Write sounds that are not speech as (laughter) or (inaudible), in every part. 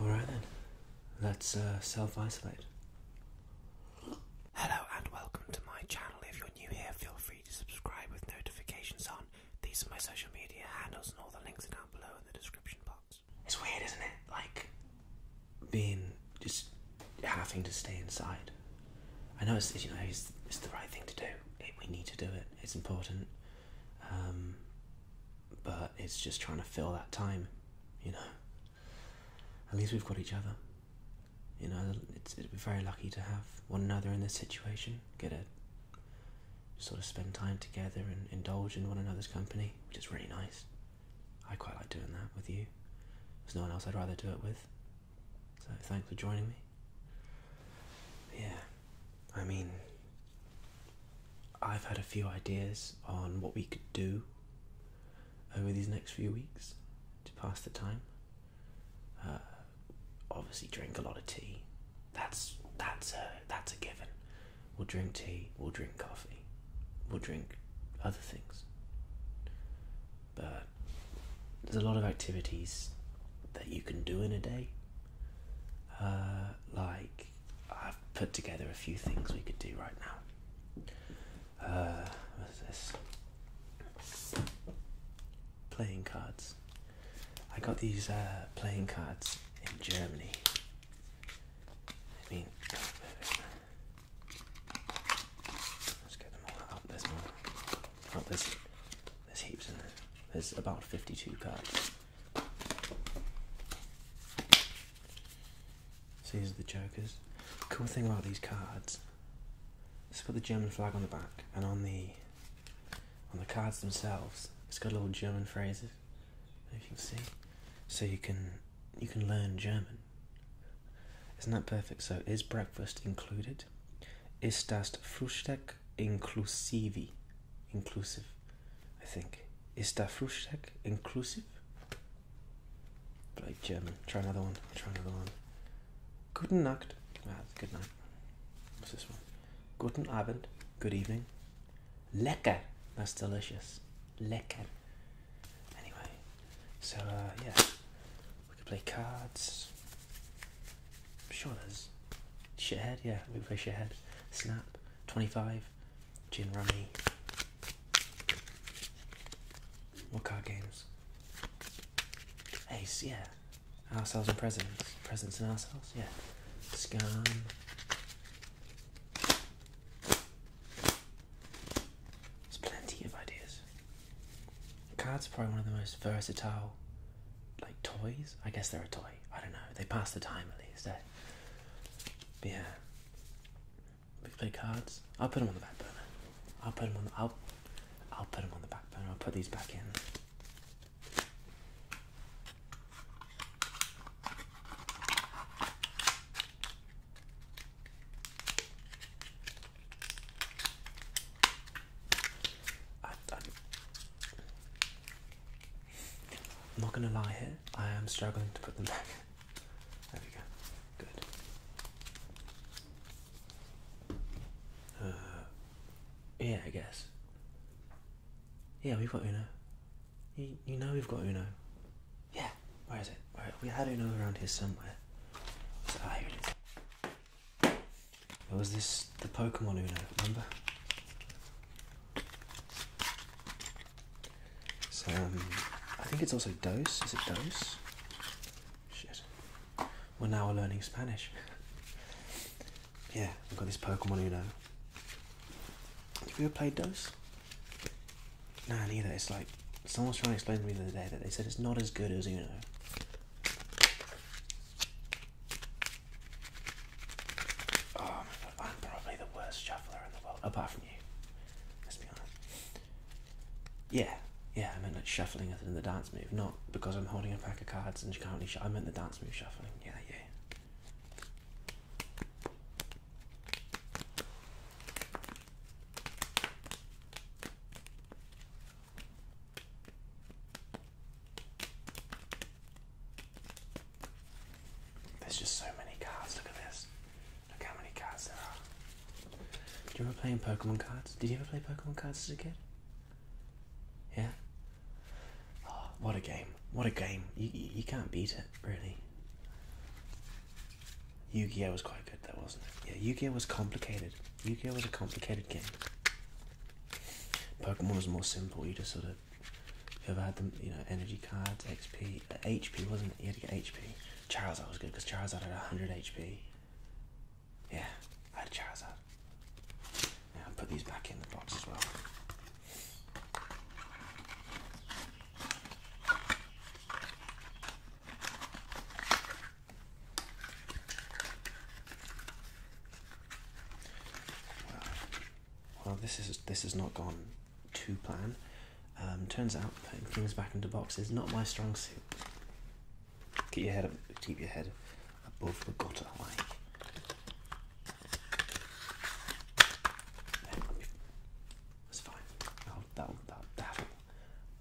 All right then, let's uh, self isolate. Hello and welcome to my channel. If you're new here, feel free to subscribe with notifications on. These are my social media handles, and all the links are down below in the description box. It's weird, isn't it? Like being just having to stay inside. I know it's you know it's, the right thing to do. we need to do it. It's important. Um, but it's just trying to fill that time, you know. At least we've got each other. You know, it's, we're very lucky to have one another in this situation, get a sort of spend time together and indulge in one another's company, which is really nice. I quite like doing that with you. There's no one else I'd rather do it with. So thanks for joining me. yeah, I mean, I've had a few ideas on what we could do over these next few weeks to pass the time. Uh, obviously, drink a lot of tea. That's that's a that's a given. We'll drink tea. We'll drink coffee. We'll drink other things. But there's a lot of activities that you can do in a day. Uh, like I've put together a few things we could do right now. Uh, what's this? playing cards. I got these uh, playing cards in Germany. I mean, let's get them all out. There's more. Oh, there's, there's heaps in there. There's about 52 cards. So these are the jokers. cool thing about these cards Let's put the German flag on the back and on the on the cards themselves. It's got little German phrases. If you can see, so you can you can learn German. Isn't that perfect? So is breakfast included? Ist das Frühstück inklusive? Inclusive, I think. Ist das Frühstück inclusive? like German. Try another one. Try another one. Guten Nacht. Ah, good night. What's this one? Guten Abend. Good evening. Lecker. That's delicious. Lecker. Anyway, so uh, yeah, we could play cards. I'm sure there's shithead. Yeah, we could play shithead. Snap. Twenty five. Gin rummy. More card games? Ace. Yeah. Ourselves and presence. Presence and ourselves, yeah. Scan. There's plenty of ideas. Cards are probably one of the most versatile, like, toys. I guess they're a toy. I don't know. They pass the time at least. Eh? yeah. We play cards. I'll put them on the back burner. I'll put them on the, I'll, I'll put them on the back burner. I'll put these back in. I, am not gonna lie here, I am struggling to put them (laughs) back. There we go. Good. Uh, yeah, I guess. Yeah, we've got Uno. You, you know we've got Uno. Yeah, where is it? we had Uno around here somewhere. So, ah, was this, the Pokemon Uno, remember? So, um, I think it's also Dose. Is it Dose? Shit we're now learning Spanish. yeah, we have got this Pokemon Uno. Have you ever played those? Nah, neither. It's like someone was trying to explain to me the other day that they said it's not as good as Uno. Oh I'm probably the worst shuffler in the world, apart from you. Let's be honest. Yeah, yeah, I mean, like shuffling as in the dance move. not because I'm holding a pack of cards and she can't really I meant the dance move shuffling. Yeah, yeah. There's just so many cards. Look at this. Look how many cards there are. Do you ever play Pokemon cards? Did you ever play Pokemon cards as a kid? Yeah. Oh, what a game. What a game. You, you, can't beat it, really. Yu Gi Oh! was quite good, though, wasn't it? Yeah, Yu Gi Oh! was complicated. Yu Gi Oh! was a complicated game. Pokemon was more simple. You just sort of. Whoever had the you know, energy cards, XP, HP, uh, wasn't it? You had to get HP. Charizard was good because Charizard had 100 HP. Yeah, I had Charizard. Yeah, I'll put these back in the box as well. Well, well, this is this has not gone to plan. Um, turns out putting things back into boxes not my strong suit. Keep your head up, keep your head above the gutter High. That's fine. That'll, that that'll,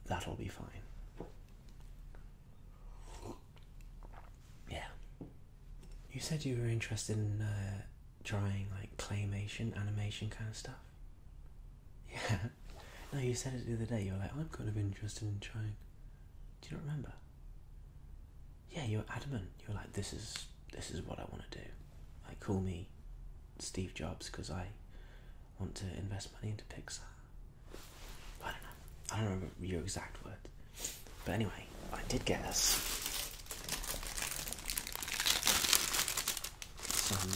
that'll, be fine. Yeah. You said you were interested in trying uh, like claymation, animation kind of stuff. Yeah. (laughs) No, you said it the other day. You were like, I'm kind of interested in trying. Do you not remember? yeah, you are adamant. You are like, "This is this is what I want to do." I call me Steve Jobs because I want to invest money into Pixar. I don't know. I don't remember your exact word, but anyway, I did get us some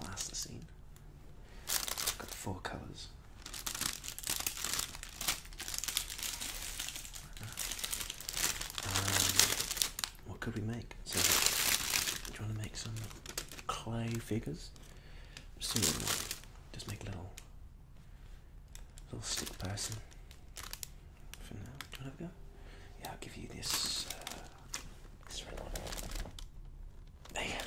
plasticine. I've got four colours. Um, what could we make? So, I'm trying to make some clay figures. Just, make a little, little stick person for now. Do you want to go? Yeah, I'll give you this. Uh, this red one. There Alright.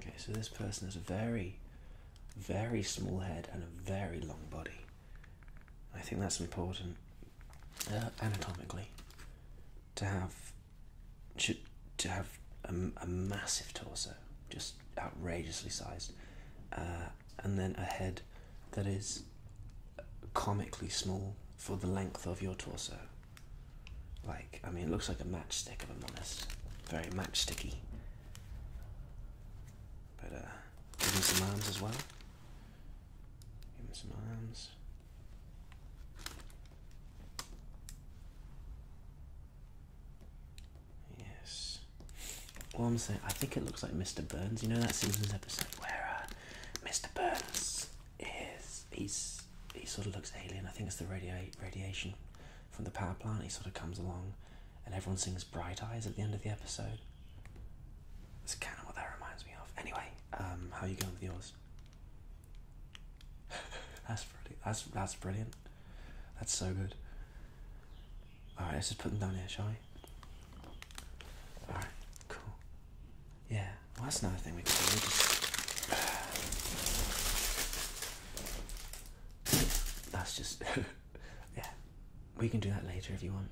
Okay, so this person has a very, very small head and a very long body. I think that's important uh, anatomically to have to, to have a, massive torso, just outrageously sized, uh, and then a head that is comically small for the length of your torso. Like, I mean, it looks like a matchstick, if I'm honest. Very matchsticky. But, uh, give him some arms as well. Give him some arms. Yes. Well, I'm saying, I think it looks like Mr. Burns. You know that Simpsons episode where uh, Mr. Burns is he's he sort of looks alien. I think it's the radiate radiation from the power plant. He sort of comes along, and everyone sings "Bright Eyes" at the end of the episode. That's kind of what that reminds me of. Anyway, um, how are you going with yours? (laughs) that's pretty. That's that's brilliant. That's so good. All right, let's just put them down here, shall we? All right, cool. Yeah, well, that's another thing we could do. (sighs) That's just. (laughs) yeah, we can do that later if you want.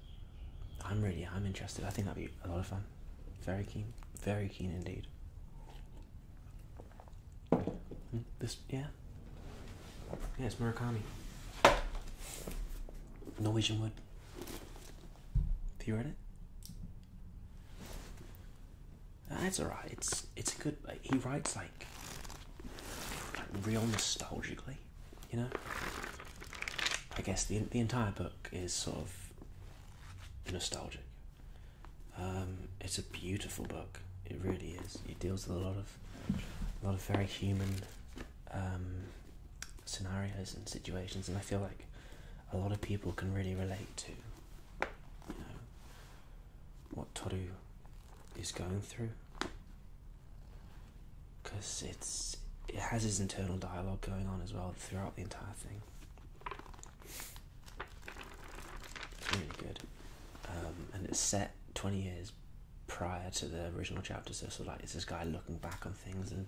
I'm really, I'm interested. I think that'd be a lot of fun. Very keen, very keen indeed. Hmm, this, yeah. Yeah, it's Murakami. Norwegian Wood. Have you read it? That's alright. It's it's a good. He writes like, like real nostalgically, you know. I guess the the entire book is sort of nostalgic. Um, it's a beautiful book. It really is. It deals with a lot of a lot of very human um, scenarios and situations, and I feel like a lot of people can really relate to. You know what Toru is going through, because it's it has his internal dialogue going on as well throughout the entire thing. It's really good, um, and it's set twenty years prior to the original chapter, so like it's this guy looking back on things, and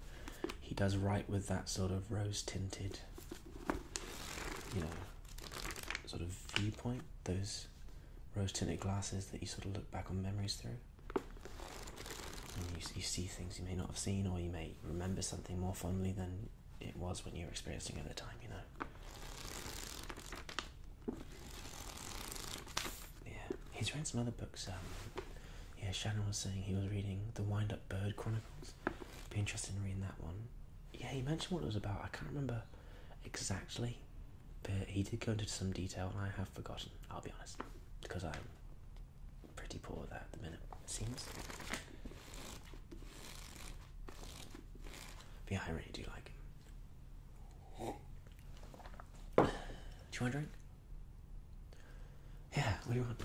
he does right with that sort of rose tinted, you know, sort of viewpoint, those rose tinted glasses that you sort of look back on memories through. And you, you see things you may not have seen, or you may remember something more fondly than it was when you were experiencing it at the time, you know. Yeah, he's read some other books. Um, yeah, Shannon was saying he was reading The Wind Up Bird Chronicles. Be interested in reading that one. Yeah, he mentioned what it was about. I can't remember exactly, but he did go into some detail, and I have forgotten. I'll be honest, because I'm pretty poor at that at the minute. It seems. But yeah, I really do like him. Do you want a drink? Yeah, what do you want?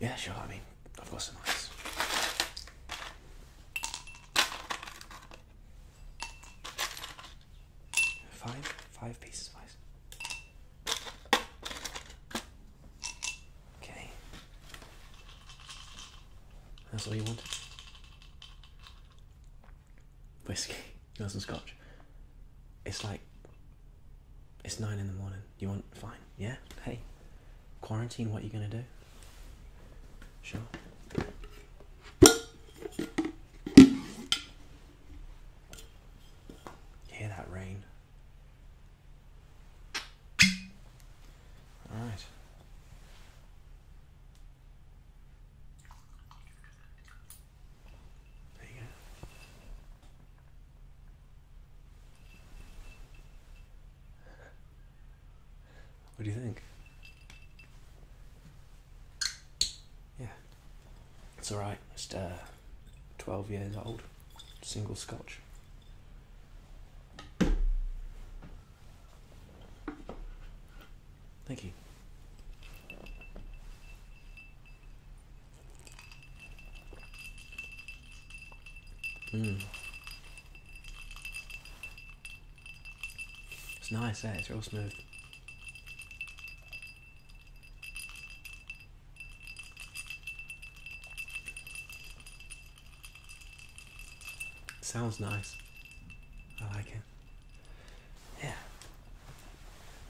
Yeah, sure. I mean, I've got some ice. Five, five pieces of ice. Okay. That's all you want. Whiskey, got (laughs) some scotch? It's like it's nine in the morning. You want fine? Yeah. Hey, quarantine. What are you gonna do? Sure. Hear that rain? All right. There you go. What do you think? Yeah, it's alright. Just uh, 12 years old, single scotch. Thank you. Mm. It's nice, eh? It's real smooth. Sounds nice. I like it. Yeah.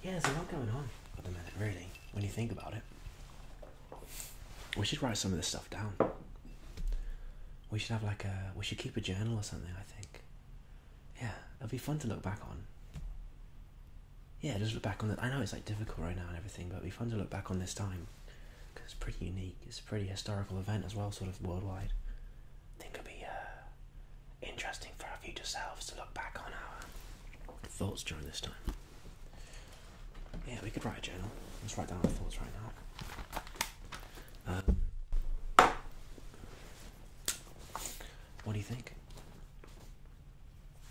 Yeah, there's a lot going on at the minute, really, when you think about it. We should write some of this stuff down. We should have like a we should keep a journal or something, I think. Yeah, it'll be fun to look back on. Yeah, just look back on it. I know it's like difficult right now and everything, but it will be fun to look back on this time. Because it's pretty unique. It's a pretty historical event as well, sort of worldwide. I think it'll be uh, interesting for our future selves to look back on our thoughts during this time. Yeah, we could write a journal. Let's write down our thoughts right now. Um, what do you think?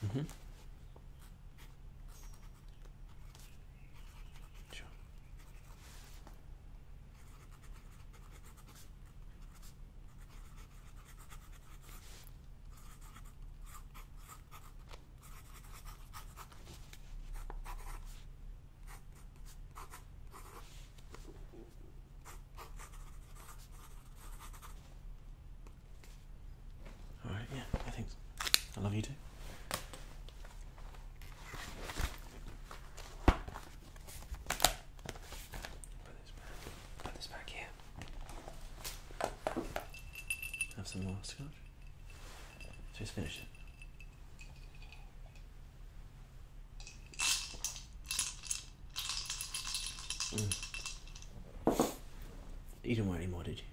Mm hmm Sure. All right, yeah, I think I love you too. Put this back here. Have some more scotch. Just finish it. Mm. You didn't want any more, did you?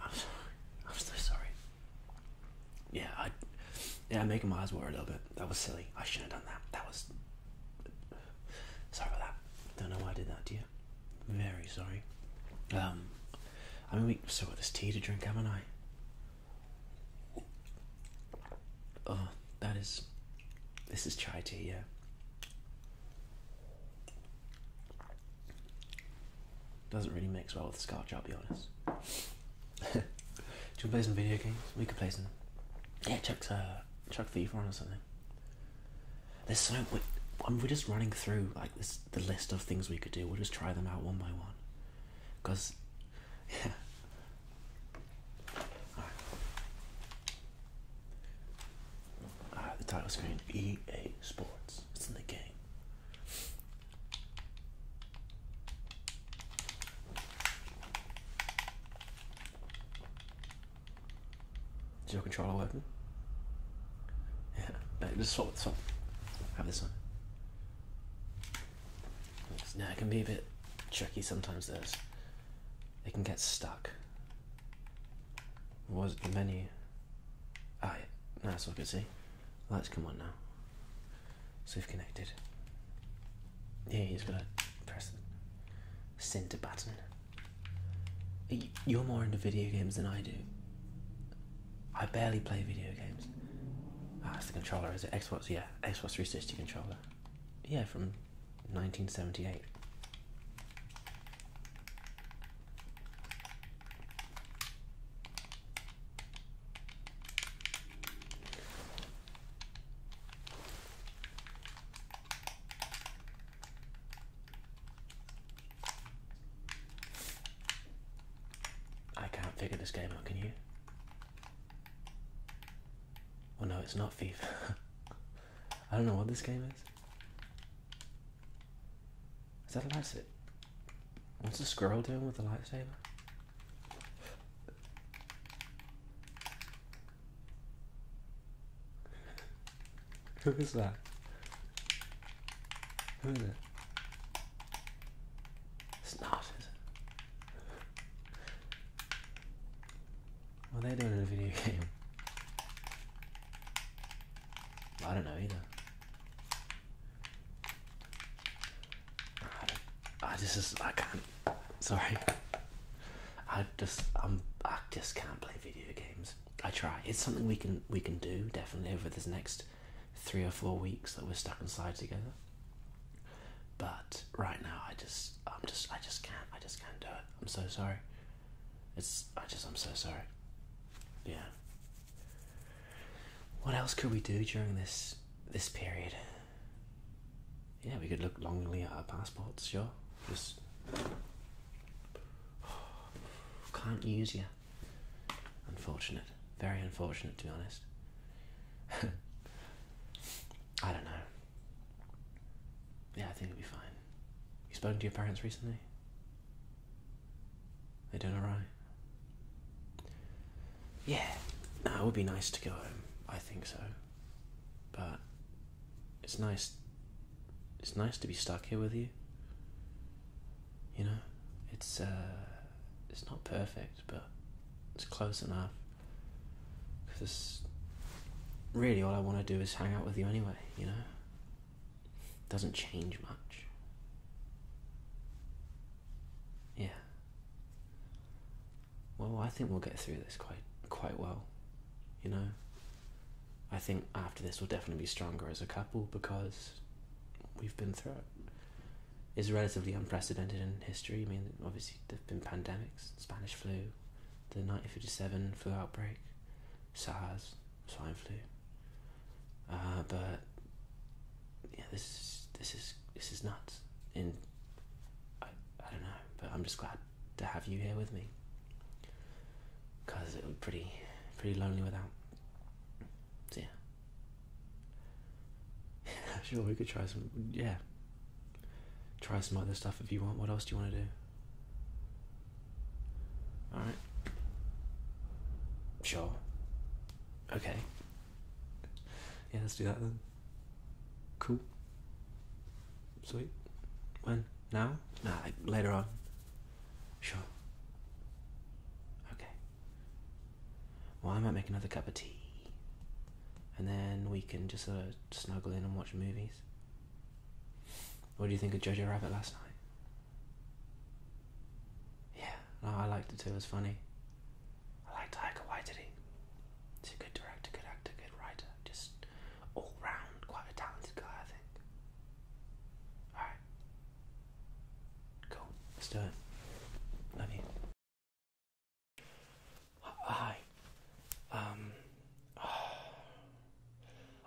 I'm sorry. (laughs) I'm so sorry. Yeah, I yeah, I'm making my eyes water a little bit. That was silly. I shouldn't have done that. That was Sorry about that. Don't know why I did that to you. Very sorry. Um, I mean, we still got this tea to drink, haven't I? Oh, that is. This is chai tea, yeah. Doesn't really mix well with scotch, I'll be honest. (laughs) Do you want to play some video games? We could play some. Yeah, Chuck's uh, Chuck Fever or something. There's so we're, we're just running through like this the list of things we could do. We'll just try them out one by one, cause (laughs) yeah. All right, the title screen EA Sports. It's in the game. Is your controller working? Yeah, no, just swap, swap. Have this one. Now it can be a bit tricky sometimes. This, it can get stuck. What was the menu? Ah, oh, yeah. that's I could see. Lights come on now. So we've connected. Yeah, he's gotta press the center button. You're more into video games than I do. I barely play video games. Ah, it's the controller, is it? Xbox, yeah, Xbox 360 controller. Yeah, from 1978. I can't figure this game out, can you? Oh no, it's not FIFA. (laughs) I don't know what this game is. Is that a lightsaber? What's the squirrel doing with the lightsaber? Who is that? Who is it? It's not, is it? What are they doing in a video (laughs) game? I don't know either. I, just, just, I can't. Sorry. I just, I'm, I just can't play video games. I try. It's something we can we can do definitely over this next three or four weeks that we're stuck inside together. But right now, I just I'm just I just can't I just can't do it. I'm so sorry. It's I just I'm so sorry. Yeah. What else could we do during this this period? Yeah, we could look longingly at our passports. Sure, just. Can't use you. Unfortunate. Very unfortunate, to be honest. (laughs) I don't know. Yeah, I think it'll be fine. You spoken to your parents recently? They doing alright? Yeah, no, it would be nice to go home. I think so. But it's nice it's nice to be stuck here with you. You know, it's uh, it's not perfect, but it's close enough. Because really, all I want to do is hang out with you anyway. You know, it doesn't change much. Yeah. Well, I think we'll get through this quite quite well. You know, I think after this we'll definitely be stronger as a couple because we've been through it. It's relatively unprecedented in history. I mean, obviously there've been pandemics, Spanish flu, the 1957 flu outbreak, SARS, swine flu. Uh, but yeah, this is this is this is nuts. In I I don't know, but I'm just glad to have you here with me because it was pretty pretty lonely without. yeah. (laughs) sure, we could try some. Yeah. Try some other stuff if you want. What else do you want to do? Alright. Sure. Okay. Yeah, let's do that then. Cool. Sweet. When? Now? Nah, later on. Sure. Okay. Well, I might make another cup of tea. And then we can just sort of snuggle in and watch movies. What do you think of Jojo Rabbit last night? Yeah, I liked it too. It was funny. I liked did he? He's a good director, good actor, good writer. Just all round quite a talented guy, I think. Alright. Cool. Let's do it. Love you. Hi. Um. (sighs)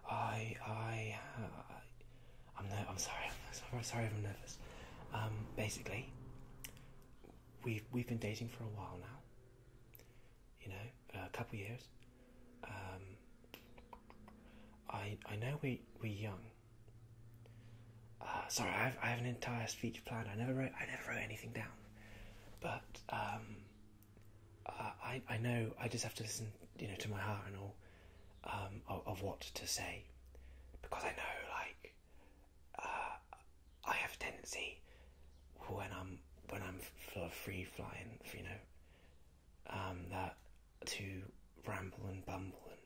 I. I. Uh, I'm no. I'm sorry. I'm sorry. Sorry I'm nervous. Um. Basically, we've we've been dating for a while now. You know, a couple years. Um. I I know we we're young. Uh, sorry, I have, an entire speech planned. I never wrote I never wrote anything down, but um, uh, I I know I just have to listen, you know, to my heart and all um, of, what to say, because I know like uh, I have a tendency when I'm when I'm free flying, you know, um, that to ramble and bumble and,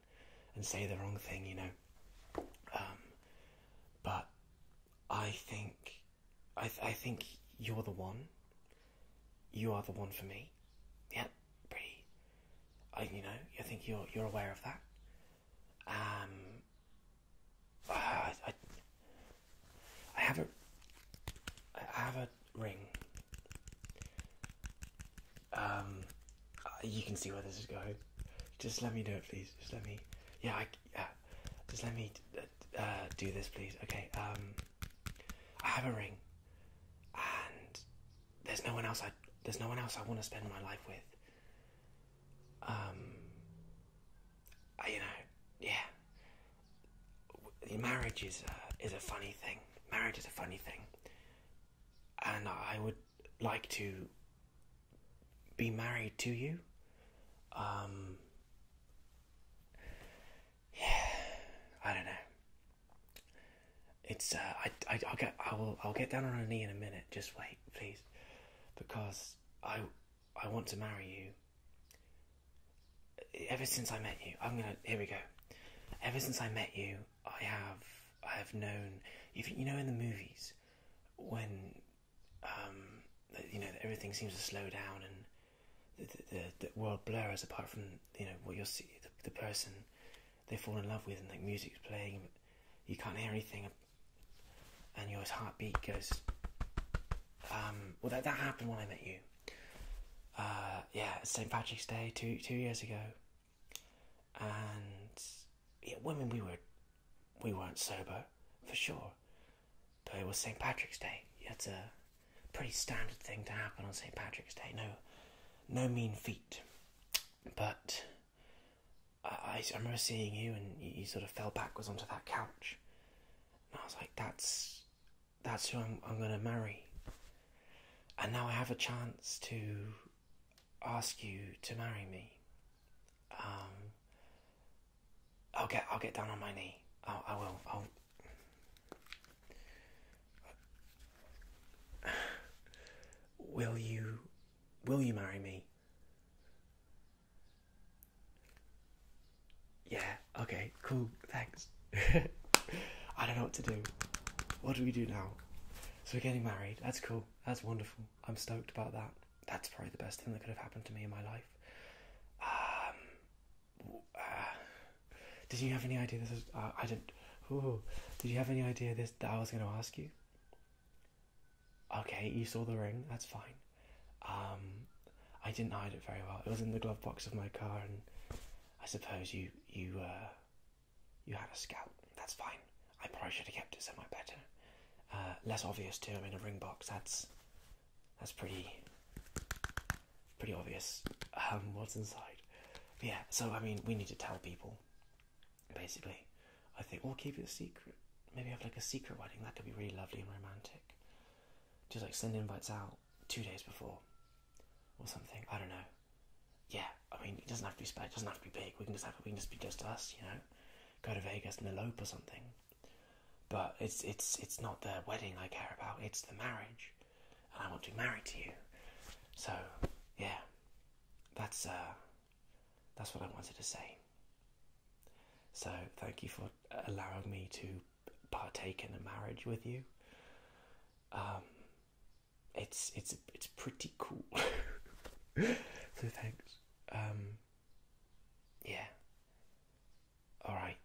and say the wrong thing, you know. Um, but I think I, I think you're the one. You are the one for me. Yeah, pretty. I you know I think you're you're aware of that. Um, I, I, I have a I have a ring. Um, uh, you can see where this is going. Just let me do it, please. Just let me. Yeah, I, yeah. Just let me uh, uh, do this, please. Okay. Um, I have a ring, and there's no one else. I there's no one else I want to spend my life with. Um, I, you know, yeah marriage is a, is a funny thing. Marriage is a funny thing, and I would like to be married to you. Um, yeah, I don't know. It's uh, I, I I'll get I will I'll get down on a knee in a minute. Just wait, please, because I I want to marry you, ever since I met you, I'm gonna. Here we go. Ever since I met you, I have I have known. you know in the movies, when um, you know everything seems to slow down and the world blurs apart from you know what you'll see the, the person they fall in love with and like music's playing, you can't hear anything, and your heartbeat goes. Um, well, that that happened when I met you uh, yeah, St. Patrick's Day two two years ago, and yeah, I mean we were we weren't sober for sure, but it was St. Patrick's Day. It's a pretty standard thing to happen on St. Patrick's Day. No, no mean feat, but. I, remember seeing you and you, you sort of fell backwards onto that couch. And I was like, that's that's who I'm, I'm going to marry. And now I have a chance to ask you to marry me. Um, I'll get I'll get down on my knee. I'll, I will. I'll. (sighs) Will you, will you marry me? Yeah, okay, cool, thanks. (laughs) I don't know what to do. What do we do now? So we're getting married. That's cool. That's wonderful. I'm stoked about that. That's probably the best thing that could have happened to me in my life. Um, uh, did you have any idea this is? Uh, I didn't. Ooh, did you have any idea this that I was going to ask you? Okay, you saw the ring. That's fine. Um, I didn't hide it very well. It was in the glove box of my car, and I suppose you you uh, you had a scout. That's fine. I probably should have kept it somewhere better, uh, less obvious to him in a ring box. That's that's pretty pretty obvious. Um, what's inside? yeah. So I mean, we need to tell people. Basically, I think we'll keep it a secret. Maybe have like a secret wedding. That could be really lovely and romantic. Just like send invites out two days before or something. I don't know. Yeah, I mean, it doesn't have to be spe- it doesn't have to be big. We can just have we can just be just us, you know. Go to Vegas and elope or something. But it's it's it's not the wedding I care about. It's the marriage, and I want to be married to you. So, yeah, that's uh, that's what I wanted to say. So thank you for allowing me to partake in a marriage with you. Um, it's it's it's pretty cool. (laughs) so thanks. Um, yeah. All right.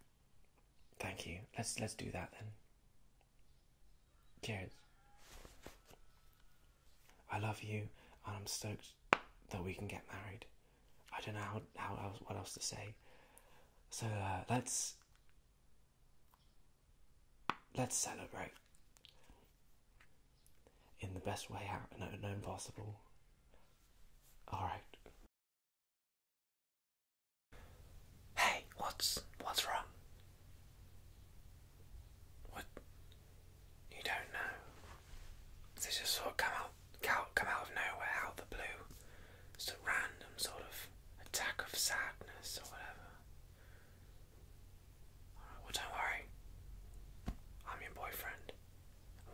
Thank you. Let's let's do that then. Cheers. I love you, and I'm stoked that we can get married. I don't know how, how what else to say. So uh, let's Let's celebrate in the best way out known possible. Alright. Hey, what's what's wrong? What you don't know. This just sort of come out come out of nowhere, out the blue. It's random sort of attack of sadness or whatever well don't worry. I'm your boyfriend.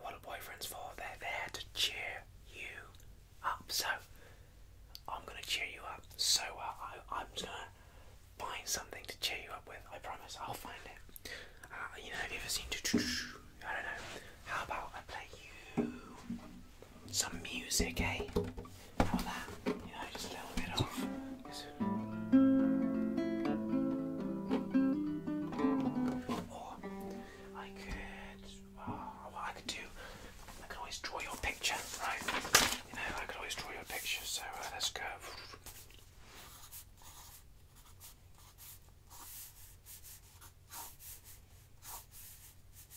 what are boyfriends for? They're there to cheer you up. So I'm gonna cheer you up so well. Uh, I, am gonna find something to cheer you up with. I promise. I'll find it. Uh, you know, have you ever seen? I don't know. How about I play you? some music, eh? How that? You know, just a little bit of. Or I could. Oh, I could do. I could always draw your picture, right? You know, I could always draw your picture. So uh, let's go.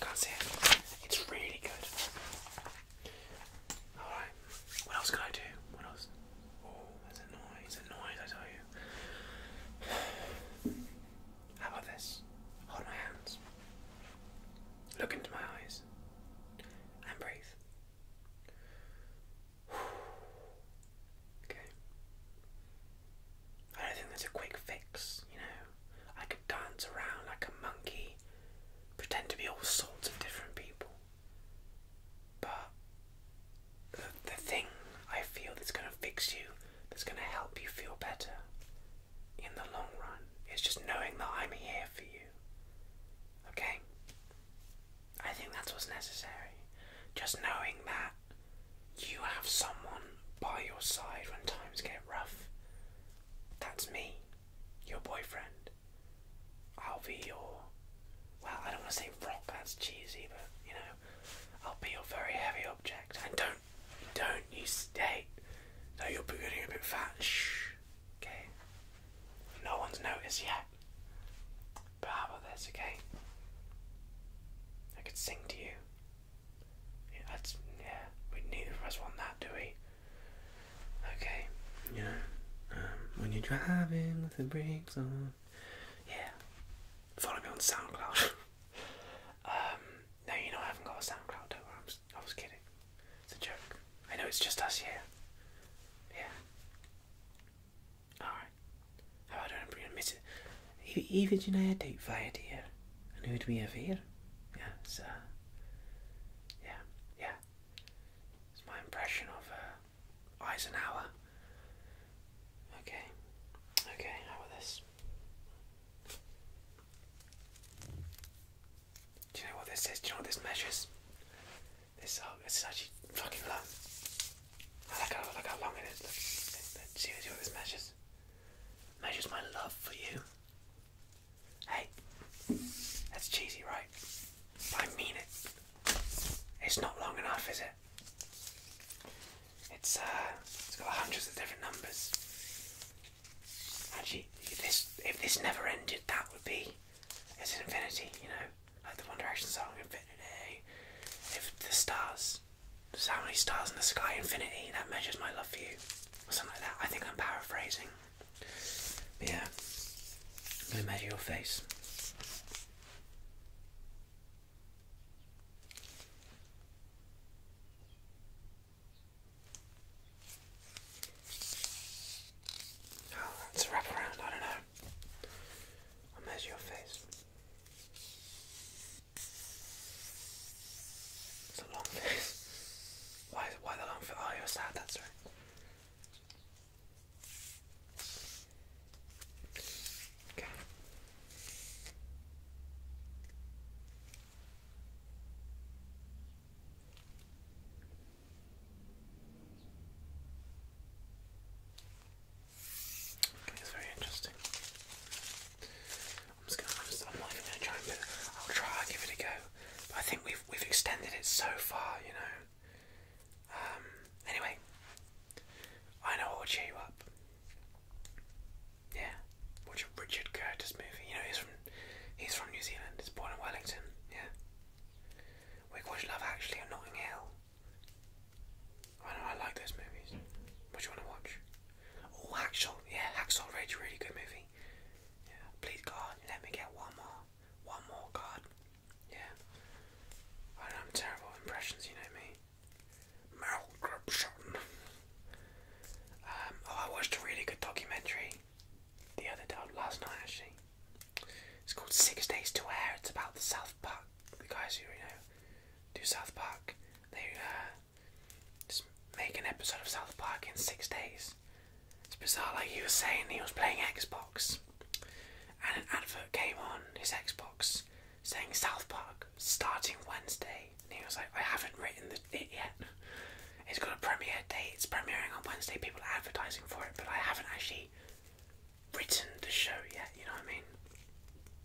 Can't see it. It's really good. Alright, what else can I do? What else? Oh, there's a noise, a noise, I tell you. (sighs) How about this? Hold my hands. Look into my eyes. And breathe. (sighs) Okay. I don't think that's a quick fix, you know. I could dance around like a monkey, pretend to be all sorts of different people. But the, the thing I feel that's going to fix you, that's going to help you feel better in the long run, is just knowing that I'm here for you. Okay? I think that's what's necessary. Just knowing that you have someone by your side when times get rough. That's me, your boyfriend. I'll be your. Well, I don't want to say rock. That's cheesy, but you know, I'll be your very heavy object. And don't, don't you state that you're getting a bit fat. Shh. Okay. No one's noticed yet. But how about this? Okay. I could sing to you. Yeah, that's yeah. We neither of us want that, do we? Okay. You um, when you're driving with the brakes on, yeah. Follow me on SoundCloud. (laughs) um, no, you know I haven't got a SoundCloud. Don't worry. I was kidding. It's a joke. I know it's just us here. Yeah. All right. Oh, I don't really miss it. Even you know, I date via here. who'd we have here? Yeah, it's, uh, yeah, yeah. It's my impression of uh, Eisenhower. Okay, okay, how about this? Do you know what this is? Do you know what this measures? This, oh, this is actually fucking long. I like how, look how long it is. see what this measures measures my love for you. Hey, that's cheesy, right? I mean it. It's not long enough, is it? It's uh, it's got hundreds of different numbers. Actually, if this if this never ended, that would be it's infinity, you know, like the One Direction song Infinity. If the stars so how many stars in the sky? Infinity. That measures my love for you. Or something like that. I think I'm paraphrasing. But yeah. i measure your face. Oh, that's a wrap I don't know. i measure your face. It's a long face. (laughs) Why, why the long face? Oh, you're sad, that's right. Okay. Okay, it's very interesting. I'm just gonna, I'm, not even gonna try and I'll try. I'll give it a go. I think we've we've extended it so far, you know. Um. Anyway, I know what will cheer you up. Yeah, watch a Richard Curtis movie. You know he's from he's from New Zealand. He's born in Wellington. Yeah. We watch Love Actually on Notting Hill. I know I like those movies. What do you want to watch? Oh, Hacksaw. Yeah, Hacksaw Ridge, really good movie. Yeah, please God, let me get one more, one more God. Yeah. I know I'm terrible impressions, you know me. Malcorption. Um, oh, I watched a really good documentary the other day, last night actually. It's called Six Days to Air. It's about the South Park, the guys who you know do South Park. They uh, just make an episode of South Park in six days. It's bizarre, like he was saying he was playing Xbox, and an advert came on his Xbox saying South Park starting Wednesday, and he was like, I haven't written the, it yet. It's got a premiere date, it's premiering on Wednesday, people are advertising for it, but I haven't actually written the show yet, you know what I mean?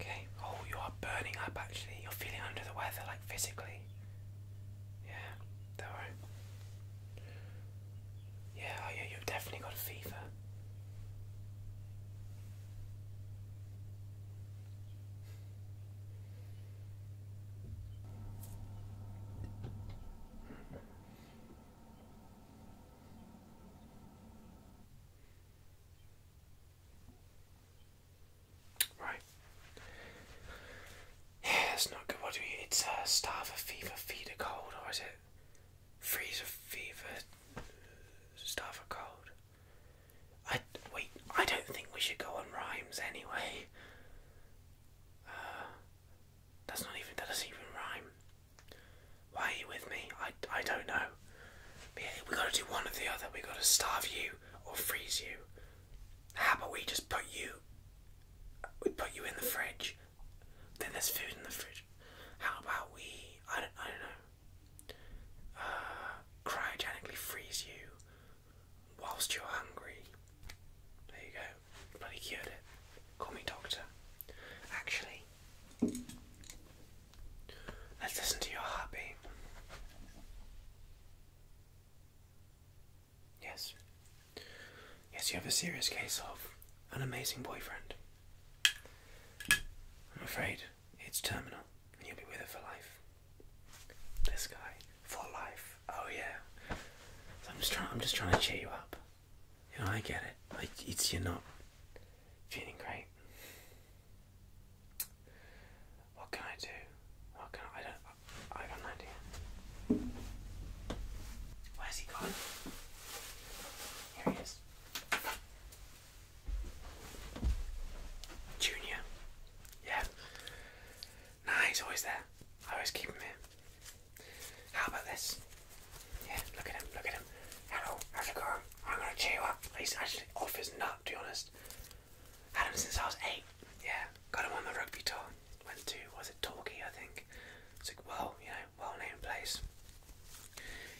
Okay. Oh, you are burning up actually. You're feeling under the weather, like physically. Yeah, don't worry. Yeah, oh yeah, you've definitely got a fever. Right. Yeah, that's not good. What do we? It's a uh, starve a fever, feed a cold, or is it freeze a fever, starve a cold? I wait. I don't think we should go on rhymes anyway. Uh, that's not even. does even rhyme. Why are you with me? I, I don't know. But yeah, we gotta do one or the other. We gotta starve you or freeze you. How about we just put you? We put you in the fridge. Then there's food in the fridge. How about we? I don't. I don't know. Uh, cryogenically freeze you whilst you're hungry. There you go. Bloody cured Call me doctor. Actually, let's listen to your heartbeat. Yes. Yes, you have a serious case of an amazing boyfriend. I'm afraid it's terminal and you'll be with her for life. This guy. For life. Oh yeah. I'm just trying I'm just trying to cheer you up. You I get it. it's you're not Feeling great. What can I do? What can I, don't. I got an idea. Where's he gone? Here he is. Junior. Yeah. Nah, he's always there. I always keep him here. How about this? Yeah, look at him, look at him. Hello, how's it going? I'm gonna cheer you up. He's actually off his nut, to be honest. Had him since I was eight. Yeah, got him on the rugby tour. Went to, was it Torquay, I think. It's a well, you know, well-named place.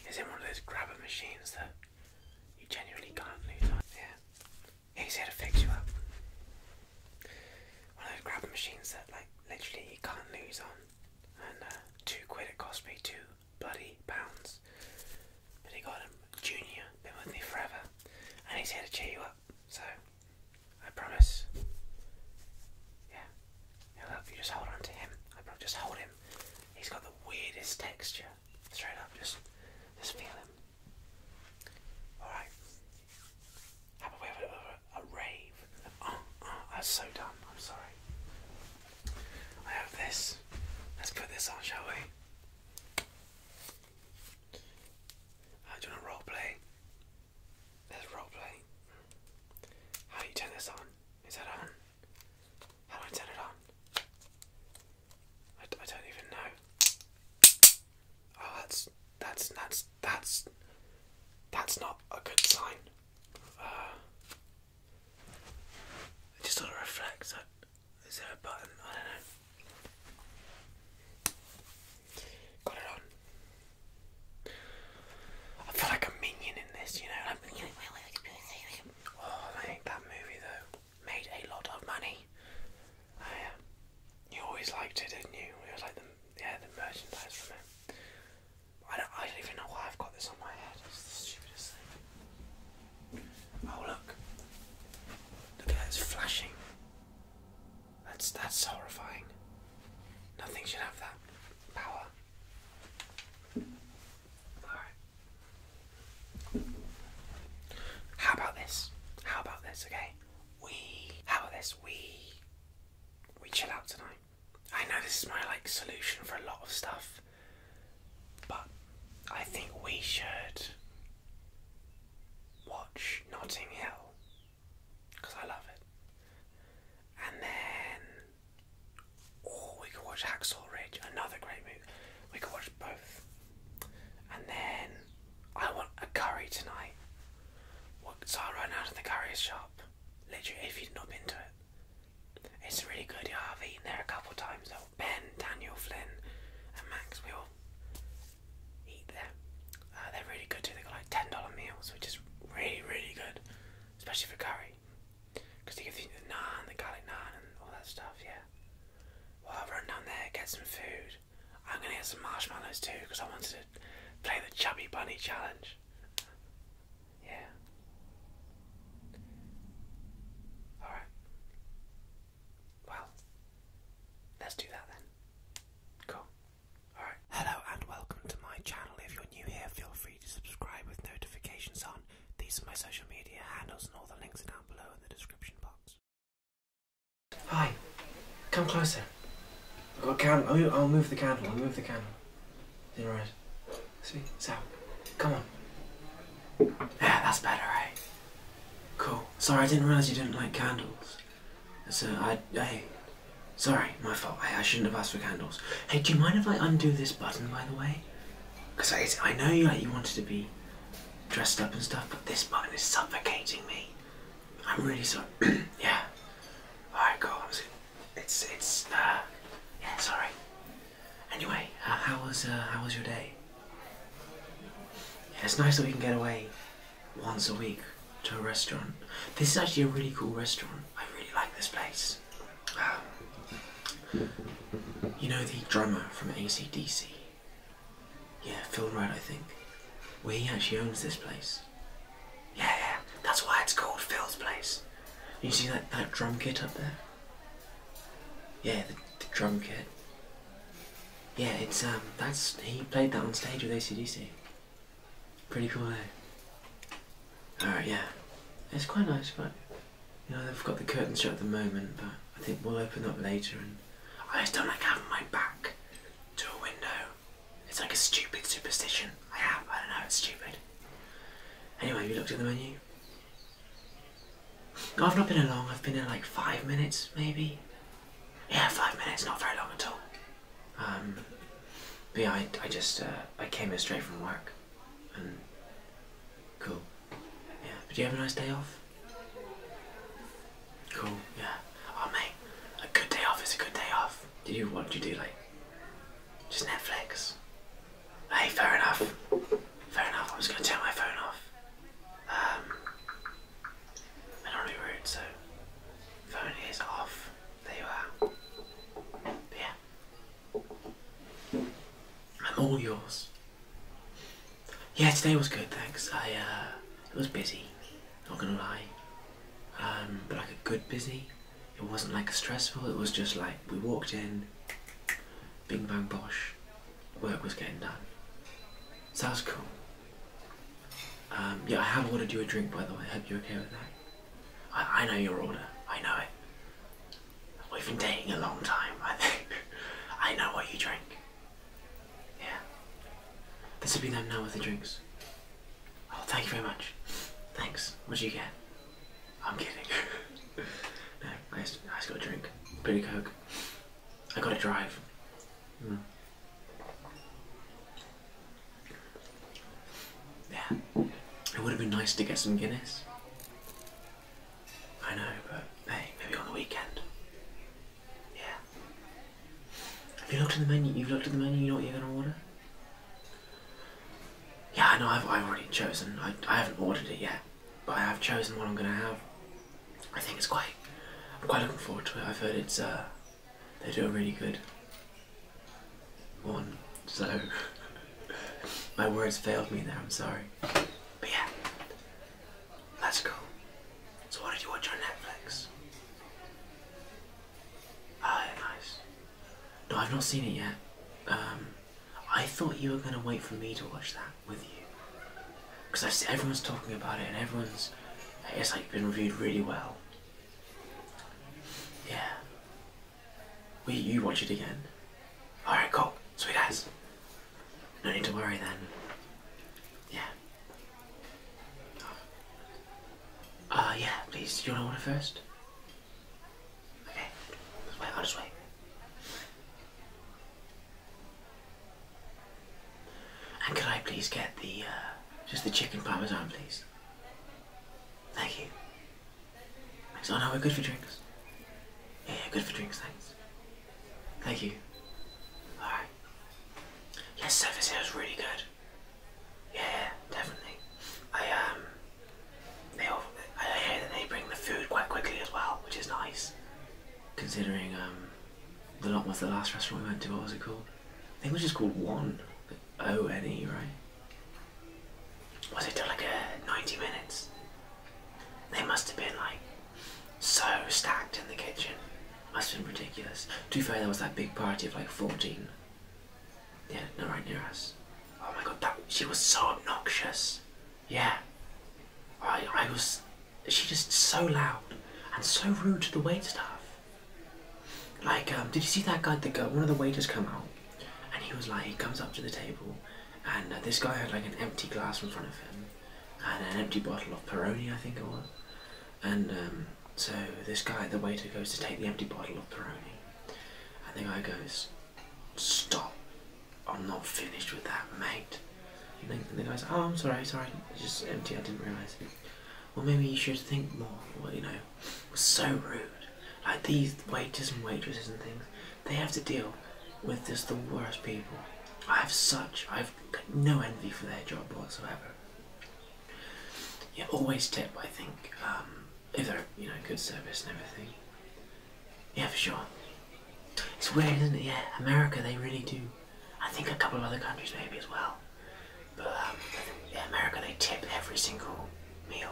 Is in one of those grabber machines that you genuinely can't lose on. Yeah, he's here to fix you up. One of those grabber machines that, like, literally you can't lose on. And uh, two quid it cost me to bloody pounds. But he got him. Junior, been with me forever. And he's here to cheer you up. So, I promise. Yeah. I will help you. Just hold on to him. I promise. Just hold him. He's got the weirdest texture. Straight up. Just, just feel him. Alright. Have a way of a rave. Oh, oh, that's so dumb. I'm sorry. I have this. Let's put this on, shall we? Uh, do you role play? let role play. How do you turn this on? Is that on? How do I turn it on? I, don't even know. Oh, that's that's that's that's that's not a good sign. Uh, I just sort of reflects that. Is there a button? I don't know. Got it on. I feel like a minion in this, you know. oh, I think that movie though made a lot of money. Um, you always liked it, didn't you? It was like yeah the merchandise from it. I don't, I don't even know why I've got this on my head. It's the stupidest thing. Oh look! Look at that, it's flashing. That's that's horrifying. Nothing should have that power. Alright. How about this? How about this, okay? We how about this? We we chill out tonight. I know this is my like solution for a lot of stuff, but I think we should watch Notting Hill because I love it, and then or oh, we could watch Hacksaw Ridge, another great movie. We could watch both, and then I want a curry tonight. What, so I ran out of the curry shop. Literally, if you'd not been to it, it's really good. Yeah, I've eaten there a couple times though. Ben, Daniel, Flynn, and Max, we all eat there. Uh, they're really good too. They got like ten dollar meals, which is really really good, especially for curry, because they give you the naan, the garlic naan, and all that stuff. Yeah. Well, I'll run down there, get some food. I'm gonna get some marshmallows too, because I wanted to play the chubby bunny challenge. Yeah. All right. Well, let's do that then. Cool. All right. Hello and welcome to my channel. If you're new here, feel free to subscribe with notifications on. These are my social media handles and all the links are down below in the description box. Hi. Come closer. i will move the candle. I'll move the candle. you right. See? So, come on. Yeah, that's better, right? Cool. Sorry, I didn't realise you didn't like candles. So, I. Hey. Sorry, my fault. I shouldn't have asked for candles. Hey, do you mind if I undo this button, by the way? Because I, I know you, like, you wanted to be dressed up and stuff, but this button is suffocating me. I'm really sorry. (clears throat) yeah. Alright, cool. It's, it's, uh, yeah, sorry. Anyway, how was uh, how was your day? it's nice that we can get away once a week to a restaurant. This is actually a really cool restaurant. I really like this place. Um, you know the drummer from ACDC? Yeah, Phil Rudd, I think. Where he actually owns this place. Yeah, yeah, that's why it's called Phil's Place. You see that, that drum kit up there? Yeah, the, drum kit. Yeah, it's um, that's he played that on stage with ACDC. Pretty cool, eh? Alright, yeah, it's quite nice, but you know they've got the curtains shut at the moment, but I think we'll open up later. And I just don't like having my back to a window. It's like a stupid superstition I have. I don't know, it's stupid. Anyway, have you looked at the menu? I've not been in long. I've been in like five minutes, maybe. Yeah, five minutes. Not very long at all. Um, yeah, I, I just uh, I came here straight from work, and cool. Yeah. But you have a nice day off? Cool. Yeah. Oh mate, a good day off is a good day off. Did you what did you do like? Just Netflix. Hey, fair enough. Fair enough. I'm just gonna turn my phone off. Um, I do so phone is off. There you are. yeah, I'm all yours. Yeah, today was good, thanks. I uh, it was busy. Not gonna lie. Um, but like a good busy. It wasn't like a stressful. It was just like we walked in. Bing bang Bosch, work was getting done. Sounds cool. Um, yeah, I have ordered you a drink by the way. I hope you're okay with that. I, know your order. I know it. We've been dating a long time, I think. (laughs) I know what you drink. Yeah. This will be them now with the drinks. Oh, thank you very much. Thanks. What do you get? I'm kidding. no, (laughs) I just, I just got a drink. Pretty coke. I gotta drive. Hmm. Yeah. It would have been nice to get some Guinness. I know, but hey, maybe on the weekend. Yeah. Have you looked at the menu? You've looked at the menu, you know what you're gonna order? Yeah, I know, I've, I've already chosen. I, I haven't ordered it yet but I have chosen what I'm gonna have. I think it's quite. I'm quite looking forward to it. I've heard it's. Uh, they do a really good one. So (laughs) my words failed me there. I'm sorry. But yeah, let's go. So what did you watch on Netflix? Oh, nice. No, I've not seen it yet. Um, I thought you were going to wait for me to watch that with you. Because everyone's talking about it and everyone's. It's like been reviewed really well. Yeah. Will you watch it again? Alright, cool. Sweet ass. No need to worry then. Yeah. Uh, yeah, please. Do you want to order first? Okay, this way, on this way. And could I please get the, uh, just the chicken parmesan, please? Thank you. Thanks. Oh no, we're good for drinks. Yeah, good for drinks, thanks. Thank you. Alright. Yes, service here is really good. Yeah, yeah, definitely. I, um, they I hear that they bring the food quite quickly as well, which is nice. Considering um, the lot was the last restaurant we went to, what was it called? I think it was just called One, like O N E, right? Was it like 90 minutes? They must have been like so stacked in the kitchen. Must have been ridiculous. To be there was that big party of like 14. Yeah, no, right near us. Oh my god, that she was so obnoxious. Yeah. I, I was. She just so loud and so rude to the wait staff. Like, um, did you see that guy? The guy, one of the waiters come out, and he was like, he comes up to the table, and uh, this guy had like an empty glass in front of him, and an empty bottle of Peroni, I think it was. And um, so this guy, the waiter, goes to take the empty bottle of Peroni, and the guy goes, Stop. I'm not finished with that, mate. And the guy's, oh, I'm sorry, sorry. It's just empty, I didn't realise. Well, maybe you should think more. Well, you know, it was so rude. Like these waiters and waitresses and things, they have to deal with just the worst people. I have such, I've no envy for their job whatsoever. Yeah, always tip, I think, um, if they're, you know, good service and everything. Yeah, for sure. It's weird, isn't it? Yeah, America, they really do. I think a couple of other countries maybe as well. But um, yeah, America, they tip every single meal.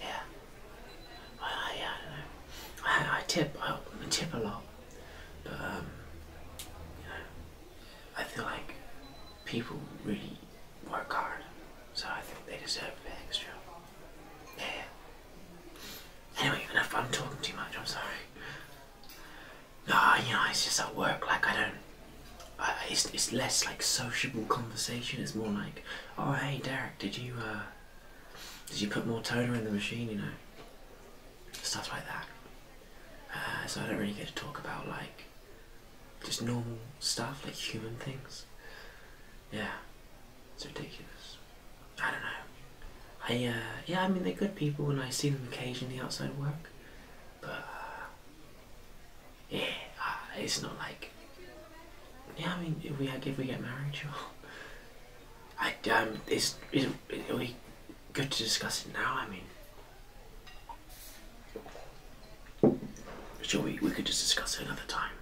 Yeah. I, yeah, I don't know. I, I tip, I, I tip a lot. But, um, you know, I feel like people really work hard. So I think they deserve a extra. Yeah. Anyway, even if I'm talking too much. I'm sorry. No, you know, it's just at work. Like I don't. it's less like sociable conversation. It's more like, oh hey Derek, did you uh, did you put more toner in the machine? You know, stuff like that. Uh, so I don't really get to talk about like just normal stuff like human things. Yeah, it's ridiculous. I don't know. I uh, yeah, I mean they're good people, when I see them occasionally outside work, but uh, yeah, uh, it's not like yeah. I mean, if we if we get married, sure. I um, it's is we good to discuss it now? I mean, sure, we we could just discuss it another time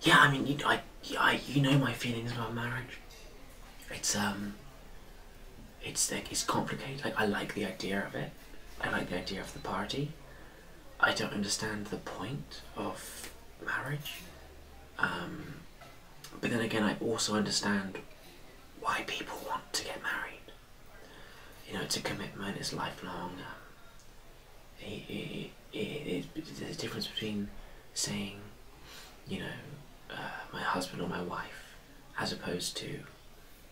yeah, I mean, you, I, I, you know my feelings about marriage. It's um, it's like it's complicated. Like I like the idea of it. I like the idea of the party. I don't understand the point of marriage. Um, but then again, I also understand why people want to get married. You know, it's a commitment. It's lifelong there's a difference between saying, you know, uh, my husband or my wife, as opposed to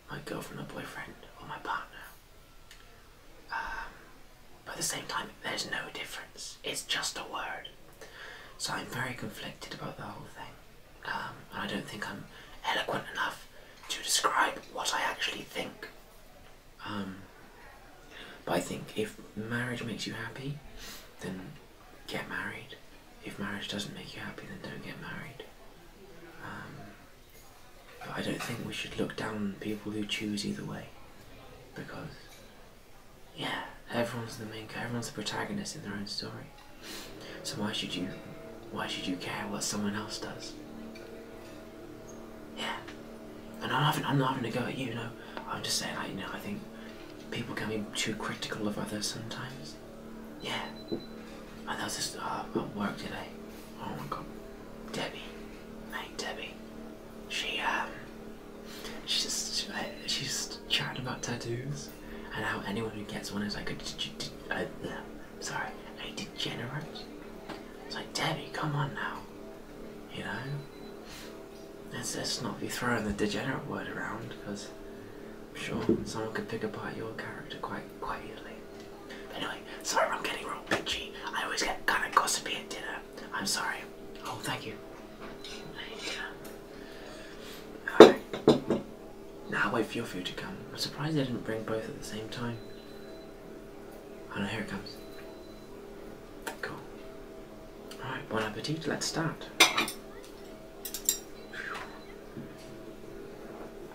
my girlfriend or boyfriend or my partner. Um, but at the same time, there's no difference. It's just a word. So I'm very conflicted about the whole thing. Um, and I don't think I'm eloquent enough to describe what I actually think um, but I think if marriage makes you happy, then get married. If marriage doesn't make you happy, then don't get married. Um, but I don't think we should look down on people who choose either way, because yeah, everyone's the main, everyone's the protagonist in their own story. So why should you, why should you care what someone else does? Yeah. And I'm, not having to go at you, no. I'm just saying, like, you know, I think people can be too critical of others sometimes. Yeah. And there was this, uh, at work today. Oh my god. Debbie. Mate, Debbie. She, um, she just, she's chatting about tattoos and how anyone who gets one is like a, a, uh, sorry, a degenerate. It's like, Debbie, come on now. You know, let's, not be throwing the degenerate word around because I'm sure someone could pick apart your character quite quite easily. anyway, sorry I'm getting real bitchy. I always get kind of gossipy at dinner. I'm sorry. Oh, thank you. Alright. Now wait for your food to come. I'm surprised they didn't bring both at the same time. And oh, here it comes. All right, bon appetit, let's start.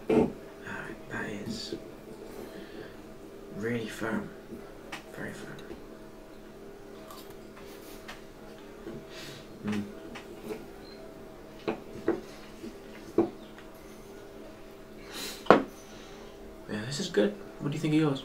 that is really firm. Very firm. Hmm. Yeah, this is good. What do you think of yours?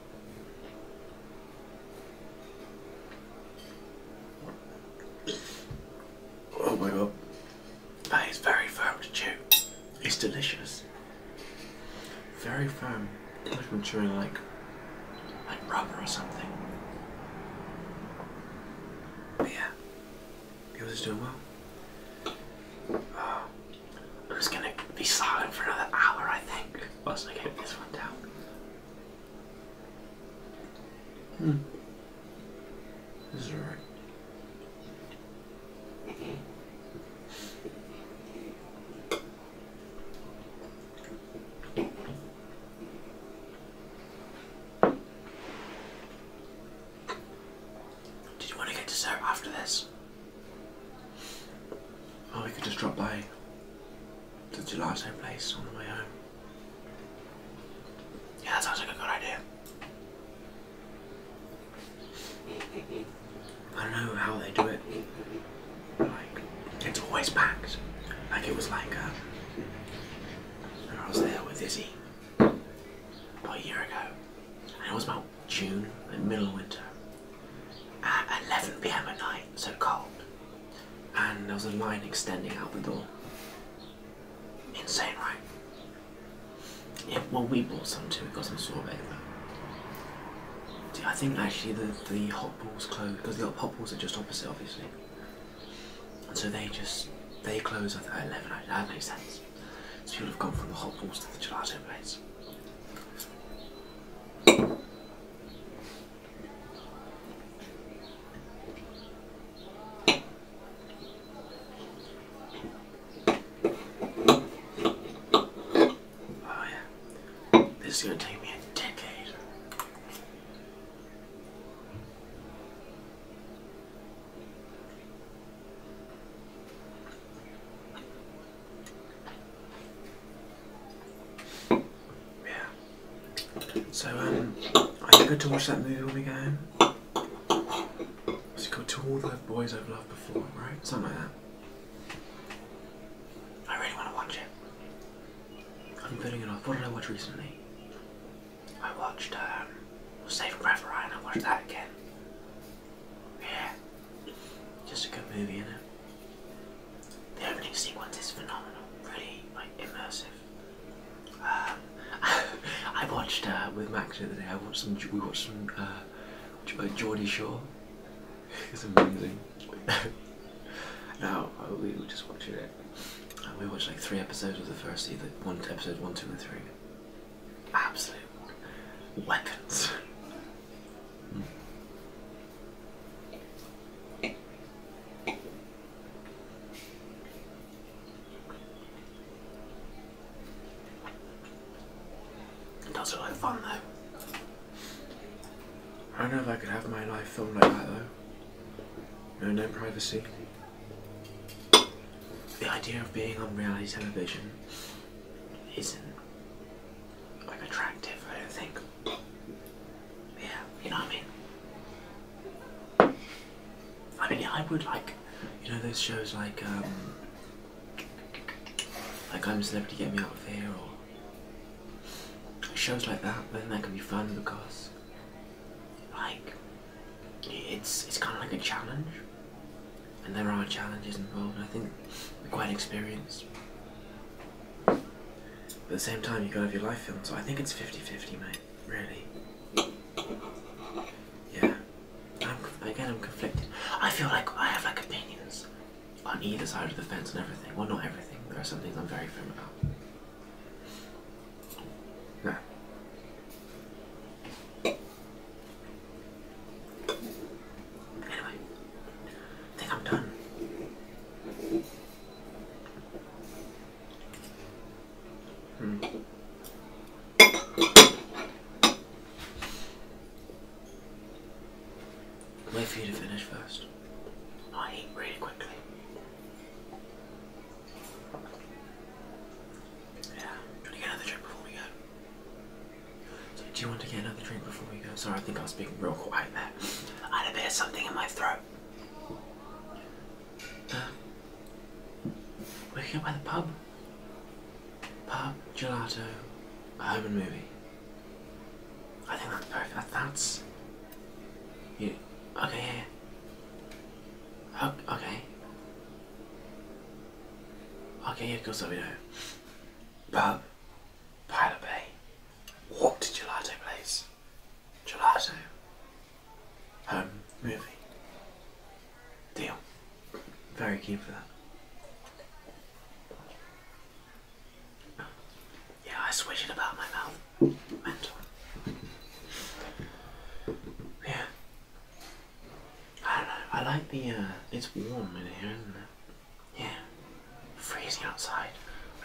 Oh my god. That is very firm to chew. It's delicious. Very firm. almost i like like rubber or something. But yeah. Yours is doing well. I'm just gonna be silent for another hour I think whilst I get this one down. Hmm. This Did you want to get dessert after this? Oh, we could just drop by. To the gelato place on the way home. Yeah, that sounds like a good idea. I don't know how they do it. Like, it's always packed. Like, it was like, um, I was there with Izzy about a year ago, and it was about June, the middle of winter, at 11 pm at night, so cold and there was a line extending out the door. Insane, right? Yeah, well, we bought some too. We got some sorbet. I think actually the, the hot balls close because the hot balls are just opposite, obviously. And so they just they close at eleven. That makes sense. So you'll have gone from the hot balls to the gelato place. Oh yeah, this is gonna take me a decade. Yeah. So um, I think I to watch that movie when we go home. What's called? To all the boys I've loved before, right? Something like that. I really want to watch it. I'm putting it off. What did I watch recently? I watched um, Saving Private Ryan. I watched that again. Yeah. Just a good movie, you know. The opening sequence is phenomenal, really like immersive. Um, (laughs) I watched uh, with Max the other day. I watched some. We watched some uh, uh Geordie Shore. (laughs) it's amazing. (laughs) now uh, we were just watching it. we watched like three episodes of the first season. One episode, one, two, and three. Absolute weapons. Hmm. It does look like fun though. I don't know if I could have my life filmed like that though. No, no privacy. The idea of being on reality television isn't like attractive, I don't think. Yeah, you know what I mean? I mean, I would like, you know, those shows like, um, like I'm a Celebrity, Get Me Out of Here, or shows like that, then that can be fun because, like, it's, it's kind of like a challenge. And there are challenges involved, I think we're quite an experience. But at the same time, you gotta have your life filmed, so I think it's 50 50, mate. Really. Yeah. I'm, again, I'm conflicted. I feel like I have like opinions on either side of the fence and everything. Well, not everything. There are some things I'm very firm about. Nah. Anyway, I think I'm done. Hmm. Wait for you to finish first. Oh, I eat really quickly. Yeah. Do you want to get another drink before we go? So, do you want to get another drink before we go? Sorry, I think I was speaking real quiet there. I had a bit of something in my throat. Uh, um, we're here by the pub. Pub, gelato, a home and movie. I think that's perfect. That, that's. You. Okay, yeah. yeah. Okay. Okay, yeah, of course I know. Pub, Pilot Bay, walk to Gelato Place. Gelato. Home movie. Deal. Very keen for that. Yeah, I swish it about my mouth. Mental. Yeah. I don't know. I like the, uh, it's warm in here, isn't it? Yeah. Freezing outside.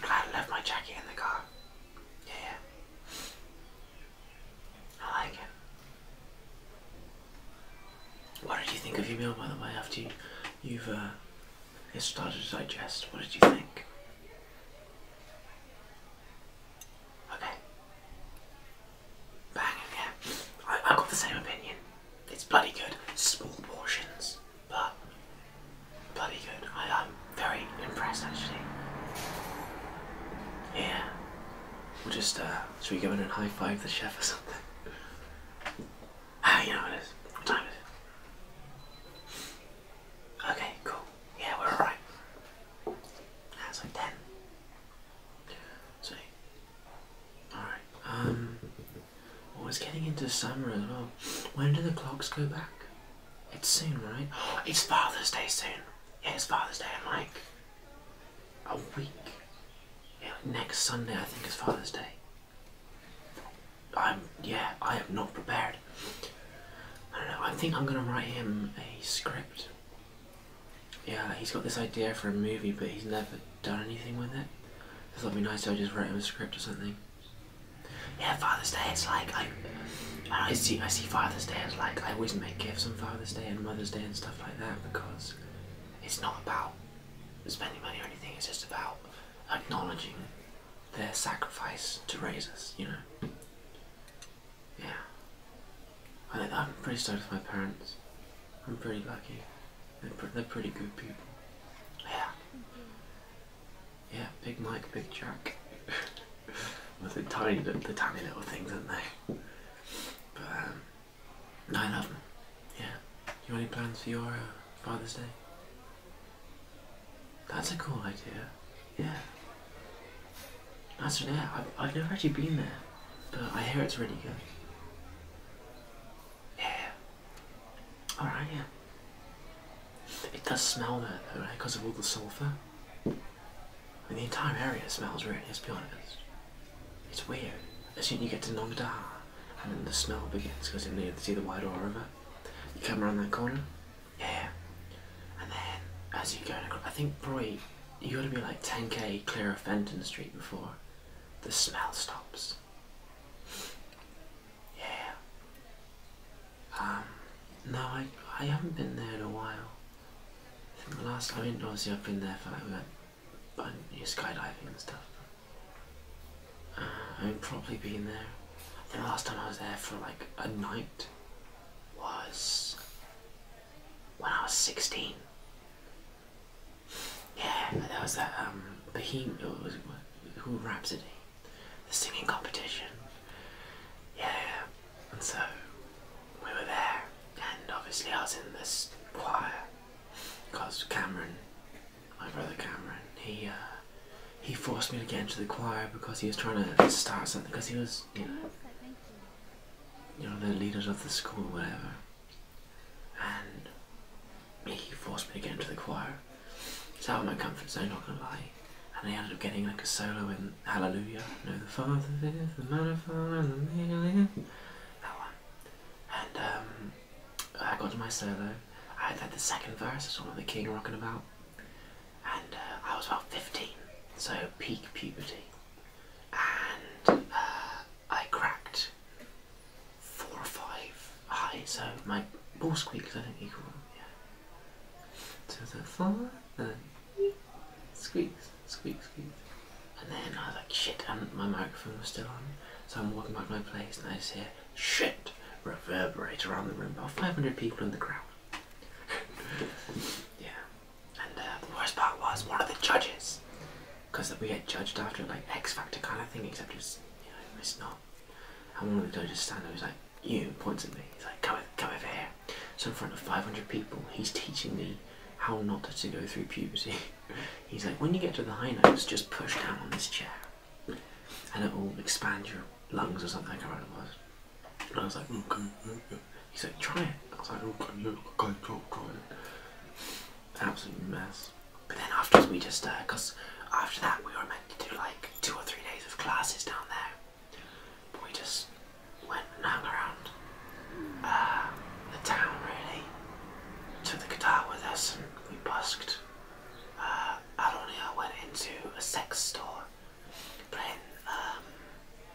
glad I left my jacket in the car. Yeah. I like it. What did you think of your meal, by the way, after you, have uh, started to digest? What did you think? Okay. Bang, yeah. I, got the same opinion. It's bloody good. Small portions but bloody good. I, am very impressed actually. Yeah. We'll just, uh, should we go in and high five the chef or something? (laughs) Ah, you know what it is. What time is it? Okay, cool. Yeah, we're alright. That's like 10. So, alright. Um, well, oh, it's getting into summer as well. When do the clocks go back? It's soon, right? it's Father's Day soon. Yeah, it's Father's Day in like a week. Yeah, next Sunday I think is Father's Day. I'm yeah, I am not prepared. I don't know, I think I'm gonna write him a script. Yeah, he's got this idea for a movie but he's never done anything with it. So that'd be nice to just write him a script or something. Yeah, Father's Day. It's like I, I see, I see Father's Day as like I always make gifts on Father's Day and Mother's Day and stuff like that because it's not about spending money or anything. It's just about acknowledging their sacrifice to raise us. You know. Yeah. I, am pretty stoked with my parents. I'm pretty lucky. They're, they're pretty good people. Yeah. Mm-hmm. Yeah, big Mike, big Jack. (laughs) With the tiny, little, the tiny little things, aren't they? But um, no, I them. Yeah. You got any plans for your uh, Father's Day? That's a cool idea. Yeah. That's yeah. I've, I've never actually been there, but I hear it's really good. Yeah. All right. Yeah. It does smell there though, right? Because of all the sulfur. I mean, the entire area smells really, let's be honest. It's weird. As soon as you get to Nong Da, and then the smell begins because you can see the white aura River. You come around that corner, yeah. And then as you go, I think probably you got to be like 10k clear of Fenton Street before the smell stops. Yeah. Um, no, I, I haven't been there in a while. the last, I mean, obviously I've been there for like, we went, but you skydiving and stuff. Uh, I've probably been there. the last time I was there for like a night was when I was 16. Yeah, that was that um, Behemoth, who Rhapsody the singing competition. Yeah, and so we were there, and obviously I was in this choir because Cameron, my brother Cameron, he uh, he forced me to get into the choir because he was trying to start something. Because he was, you know, you know, the leader of the school, whatever, and he forced me to get into the choir. It's out of my comfort zone, not gonna lie. And I ended up getting like a solo in Hallelujah. No, the Father, the Mother, and the Male. That one. And um, I got to my solo. I had the second verse, it's one of the King rocking about. And uh, I was about 15, so peak puberty. And uh, I cracked four or five high, so my balls squeaked. I think you call them, yeah to the floor, and then squeaks, squeaks, squeaks. And then I was like, shit, and um, my microphone was still on. So I'm walking back to my place and I just hear, shit, reverberate around the room. About 500 people in the crowd. (laughs) yeah. And uh, the worst part was one of the judges. Because we get judged after like X Factor kind of thing, except it's, you know, it's not. And one of the judges standing there was like, you points at me. He's like, come, over here. So in front of 500 people, he's teaching me how not to go through puberty. (laughs) he's like, when you get to the high notes, just push down on this chair, and it will expand your lungs or something. I can't remember what it was. And I was like, okay, okay. He's like, try it. I was like, okay, yeah, okay, try, try it. Absolute mess. But then afterwards we just, because uh, after that we were meant to do like two or three days of classes down there we just went and hung around uh, the town really. Took the guitar with us and we busked. Uh, Aronia went into a sex store playing um,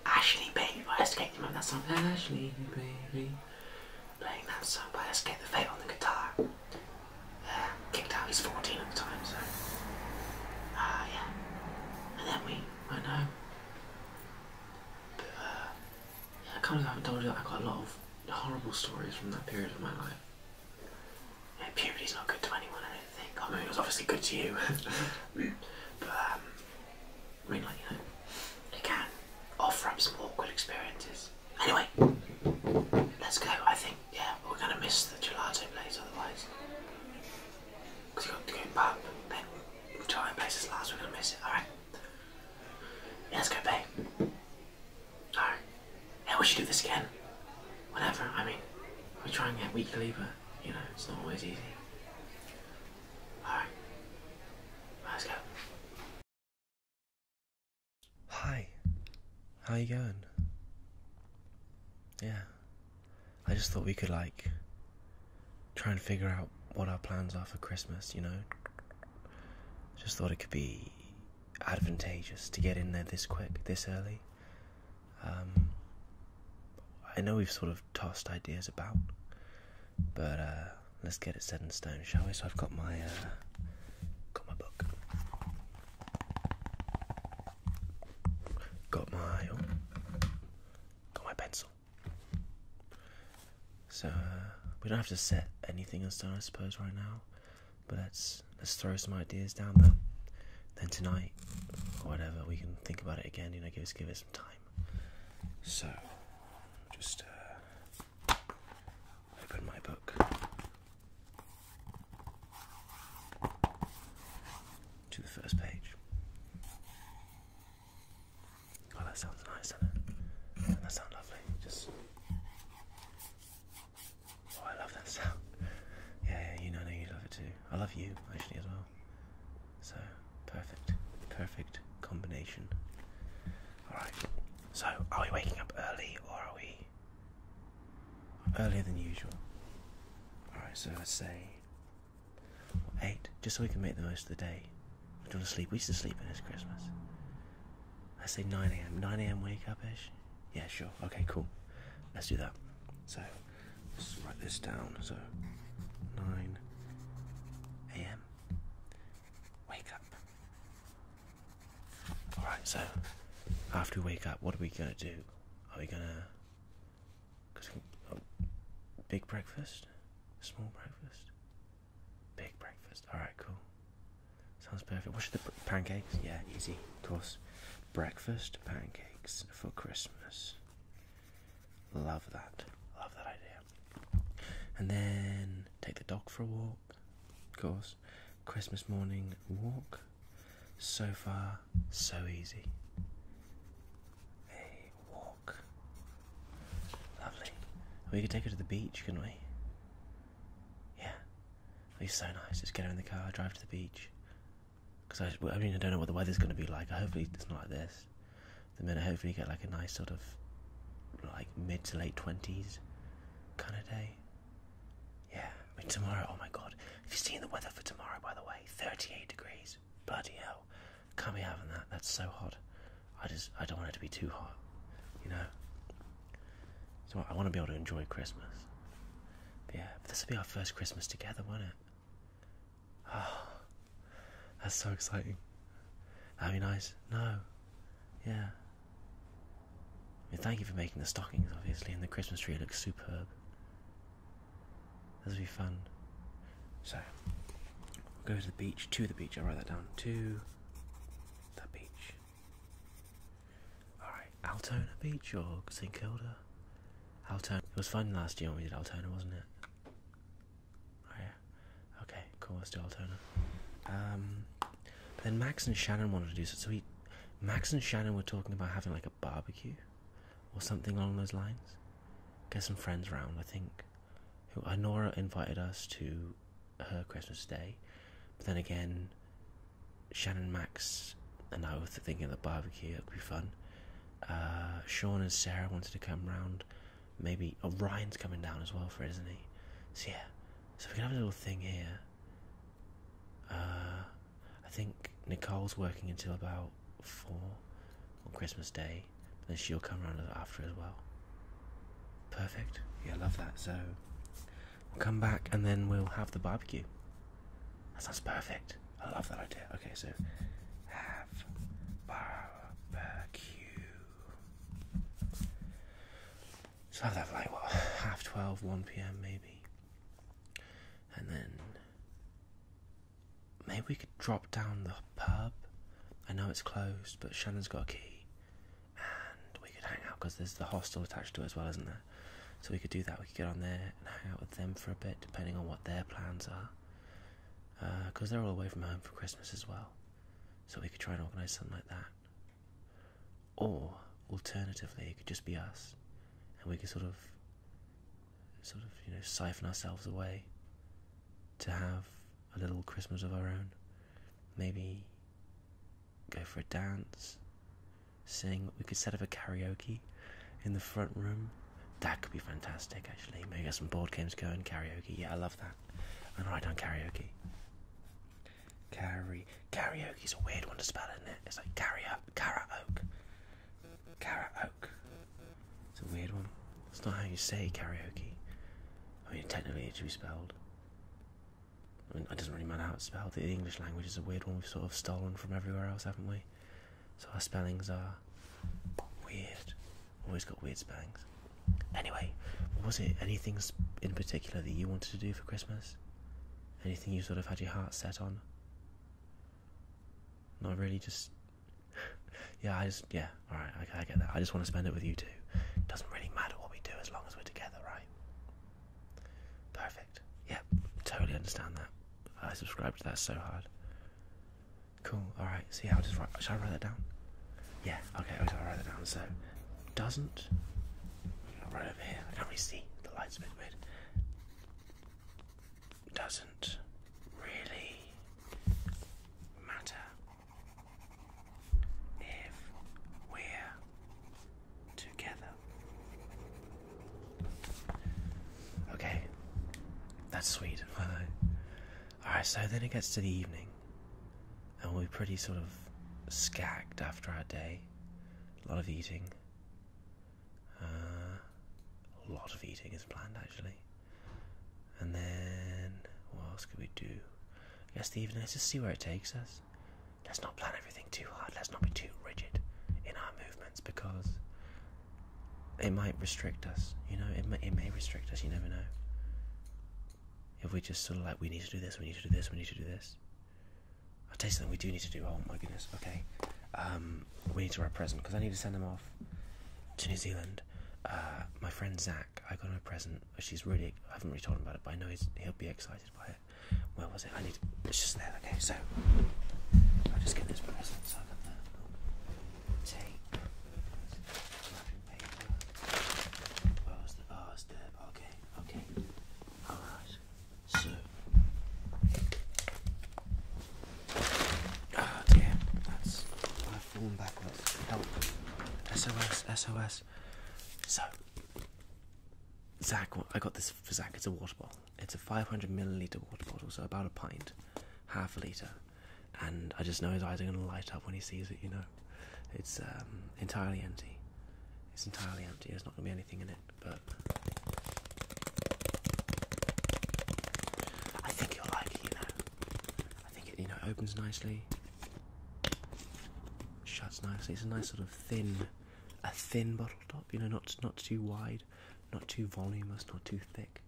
Ashley Baby by Escape. You remember that song? Ashley Baby. Playing that song by Escape the Fate on the guitar. Uh, kicked out. He's 14 at the time, so. Ah, uh, yeah. And then we went home. But, uh, yeah, I haven't told you that I got a lot of horrible stories from that period of my life. Yeah, puberty's not good to anyone, I don't think. I mean, it was obviously good to you. (laughs) but, um, I mean, like, you know, it can offer up some awkward experiences. Anyway, let's go. I think, yeah, we're going to miss the gelato place otherwise. Because you got the game back. Hey, we're trying to place this last, we're going to miss it, alright? Yeah, let's go, babe. Alright. Yeah, we should do this again. Whatever, I mean, we're trying it weekly, but, you know, it's not always easy. Alright. Let's go. Hi. How you going? Yeah. I just thought we could like try and figure out what our plans are for Christmas, you know? Just thought it could be advantageous to get in there this quick, this early. Um, I know we've sort of tossed ideas about, but uh, let's get it set in stone, shall we? So I've got my uh, got my book. Got my oh, got my pencil. So uh, we don't have to set anything in stone, I suppose, right now. But let's let's throw some ideas down there. Then tonight, or whatever, we can think about it again. You know, give us give us some time. So, just uh, open my book to the first page. Oh, that sounds nice, doesn't it? that sounds lovely? Just oh, I love that sound. Yeah, yeah, you know, no, you love it too. I love you actually as well. So perfect, perfect combination. All right. So, are we waking up early or are we earlier than usual? All right. So let's say Eight, just so we can make the most of the day. We don't want to sleep. We used to sleep in this Christmas. I say 9 a.m. 9 a.m. wake up ish. Yeah, sure. Okay, cool. Let's do that. So let's write this down. So 9 a.m. Wake up. Alright, so after we wake up, what are we gonna do? Are we gonna um, big breakfast, small breakfast, big breakfast. All right, cool. Sounds perfect. What's the pancakes? Yeah, easy, of course. Breakfast pancakes for Christmas. Love that. Love that idea. And then take the dog for a walk. Of course, Christmas morning walk. So far, so easy. A walk. Lovely. We could take her to the beach, couldn't we? Yeah. It'd be so nice. Just get her in the car, drive to the beach. Because I, I mean, I don't know what the weather's going to be like. Hopefully, it's not like this. The minute, hopefully, get like a nice sort of like mid to late 20s kind of day. Yeah, I mean, tomorrow, oh my god. Have you seen the weather for tomorrow, by the way? 38 degrees. Bloody hell. Can't be having that. That's so hot. I just, I don't want it to be too hot, you know? So I want to be able to enjoy Christmas. yeah, this will be our first Christmas together, won't it? Oh, that's so exciting. That'd be nice. No. Yeah. thank you for making the stockings, obviously, and the Christmas tree looks superb. This will be fun. So, we'll go to the beach, to the beach, I'll write that down, to the beach. Alright, Altona Beach or St Kilda? Altona. It was fun last year when we did Altona, wasn't it? Oh yeah. Okay, cool, let's do Altona. Um, then Max and Shannon wanted to do so, so we, Max and Shannon were talking about having like a barbecue or something along those lines. Get some friends round, I think. Who Inora invited us to her Christmas day, but then again, Shannon Max and I were thinking of the barbecue. It would be fun. Uh, Sean and Sarah wanted to come round. Maybe Orion's oh, coming down as well for it, isn't he? So yeah, so we can have a little thing here. Uh, I think Nicole's working until about four on Christmas Day, and then she'll come around after as well. Perfect. Yeah, love that. So we'll come back and then we'll have the barbecue. That sounds perfect. I love that idea. Okay, so have barbecue. So have that like what half twelve, one PM maybe. And then Maybe we could drop down the pub. I know it's closed, but Shannon's got a key, and we could hang out because there's the hostel attached to it as well, isn't there? So we could do that. We could get on there and hang out with them for a bit, depending on what their plans are, because uh, they're all away from home for Christmas as well. So we could try and organise something like that. Or alternatively, it could just be us, and we could sort of sort of, you know, siphon ourselves away to have a little Christmas of our own. Maybe go for a dance, Seeing We could set up a karaoke in the front room. That could be fantastic, actually. Maybe get some board games going, karaoke. Yeah, I love that. I'm right on karaoke. Carry karaoke's a weird one to spell, isn't it? It's like carrier, karaoke, karaoke. It's a weird one. It's not how you say karaoke. I mean, technically it should be spelled. I mean, it doesn't really matter how it's spelled. The English language is a weird one we've sort of stolen from everywhere else, haven't we? So our spellings are weird. Always got weird spellings. Anyway, was it? Anything in particular that you wanted to do for Christmas? Anything you sort of had your heart set on? Not really, just yeah, I just, yeah, alright, I, get that. I just want to spend it with you too. It doesn't really matter what we do as long as we're together, right? Perfect. Yeah, totally understand that. I subscribe to that so hard. Cool, alright, see, so yeah, I'll just write, Should I write that down? Yeah, okay, I'll write that down. So, doesn't, right over here, I can't really see, the light's a bit weird doesn't really matter if we're together. Okay, that's sweet. (laughs) Alright, so then it gets to the evening, and we're pretty sort of skagged after our day. A lot of eating, uh, a lot of eating is planned actually. And then what else could we do? I guess the evening, let's just see where it takes us. Let's not plan everything too hard, let's not be too rigid in our movements because it might restrict us, you know, it may, it may restrict us, you never know. If we just sort of like, we need to do this, we need to do this, we need to do this. I tell you something, we do need to do, oh my goodness, okay. Um, we need to wrap present because I need to send them off to New Zealand. Uh, my friend Zach, I got him a present, She's really, I haven't really told him about it, but I know he'll be excited by it. Where was it? I need to, it's just there, okay, so I'll just get this present so Where uh, was the, oh, it's okay, okay, alright, so Oh, dear, That's. I've fallen backwards. Help. SOS, SOS. So. Zach, I got this for Zach. It's a water bottle. It's a 500 milliliter water bottle, so about a pint, half a liter. And I just know his eyes are going to light up when he sees it, you know. It's um, entirely empty. It's entirely empty. There's not going to be anything in it, but I think you'll like it, you know. I think it, you know, opens nicely, shuts nicely. It's a nice sort of thin, a thin bottle top. You know, not not too wide, not too voluminous, not too thick.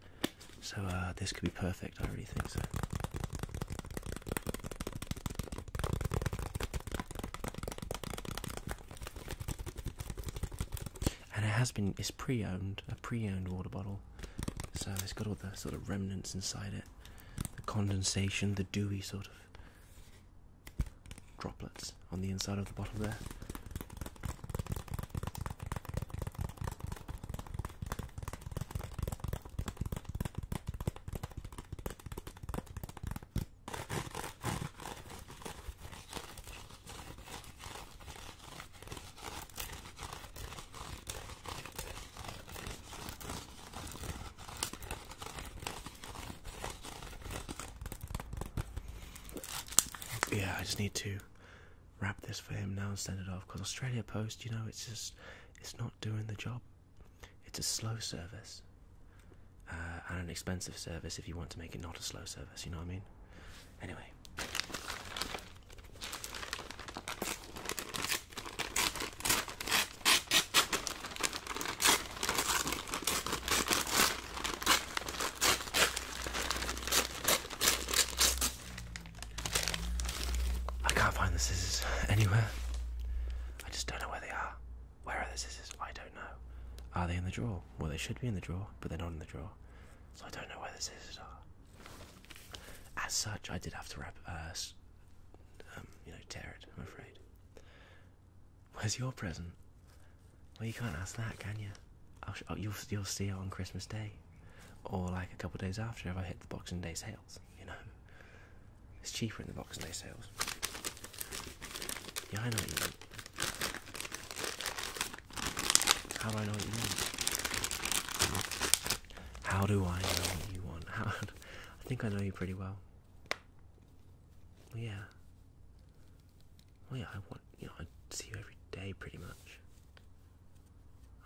So uh, this could be perfect. I really think so and it has been it's pre-owned a pre-owned water bottle so it's got all the sort of remnants inside it the condensation the dewy sort of droplets on the inside of the bottle there yeah, I just need to wrap this for him now and send it off because Australia Post, you know, it's just it's not doing the job. It's a slow service uh, and an expensive service if you want to make it not a slow service. You know what I mean? Anyway. I can't find the scissors anywhere. I just don't know where they are. Where are the scissors? I don't know. Are they in the drawer? Well, they should be in the drawer, but they're not in the drawer. So I don't know where the scissors are. As such, I did have to rip, uh, um, you know, tear it. I'm afraid. Where's your present? Well, you can't ask that, can you? Oh, you'll see it on Christmas Day, or like a couple days after if I hit the Boxing Day sales. You know, it's cheaper in the Boxing Day sales. Yeah, I know how do I know what you want? How do I know what you want? (laughs) I think I know you pretty well. yeah. yeah, I want, you know, I see you every day pretty much.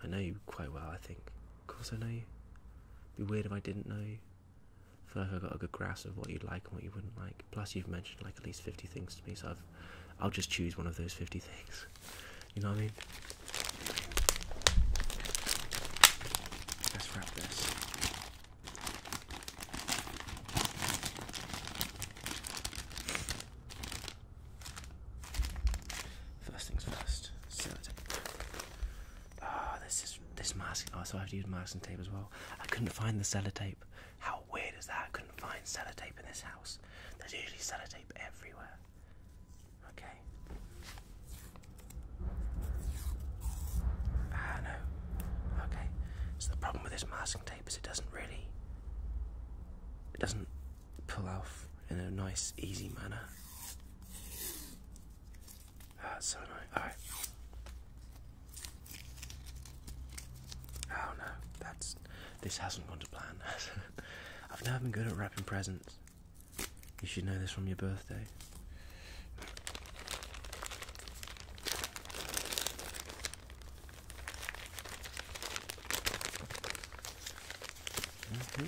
I know you quite well, I think. Of course, I know you. would be weird if I didn't know you. I feel like I got a good grasp of what you'd like and what you wouldn't like. Plus, you've mentioned like at least 50 things to me, so I've I'll just choose one of those 50 things. You know what I mean? Let's wrap this. First things first, sellotape. Ah, this is this mask. Oh, so I have to use masking tape as well. I couldn't find the sellotape. How weird is that? I couldn't find sellotape in this house house. There's usually sellotape everywhere. Okay. Ah, no. Okay. So the problem with this masking tape is it doesn't really. It doesn't pull off in a nice, easy manner. Ah, so annoying. Alright. Oh no, that's. This hasn't gone to plan. (laughs) (laughs) I've never been good at wrapping presents. You should know this from your birthday. Mm-hmm.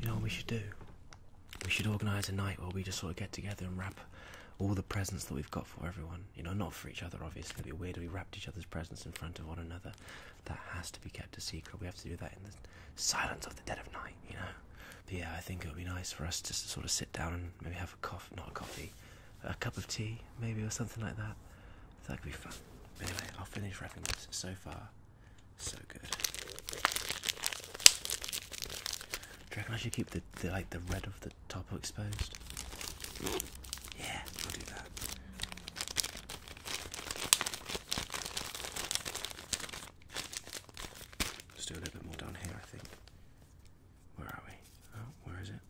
You know what we should do? We should organise a night where we just sort of get together and wrap all the presents that we've got for everyone. You know, not for each other, obviously. It'd be weird if we wrapped each other's presents in front of one another. That has to be kept a secret. We have to do that in the silence of the dead of night, you know? But yeah, I think it would be nice for us to sort of sit down and maybe have a coffee, not coffee, a cup of tea, maybe, or something like that that could be fun. anyway, I'll finish wrapping this. So far, so good. Do I should keep the, like the red of the top exposed? Yeah, I'll do that. let do a little bit more down here, I think. Where are we? Oh, where is it?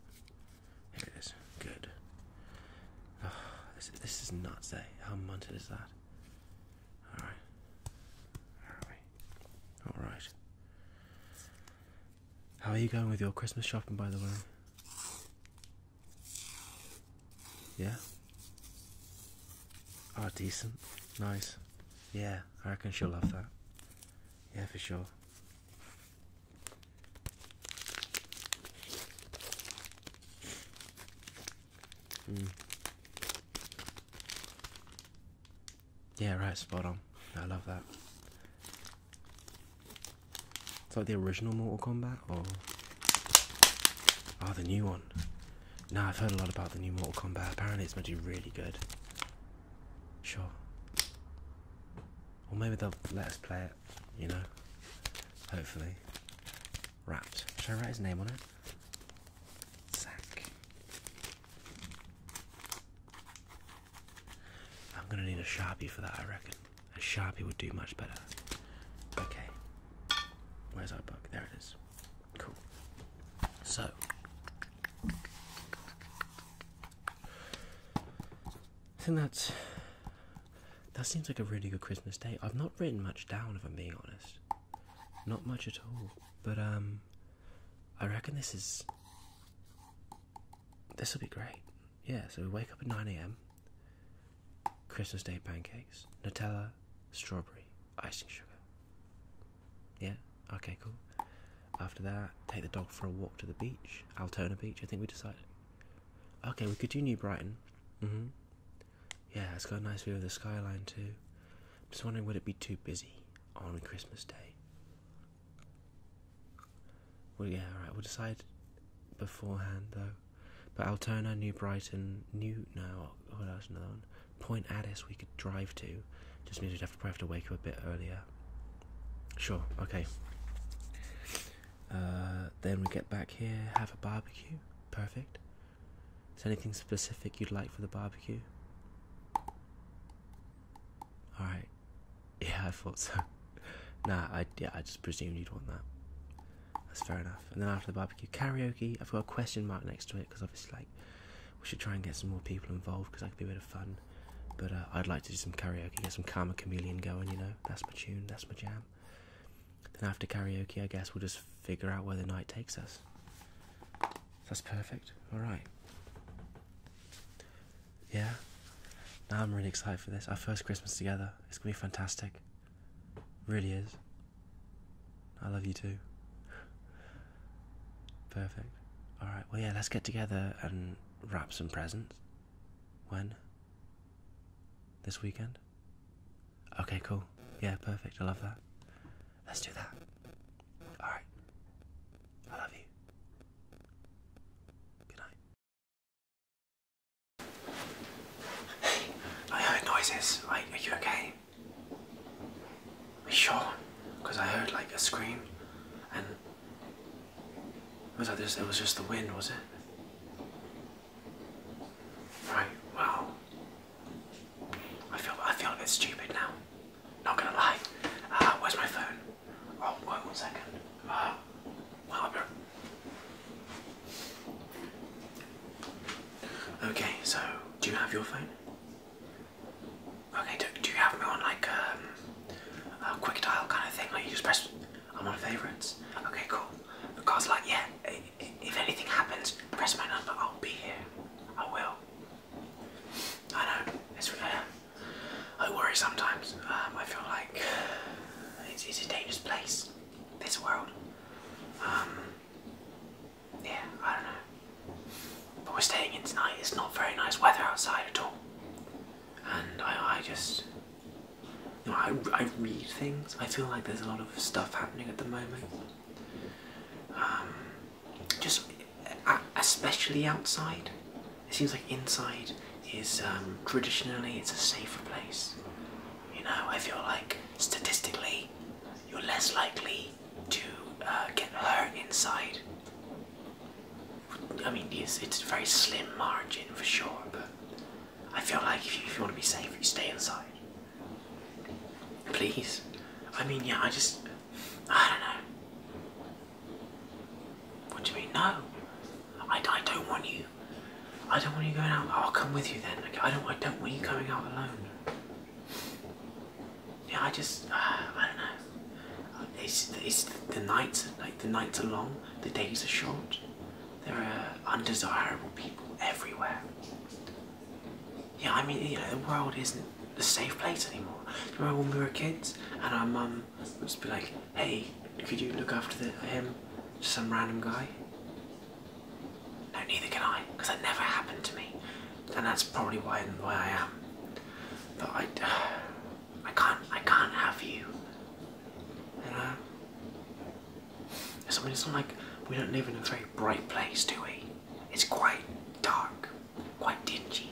Here it is. Good. (sighs) this, is nuts, eh? How munted is that? Alright. Where are we? Alright. How are you going with your Christmas shopping, by the way? Yeah? Oh, decent. Nice. Yeah, I reckon she'll love that. Yeah, for sure. Mm. Yeah, right, spot on. I love that. It's like the original Mortal Kombat, or oh, the new one. Now I've heard a lot about the new Mortal Kombat. Apparently, it's going to be really good. Sure. Or maybe they'll let us play it you know. Hopefully. Wrapped. Should I write his name on it? Sack. I'm gonna need a sharpie for that, I reckon. A sharpie would do much better. Okay. Where's our book? There it is. Cool. So. I that's that seems like a really good Christmas day. I've not written much down, if I'm being honest. Not much at all. But um, I reckon this is. This will be great. Yeah. So we wake up at nine a.m. Christmas Day pancakes, Nutella, strawberry, icing sugar. Yeah. Okay. Cool. After that, take the dog for a walk to the beach, Altona Beach. I think we decided. Okay, we could do New Brighton. Mm -hmm. Yeah, it's got a nice view of the skyline too. just wondering would it be too busy on Christmas Day? Well, yeah, alright, we'll decide beforehand though. But Altona, New Brighton, New. No, oh, that was another one. Point Addis we could drive to. Just means we'd have to probably have to wake up a bit earlier. Sure, okay. Uh, then we get back here, have a barbecue. Perfect. Is anything specific you'd like for the barbecue? Alright. (laughs) Yeah, I thought so. (laughs) nah, I, yeah, I just presumed you'd want that. That's fair enough. And then after the barbecue, karaoke. I've got a question mark next to it because obviously, like, we should try and get some more people involved because that could be a bit of fun. But uh, I'd like to do some karaoke, get some Karma Chameleon going, you know? That's my tune, that's my jam. Then after karaoke, I guess we'll just figure out where the night takes us. That's perfect. All right. Yeah. Now I'm really excited for this. Our first Christmas together. It's gonna be fantastic. Really is. I love you too. Perfect. All right. Well, yeah. Let's get together and wrap some presents. When? This weekend? Okay, cool. Yeah, perfect. I love that. Let's do that. Alright. I love you. Good night. I heard noises. Like, are you okay? sure? Because I heard like a scream and. Was that just, it was just the wind, was it? Right, Well, I feel I feel a bit stupid now. Not gonna lie. Uh, where's my phone? Oh, wait one second. Uh, well, okay, so do you have your phone? Okay, do, do you have me on like um, a quick dial kind of thing? Like you just press, I'm on favorites. Okay, cool. Because like, yeah, if anything happens, press my number. I'll be here. I will. I know. It's, uh, I worry sometimes. Um, I feel like it's, a dangerous place. This world. Um, yeah, I don't know. But we're staying in tonight. It's not very nice weather outside at all. And I just you I, I read things. I feel like there's a lot of stuff happening at the moment. Um, just uh, especially outside. It seems like inside is um, traditionally it's a safer place. You know, I feel like statistically you're less likely to uh, get hurt inside. I mean, it's, it's a very slim margin for sure, but I feel like if you, want to be safe, you stay inside. Please. I mean, yeah, I just. I don't know. What do you mean? No. I, I don't want you. I don't want you going out. I'll come with you then. I don't. I don't want you coming out alone. Yeah, I just. Uh, I don't know. It's, it's the nights like the nights are long. The days are short. There are undesirable people everywhere. Yeah, I mean, you know, the world isn't a safe place anymore. remember when we were kids and our mum would just be like, hey, could you look after him? some random guy? No, neither can I, because that never happened to me. And that's probably why, why I am. But I, (sighs) I can't, I can't have you. You know? So I mean, it's not like we don't live in a very bright place, do we? It's quite dark, quite dingy,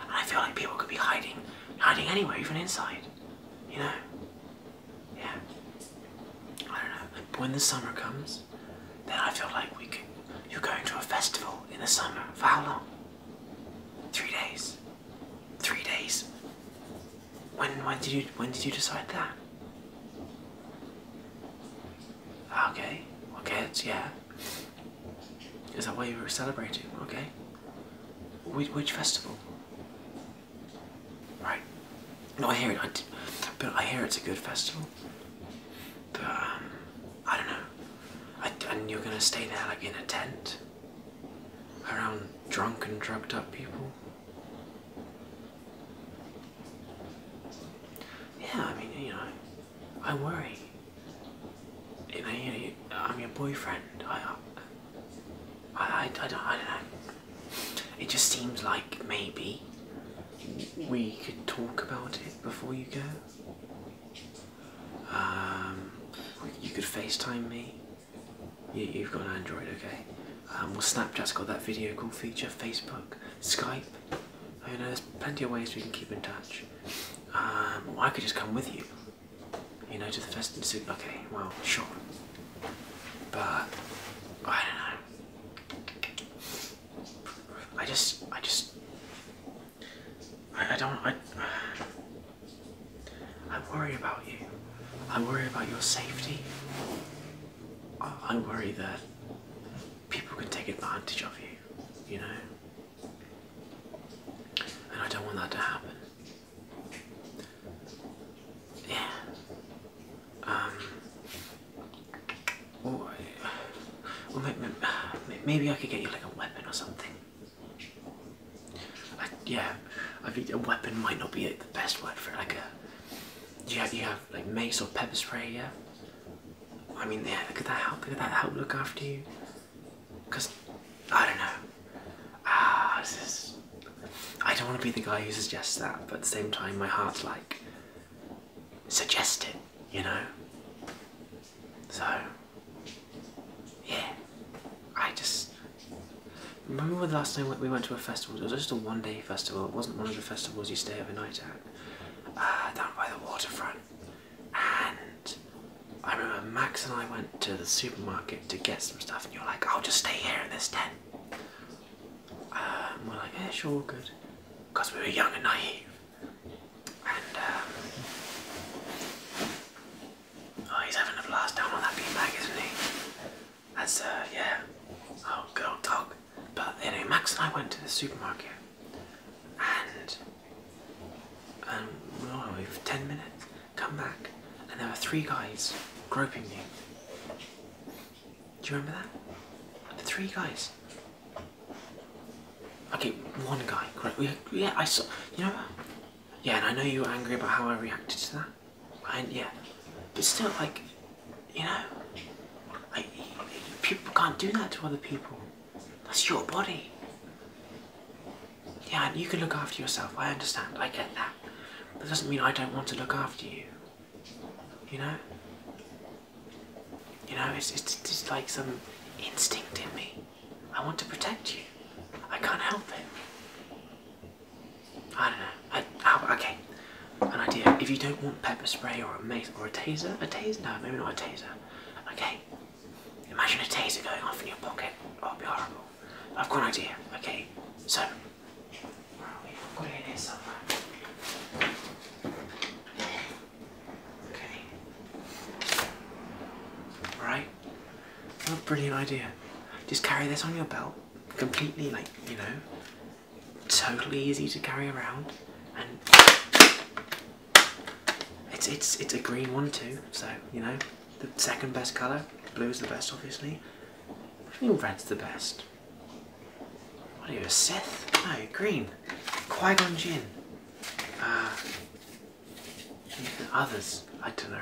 and I feel like people could be hiding, hiding anywhere, even inside. You know? Yeah. I don't know. But when the summer comes, then I feel like we could. You're going to a festival in the summer for how long? Three days. Three days. When when did you when did you decide that? Okay, okay, it's yeah. Is that why you were celebrating? Okay. Which, which festival? Right. No, I hear it. I but I hear it's a good festival. But um, I don't know. and you're gonna stay there like in a tent around drunk and drugged up people. Yeah, I mean, you know, I worry. You know, I'm your boyfriend. I, I, I, don't, I don't know. It just seems like maybe we could talk about it before you go. Um, you could FaceTime me. You, have got an Android, okay? Um, well, Snapchat's got that video call feature, Facebook, Skype. Oh, you know, there's plenty of ways we can keep in touch. Um, I could just come with you, you know, to the festival. Okay, well, sure. But I don't know. I just, I just, I, don't. I, I'm (sighs) about you. i worry about your safety. I, worry that people can take advantage of you, you know? And I don't want that to happen. Yeah. Um. Or, or maybe, I could get you like a weapon or something. yeah, I think a weapon might not be the best word for it, like a do you have you have like mace or pepper spray? Yeah. I mean, yeah. Could that help? Could that help look after you? Cause I don't know. Ah, this I don't want to be the guy who suggests that, but at the same time, my heart's like suggest it. You know. So. Yeah. I just Remember the last time we went to a festival? It was just a one-day festival. It wasn't one of the festivals you stay overnight at. Uh, down by the waterfront. And I remember Max and I went to the supermarket to get some stuff, and you're like, "I'll just stay here in this tent." Um, and we're like, "Yeah, sure, good," because we were young and naive. And um, oh, he's having a blast down on that beanbag, isn't he? That's uh yeah. Oh girl, dog. But anyway Max and I went to the supermarket and um we for ten minutes, come back, and there were three guys groping me. Do you remember that? The three guys. Okay, one guy. Yeah, I saw. You know Yeah, and I know you were angry about how I reacted to that. And Yeah, but still, like, you know, people can't do that to other people. That's your body. Yeah, and you can look after yourself. I understand. I get that. That doesn't mean I don't want to look after you. You know. You know, it's it's just like some instinct in me. I want to protect you. I can't help it. I don't know. okay, an idea. If you don't want pepper spray or a mace or a taser, a taser? No, maybe not a taser. Okay, imagine a taser going off in your pocket. Oh, will be horrible. I've got an idea. Okay, so where are we? got it somewhere. Okay. Right. brilliant idea. Just carry this on your belt, completely like, you know, totally easy to carry around and it's it's it's a green one too so you know the second best colour blue is the best obviously I mean red's the best what are you a Sith? no green Qui-Gon Jinn uh, others I don't know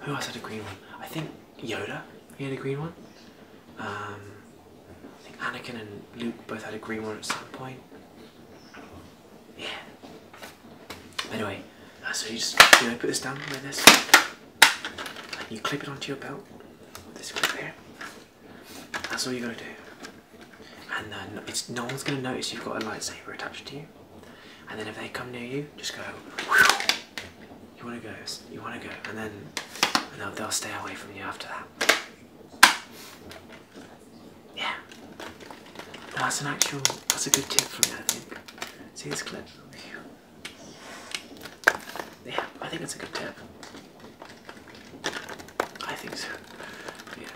who else had a green one I think Yoda, he had a green one. Um, I think Anakin and Luke both had a green one at some point. Yeah. Anyway, uh, so you just you know put this down like this, you clip it onto your belt. This clip here. That's all you gotta do. And then it's no one's gonna notice you've got a lightsaber attached to you. And then if they come near you, just go you want to go, you want to go, and then they'll, stay away from you after that. Yeah. that's an actual, that's a good tip from me, I think. See this clip? Yeah, I think it's a good tip. I think so. Yeah.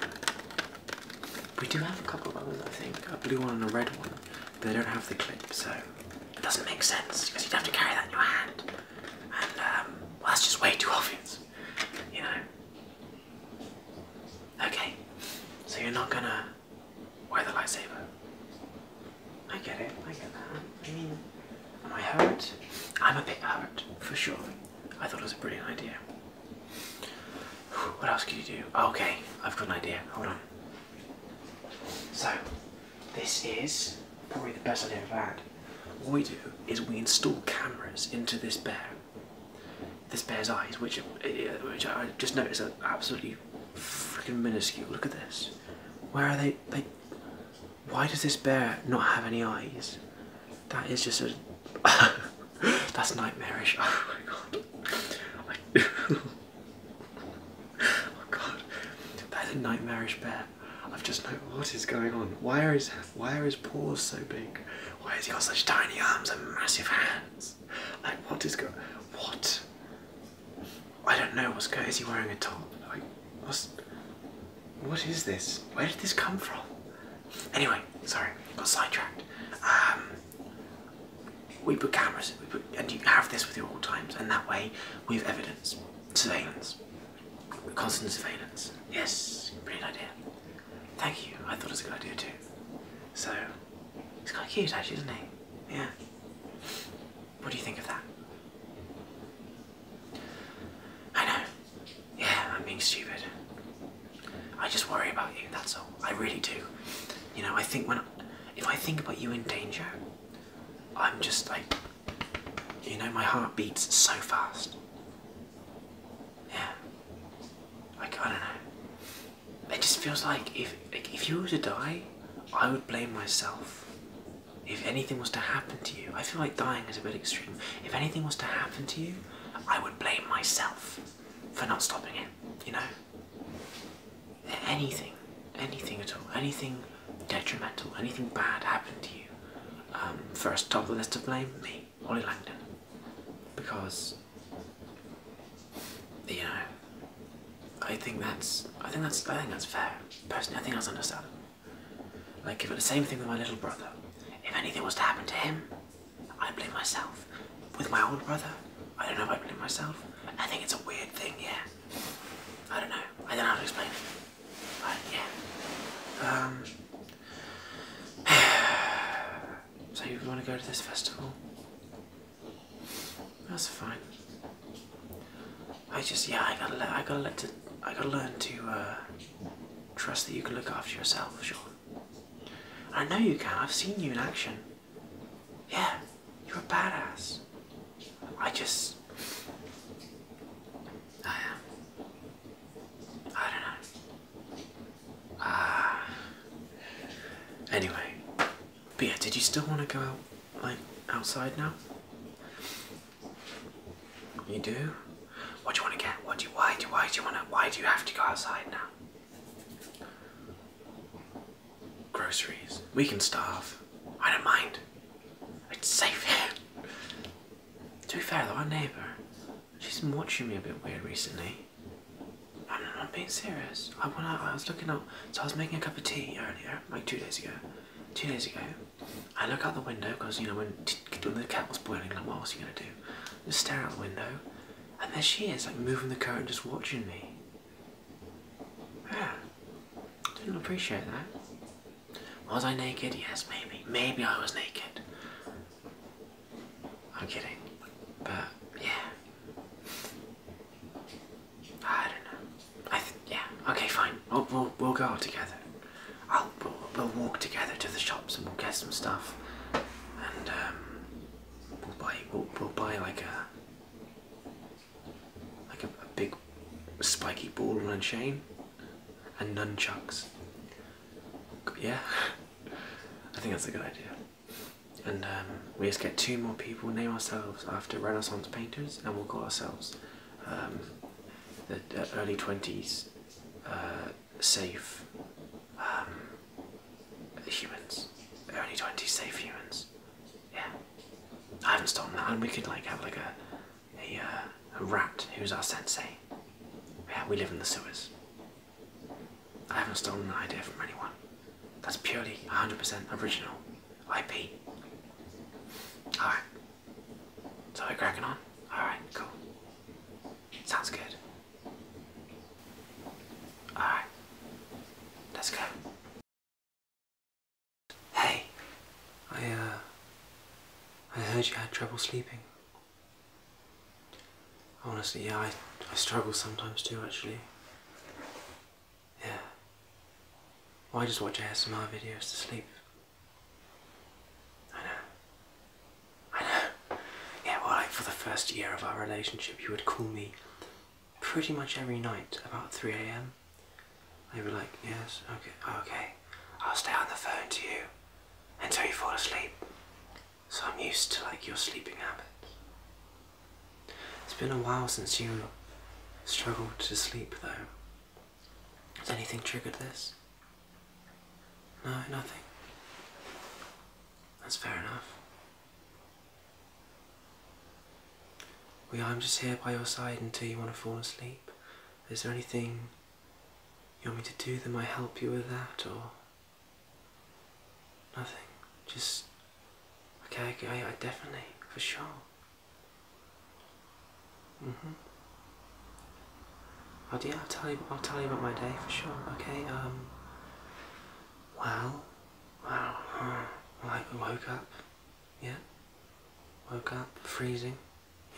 We do have a couple of others, I think. A blue one and a red one. They don't have the clip, so it doesn't make sense because you'd have to carry that in your hand. Um, that's just way too obvious, you know. Okay, so you're not gonna wear the lightsaber. I get it, I get that. I mean, am I hurt? I'm a bit hurt, for sure. I thought it was a brilliant idea. What else could you do? Okay, I've got an idea. Hold on. So, this is probably the best I've had. What we do is we install cameras into this bear, this bear's eyes, which, uh, which I just noticed are absolutely freaking minuscule. Look at this. Where are they? They. Why does this bear not have any eyes? That is just a. (laughs) that's nightmarish. (laughs) Oh my god. (laughs) oh god. That is a nightmarish bear. I've just no. what is going on. Why are his why are his paws so big? Why has he got such tiny arms and massive hands? Like what is going? What? I don't know what's going. Is he wearing a top? Like what's? What is this? Where did this come from? Anyway, sorry, got sidetracked. Um, we put cameras, we put, and you have this with you at all times, and that way we have evidence, surveillance. Constant surveillance. Yes, brilliant idea. Thank you. I thought it was a good idea too. So, it's kind of cute actually, isn't it? Yeah. What do you think of that? I know. Yeah, I'm being stupid. I just worry about you, that's all. I really do. You know, I think when, if I think about you in danger, I'm just like, you know, my heart beats so fast. Yeah. I don't know. It just feels like if, like if you were to die, I would blame myself. If anything was to happen to you, I feel like dying is a bit extreme. If anything was to happen to you, I would blame myself for not stopping it, you know? Anything, anything at all, anything detrimental, anything bad happened to you, um, first top of the list to blame, me, Ollie Langdon. Because you know, I think that's I think that's I think that's fair. Personally, I think that's understandable. Like if it the same thing with my little brother. If anything was to happen to him, I blame myself. With my older brother, I don't know if I blame myself. I think it's a weird thing, yeah. I don't know. I don't know how to explain it. Um, (sighs) so you want to go to this festival? That's fine. I just yeah I gotta I gotta let to I gotta learn to uh, trust that you can look after yourself, Sean. I know you can. I've seen you in action. Yeah, you're a badass. I just um, I don't know. Ah. Anyway, but did you still want to go out like outside now? You do? What do you want to get? What do you why do why do you want to why do you have to go outside now? Groceries. We can starve. I don't mind. It's safe here. To be fair though, our neighbour, she's been watching me a bit weird recently. I'm not being serious. I went out, I was looking out, so I was making a cup of tea earlier, like two days ago. Two days ago, I look out the window because you know when, when the kettle's boiling, like what else are gonna do? just stare out the window, and there she is, like moving the curtain, just watching me. Didn't appreciate that. Was I naked? Yes, maybe. Maybe I was naked. I'm kidding. But, yeah. I don't know. yeah. Okay, fine. We'll, go together. we'll, walk together to the shops and we'll get some stuff. And, um, we'll buy, we'll, buy like a, like a, a big spiky ball and chain and nunchucks. Yeah, (laughs) I think that's a good idea. And um, we just get two more people, name ourselves after Renaissance painters, and we'll call ourselves um, the early 20s uh, safe um, humans. Early 20s safe humans. Yeah. I haven't stolen that, and we could like have like a uh, a, rat who's our sensei. we live in the sewers. I haven't stolen an idea from anyone. That's purely 100% original IP. Alright. So we're cracking on? Alright, cool. Sounds good. Alright. Let's go. Hey, I, uh, I heard you had trouble sleeping. Honestly, yeah, I, I struggle sometimes too, actually. Yeah. I just watch ASMR videos to sleep. I know. I know. Yeah, well, like, for the first year of our relationship, you would call me pretty much every night, about 3am. They were like, yes, okay, okay. I'll stay on the phone to you until you fall asleep. So I'm used to like your sleeping habits. It's been a while since you struggled to sleep though. Has anything triggered this? No, nothing. That's fair enough. Well, I'm just here by your side until you want to fall asleep. Is there anything you want me to do them? I help you with that, or nothing? Just okay. I, definitely, for sure. Mhm. Mm oh dear, I'll tell you. I'll tell you about my day for sure. Okay. Um. Well, Wow. uh, I woke up. Yeah. Woke up freezing.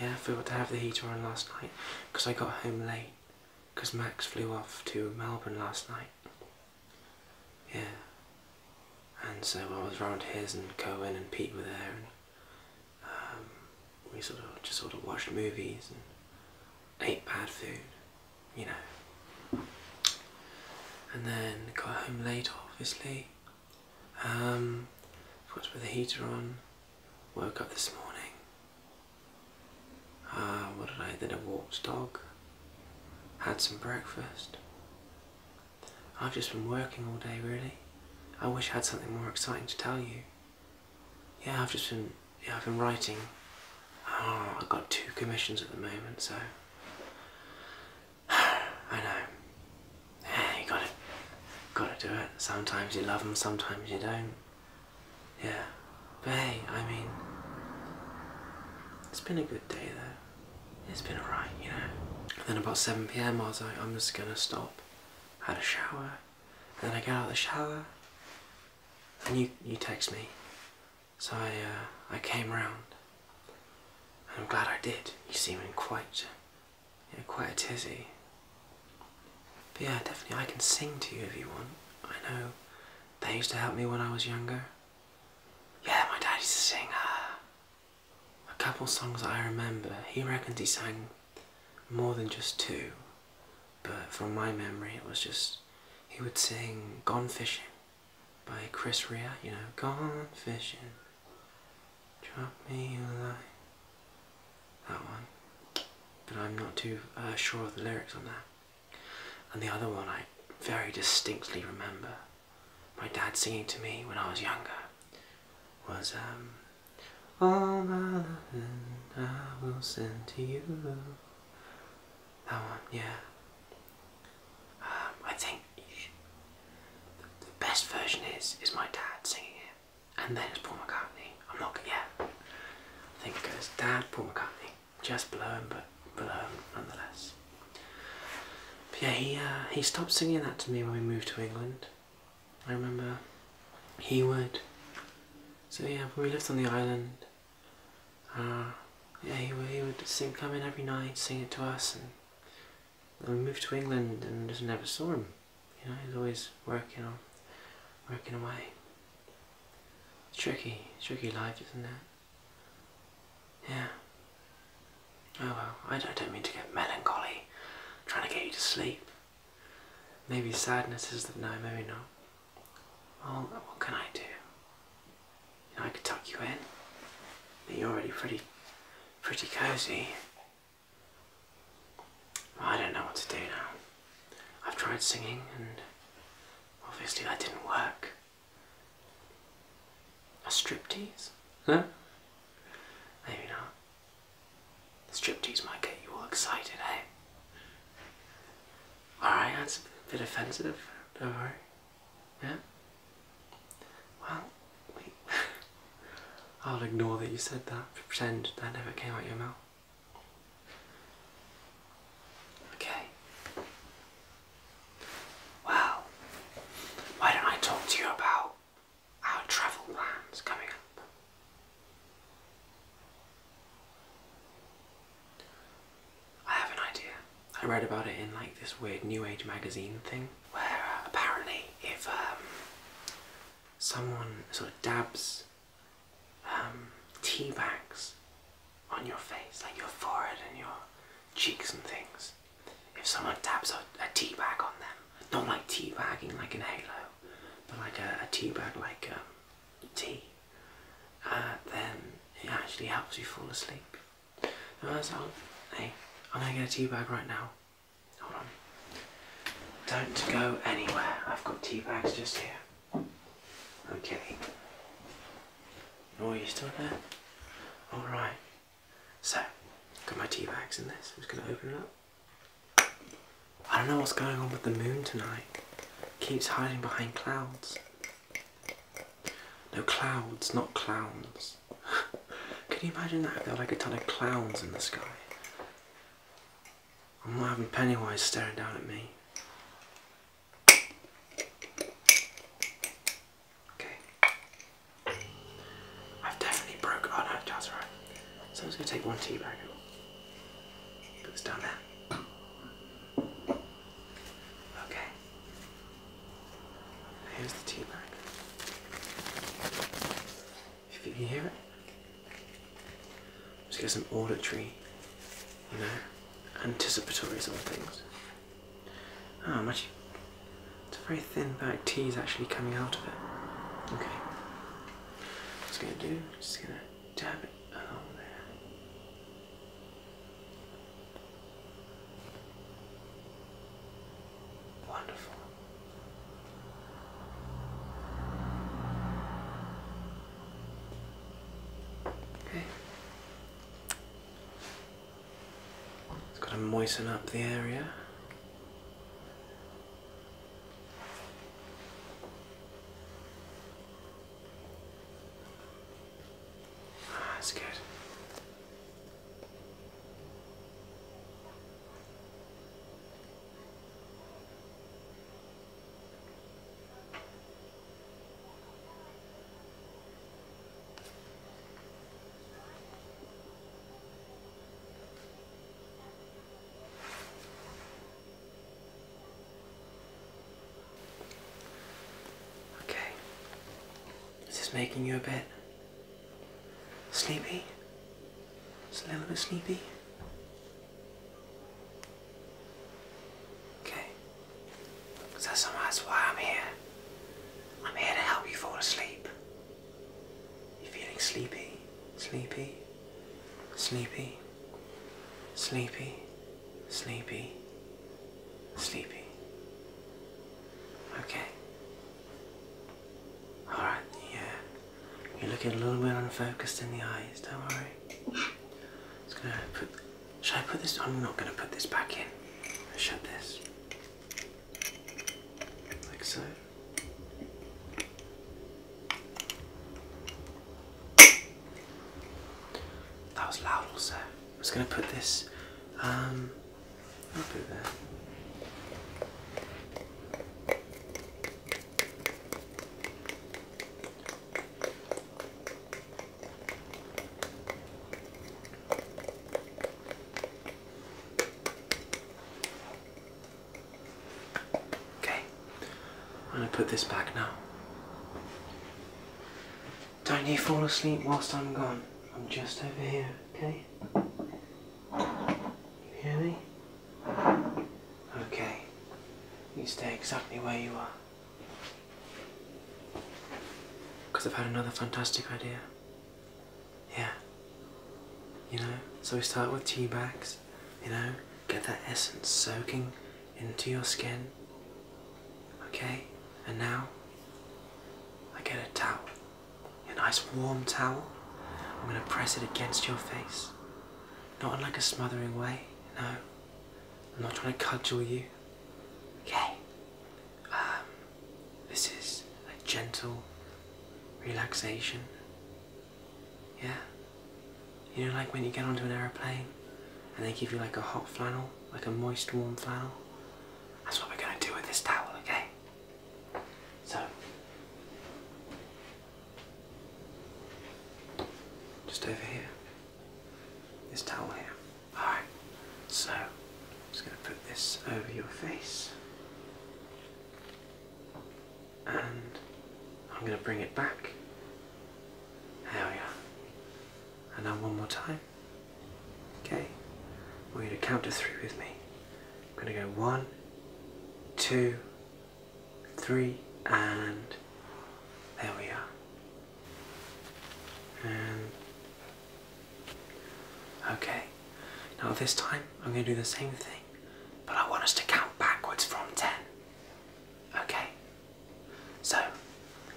Yeah, I forgot to have the heater on last night because I got home late because Max flew off to Melbourne last night. Yeah. And so I was round his and Cohen and Pete were there and um, we sort of just sort of watched movies and ate bad food, you know. And then got home late obviously um, forgot to put the heater on. Woke up this morning. Ah, what did I? Then I walked dog. Had some breakfast. I've just been working all day, really. I wish I had something more exciting to tell you. Yeah, I've just been. Yeah, I've been writing. Oh, I've got two commissions at the moment, so. (sighs) I know. Yeah, you gotta, gotta do it. Sometimes you love them, sometimes you don't. Yeah, but hey, I mean, it's been a good day though. It's been alright, you know. then about 7 pm, I was like, I'm just gonna stop. had a shower, and then I get out of the shower, and you you text me. So I uh, I came round, and I'm glad I did. You seem in quite you know, quite a tizzy. But yeah, definitely I can sing to you if you want. I know they used to help me when I was younger. Yeah, my dad a singer. Uh, a couple songs I remember. He reckons he sang more than just two, but from my memory it was just he would sing Gone Fishing by Chris Rea, you know, Gone Fishing. Drop me a That one. But I'm not too uh, sure of the lyrics on that. And the other one I very distinctly remember my dad singing to me when I was younger was um, All my loving I will send to you. That one, yeah. Um, I think the best version is is my dad singing it and then it's Paul McCartney. I'm not yeah. I think it goes Dad, Paul McCartney. Just below him, but below him nonetheless. yeah, he uh, he stopped singing that to me when we moved to England. I remember he would. So yeah, when we lived on the island, uh, yeah, he would, he would sing, come in every night, sing it to us, and then we moved to England and just never saw him you know, he's always working on, working away. It's tricky, it's tricky life, isn't it? Yeah. Oh well, I don't, mean to get melancholy, trying to get you to sleep. Maybe sadness is the, no, maybe not. Oh, what can I do? You know, I could tuck you in, you're already pretty, pretty cozy. I don't know what to do now. I've tried singing and obviously that didn't work. A striptease? No? Maybe not. The striptease might get you all excited, eh? Alright, that's a bit offensive, don't worry. Yeah? Well, wait. I'll ignore that you said that, pretend that never came out your mouth. Okay. Well, why don't I talk to you about our travel plans coming up? I have an idea. I read about it in like this weird New Age magazine thing where uh, apparently if um, someone sort of dabs um, tea bags on your face, like your forehead and your cheeks and things. If someone dabs a, tea bag on them, not like tea bagging like an halo, but like a, tea bag like um, tea, uh, then it actually helps you fall asleep. And I hey, I'm gonna get a tea bag right now. Hold on. Don't go anywhere. I've got tea bags just here. Okay. Oh, are you still there? Alright. So, got my tea bags in this. I'm just going to open it up. I don't know what's going on with the moon tonight. keeps hiding behind clouds. No clouds, not clowns. (laughs) Can you imagine that? There were like a ton of clowns in the sky. I'm not having Pennywise staring down at me. Okay. I've definitely broke. Oh no, that's right. So I'm just gonna take one tea bag put this down there. Okay. Here's the tea bag. If you can hear it. Just get some auditory, you know, anticipatory sort of things. Ah, oh, imagine. It's a very thin black tea is actually coming out of it. Okay. What's gonna do? Just gonna dab it along there. Wonderful. Okay. It's got to moisten up the area. Ah, that's good. Okay. Is this making you a bit sleepy? Just a little bit sleepy? Okay? that's why I'm here. I'm here to help you fall asleep. You're feeling sleepy, sleepy, sleepy, sleepy, sleepy, sleepy. Okay? Alright, yeah. You're looking a little bit unfocused in the eyes, don't worry. Just gonna put should I put this I'm not gonna put this back in. i shut this. Like so. That was loud also. i was gonna put this um I'll put it Okay, I'm going to put this back now. Don't you fall asleep whilst I'm gone. I'm just over here, okay? You hear me? Okay. You stay exactly where you are. Because I've had another fantastic idea. Yeah. You know? So we start with tea bags, you know? Get that essence soaking into your skin. Okay? And now, I get a towel. A nice warm towel. I'm going to press it against your face. Not in like a smothering way, no. I'm not trying to cudgel you. Okay. Um, this is a gentle relaxation. Yeah. You know, like when you get onto an aeroplane and they give you like a hot flannel, like a moist, warm flannel. That's what we're gonna do with this towel, okay? So, just over here. This towel here. Alright, so I'm just going to put this over your face. And I'm going to bring it back. There we are. And now one more time. Okay, we're going to count to three with me. I'm going to go one, two, three, and there we are. And okay, now this time I'm going to do the same thing, but I want us to count backwards from ten. Okay, so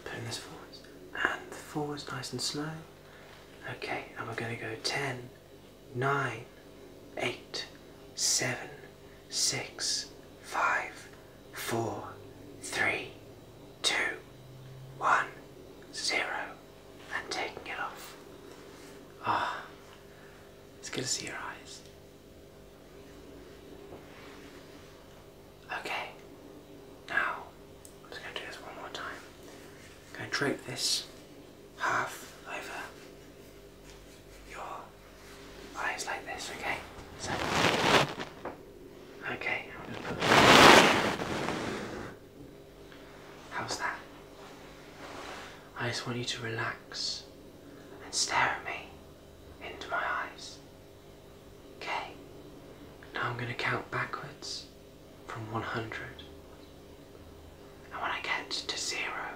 putting this forwards and forwards nice and slow. Okay, and we're going to go ten, nine, eight, seven, six, five, four, three, two, one, zero, and taking it off. Ah, it's good to see your eyes. Okay, now I'm just going to do this one more time. I'm going to drape this half over your eyes like this, okay? So, okay, i How's that? I just want you to relax and stare at me into my eyes. Okay, now I'm going to count backwards from 100. And when I get to zero,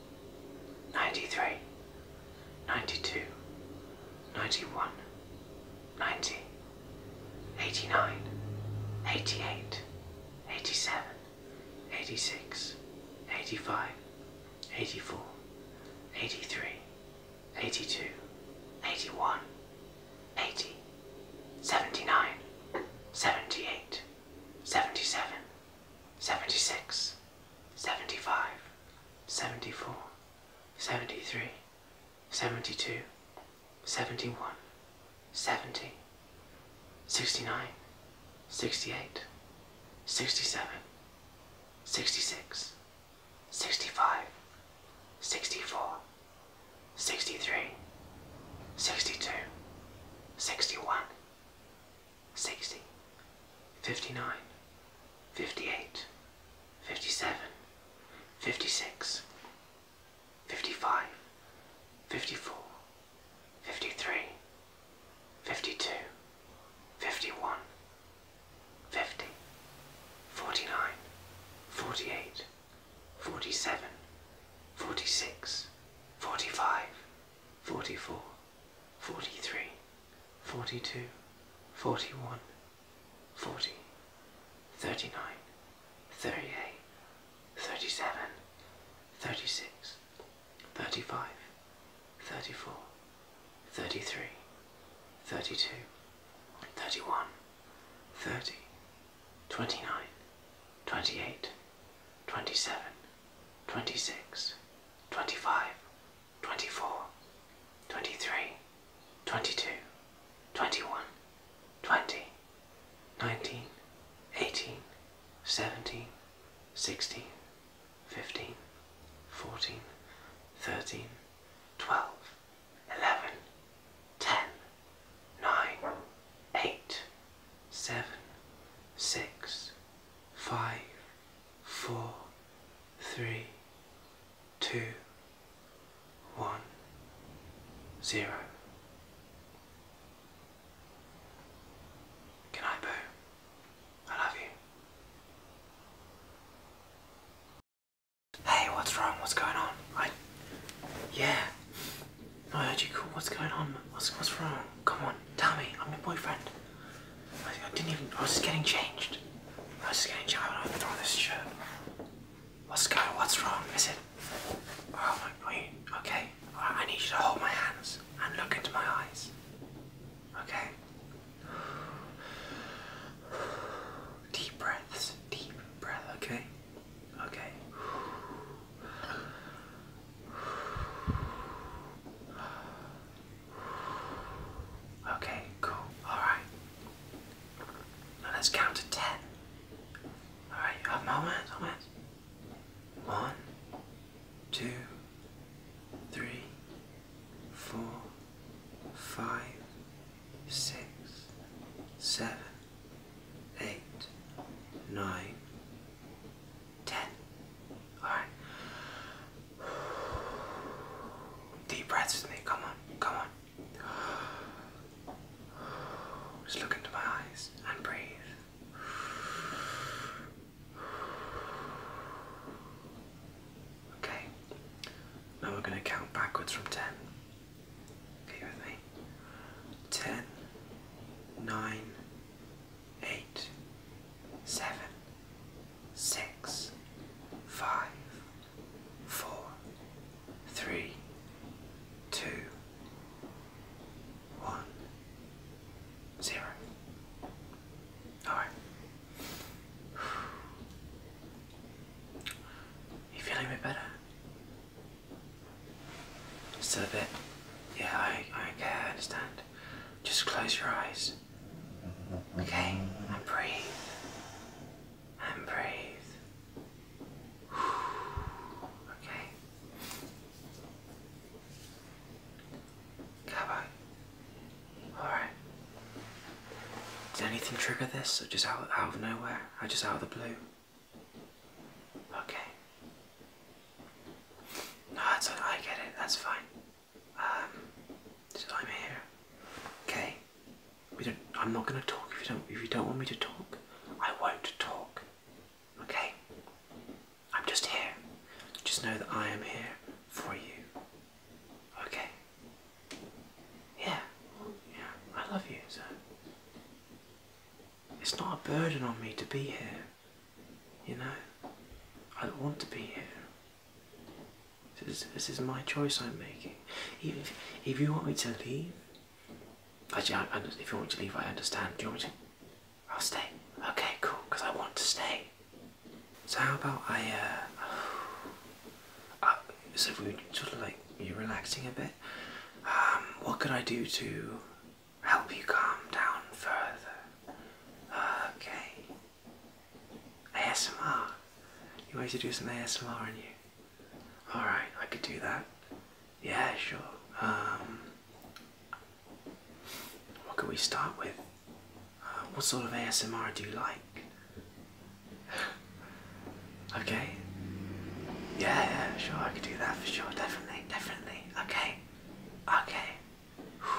93, 92, 91, 90, 89, 88, 87, 86, 85, 84, 83, 82, 81, 80, 79, 78, 77, 76, 75, 74, 73, 72, 71, 70, 69, 68, 67, 66, 65, 64, 63, 62, 61, 60, 59, 58, 57, 56, 55, 54, 53, 52, 51, 49, 48, 47, 46, 45, 44, 43, 42, 41, 40, 39, 38, 37, 36, 35, 34, 33, 32, 31, 30, 29, 28, 27, 26, 25, 24, 23, 22, 21, 20, 19, 18, 17, 16, 15, 14, 13, 12, 11, 10, 9, 8, 7, 6, 5, four, three, two, one, zero. Good night, Boo. I love you. Hey, what's wrong? What's going on? I. Yeah. I heard you call. What's going on? What's, what's wrong? Come on, tell me. I'm your boyfriend. I didn't even. I was just getting changed. I was just getting changed. I don't throw this shirt. What's going? What's wrong? Is it? Oh my. Wait. Okay. I need you to hold my hands and look into my eyes. Okay. Deep breaths. Deep breath. Okay. Okay. Okay, cool. Alright. Now let's count to ten. Alright, you have moments, One, two, three, four, five, six, seven, eight, nine, ten. Alright. Deep breaths with me. Come on, come on. Just look into my eyes and breathe. Okay. Now we're going to count backwards from 10. Okay with me? 10, six, five, four, three, two, one, zero. All right. You feeling a bit better? Just a bit. Yeah, I, I, okay, I understand. Just close your eyes. Okay, I breathe. And breathe. Okay. Cover. Alright. Did anything trigger this or just out, out of nowhere? I just out of the blue? Okay. No, that's I get it, that's fine. Um, so I'm here. Okay. We don't. I'm not going to talk if you don't. If you don't want me to talk, I won't talk. Okay. I'm just here. Just know that I am here for you. Okay. Yeah. Yeah. I love you, so. It's not a burden on me to be here. You know? I want to be here. This is, this is my choice I'm making. if, if you want me to leave, actually, I, I, if you want to leave, I understand. Do you want to? I'll stay. Okay, cool, because I want to stay. So how about I, uh, (sighs) uh so if we sort of like, you relaxing a bit, um, what could I do to help you calm down further? Okay, ASMR. You wanted to do some ASMR on you? Alright, I could do that. Yeah, sure. Um, what could we start with? Uh, what sort of ASMR do you like? (sighs) okay. Yeah, yeah, sure, I could do that for sure. Definitely, definitely. Okay. Okay.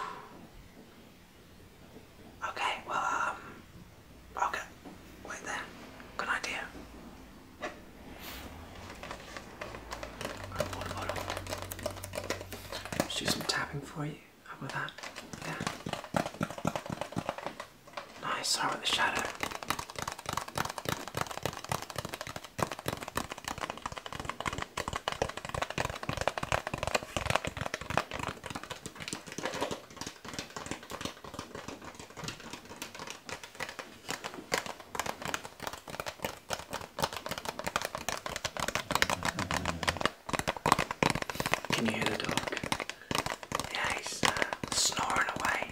Okay, well, um, okay, wait there. Good idea. Right, water bottle. Let's do some tapping for you. How about that? Yeah. Nice, start with the shadow. Can you hear the dog? Yes, he's uh, snoring away.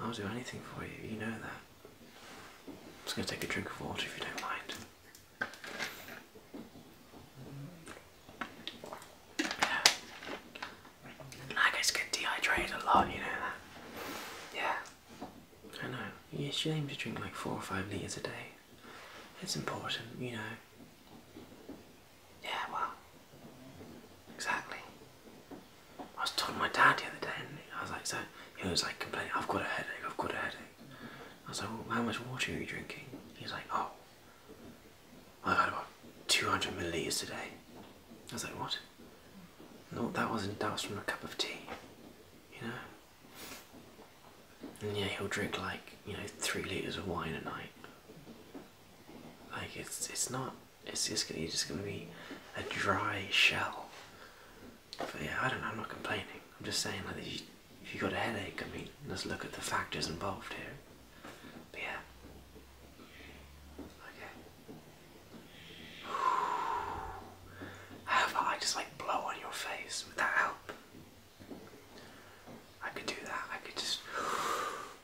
I'll do anything for you, you know that. I'm just going to take a drink of water if you don't mind. Yeah. I guess get dehydrated a lot, you know that. Yeah. I know. You should aim to drink like four or five litres a day. It's important, you know. Yeah, well. Exactly. I was talking to my dad the other day, and I was like, so he was like complaining, I've got a headache, I've got a headache. I was like, well, how much water are you drinking? He was like, oh, I've had about 200 milliliters today. I was like, what? No, that wasn't, that was from a cup of tea, you know? And yeah, he'll drink like, you know, three liters of wine a night. Like, it's, it's not, it's just gonna, be a dry shell. But yeah, I don't know, I'm not complaining. I'm just saying like if you, if you got a headache, I mean, let's look at the factors involved here. But yeah. Okay. (sighs) How about I just like blow on your face? Would that help? I could do that. I could just (sighs)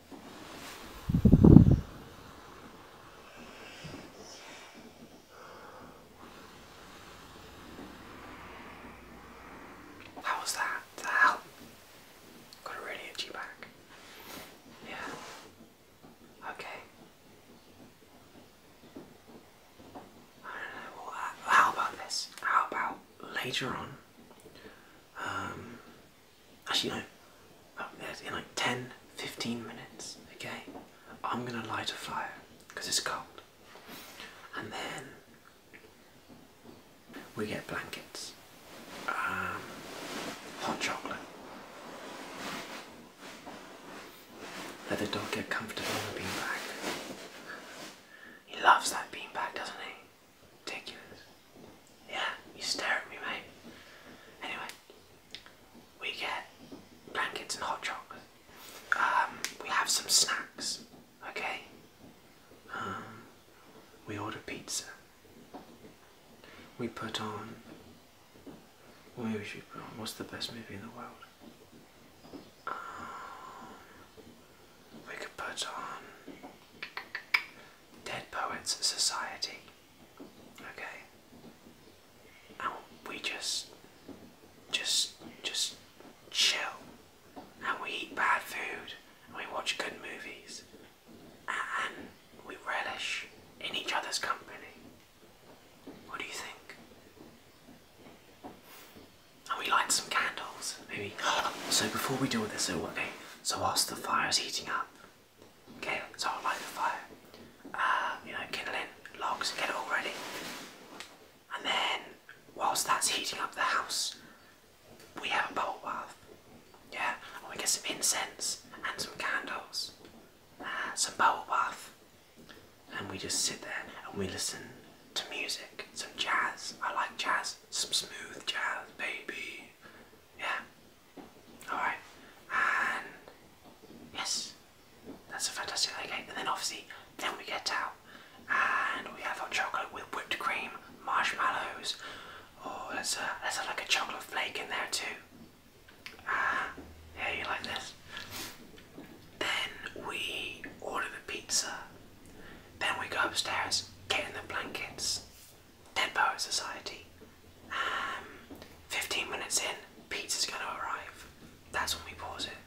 How was that? The hell? Got a really itchy back. Yeah. Okay. I don't know. Uh, how about this? How about later on? Um, Actually, no. In oh, like 10, 15 minutes, okay, I'm gonna light a fire because it's cold. And then we get blankets, um, hot chocolate. Let the dog get comfortable in the beanbag. He loves that beanbag, doesn't he? Ridiculous. Yeah, you stare at me, mate. Anyway, we get blankets and hot chocolate. Um, we have some snacks, okay? Um, we order pizza. We put on. What should put on? What's the best movie in the world? Um, we could put on Dead Poets Society. Okay. And we just just just chill and we eat bad food and we watch good movies and we relish in each other's company. What do you think? And we light some candles, maybe. (gasps) So before we do all this, okay, so whilst the fire is heating up, Okay, so I'll light the fire, uh, you know, kindling logs, get it all ready. And then, whilst that's heating up the house, we have a bowl bath. Yeah, and we get some incense and some candles, uh, some bowl bath, and we just sit there and we listen to music, some jazz. I like jazz, some smooth jazz, baby. Yeah, Alright, and yes, that's a fantastic cake. And then obviously, then we get out and we have our chocolate with whipped cream, marshmallows. or oh, let's, let's have like a chocolate flake in there too. Ah, you like this. Then we order the pizza. Then we go upstairs, get in the blankets. Dead Poet Society. Um, 15 minutes in, pizza's gonna arrive. That's when we pause it.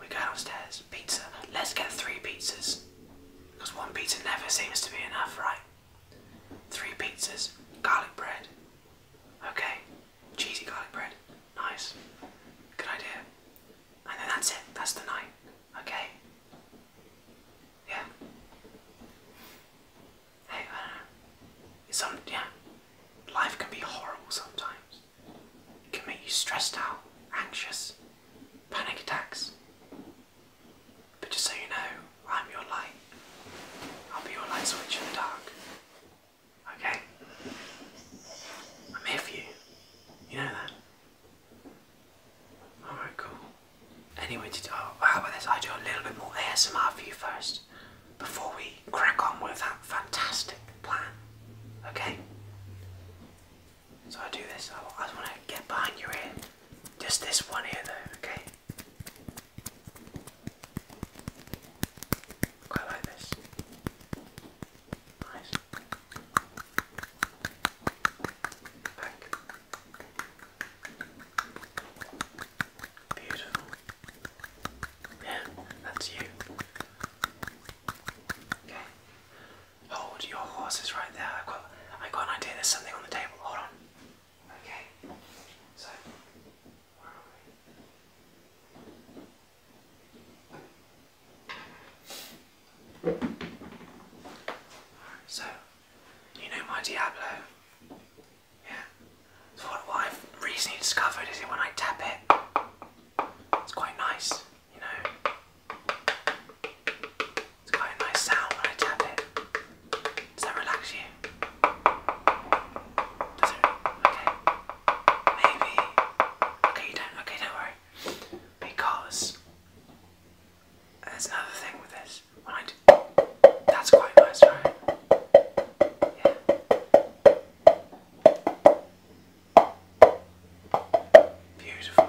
We go downstairs, pizza. Let's get three pizzas. Because one pizza never seems to be enough, right? Three pizzas, garlic bread. Okay, cheesy garlic bread. Nice. Good idea. And then that's it, that's the night. Okay? Yeah. Hey, I don't know. It's some yeah. Life can be horrible sometimes. It can make you stressed out, anxious, panic attacks. But just so you know, I'm your light. I'll be your light switch in the dark. Okay? I'm here for you. You know that? Alright, cool. Anyway, to, oh, how about this? I do a little bit more ASMR for you first before we crack on with that fantastic plan. Okay? So I do this. I, just want to get behind your ear. Just this one here, though, okay? like this. Nice. Back. Beautiful. Yeah, that's you. Okay. Hold your horses right there. I've got I got an idea there's something on the table. Hold on. Okay. So so you know my Diablo? Yeah. So what, I've recently discovered is when I tap it, it's quite nice, you know. It's quite a nice sound when I tap it. Does that relax you? Okay. Maybe. Okay, you don't. Okay, don't worry. Because that's another thing with this, right? That's quite nice, right? Beautiful.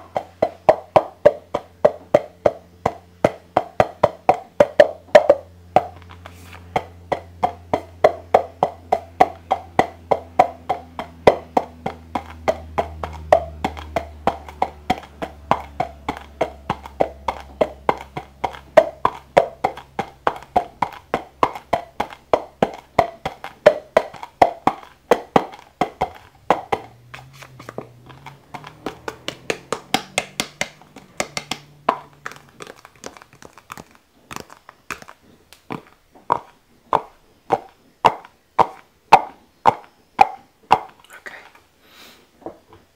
Okay.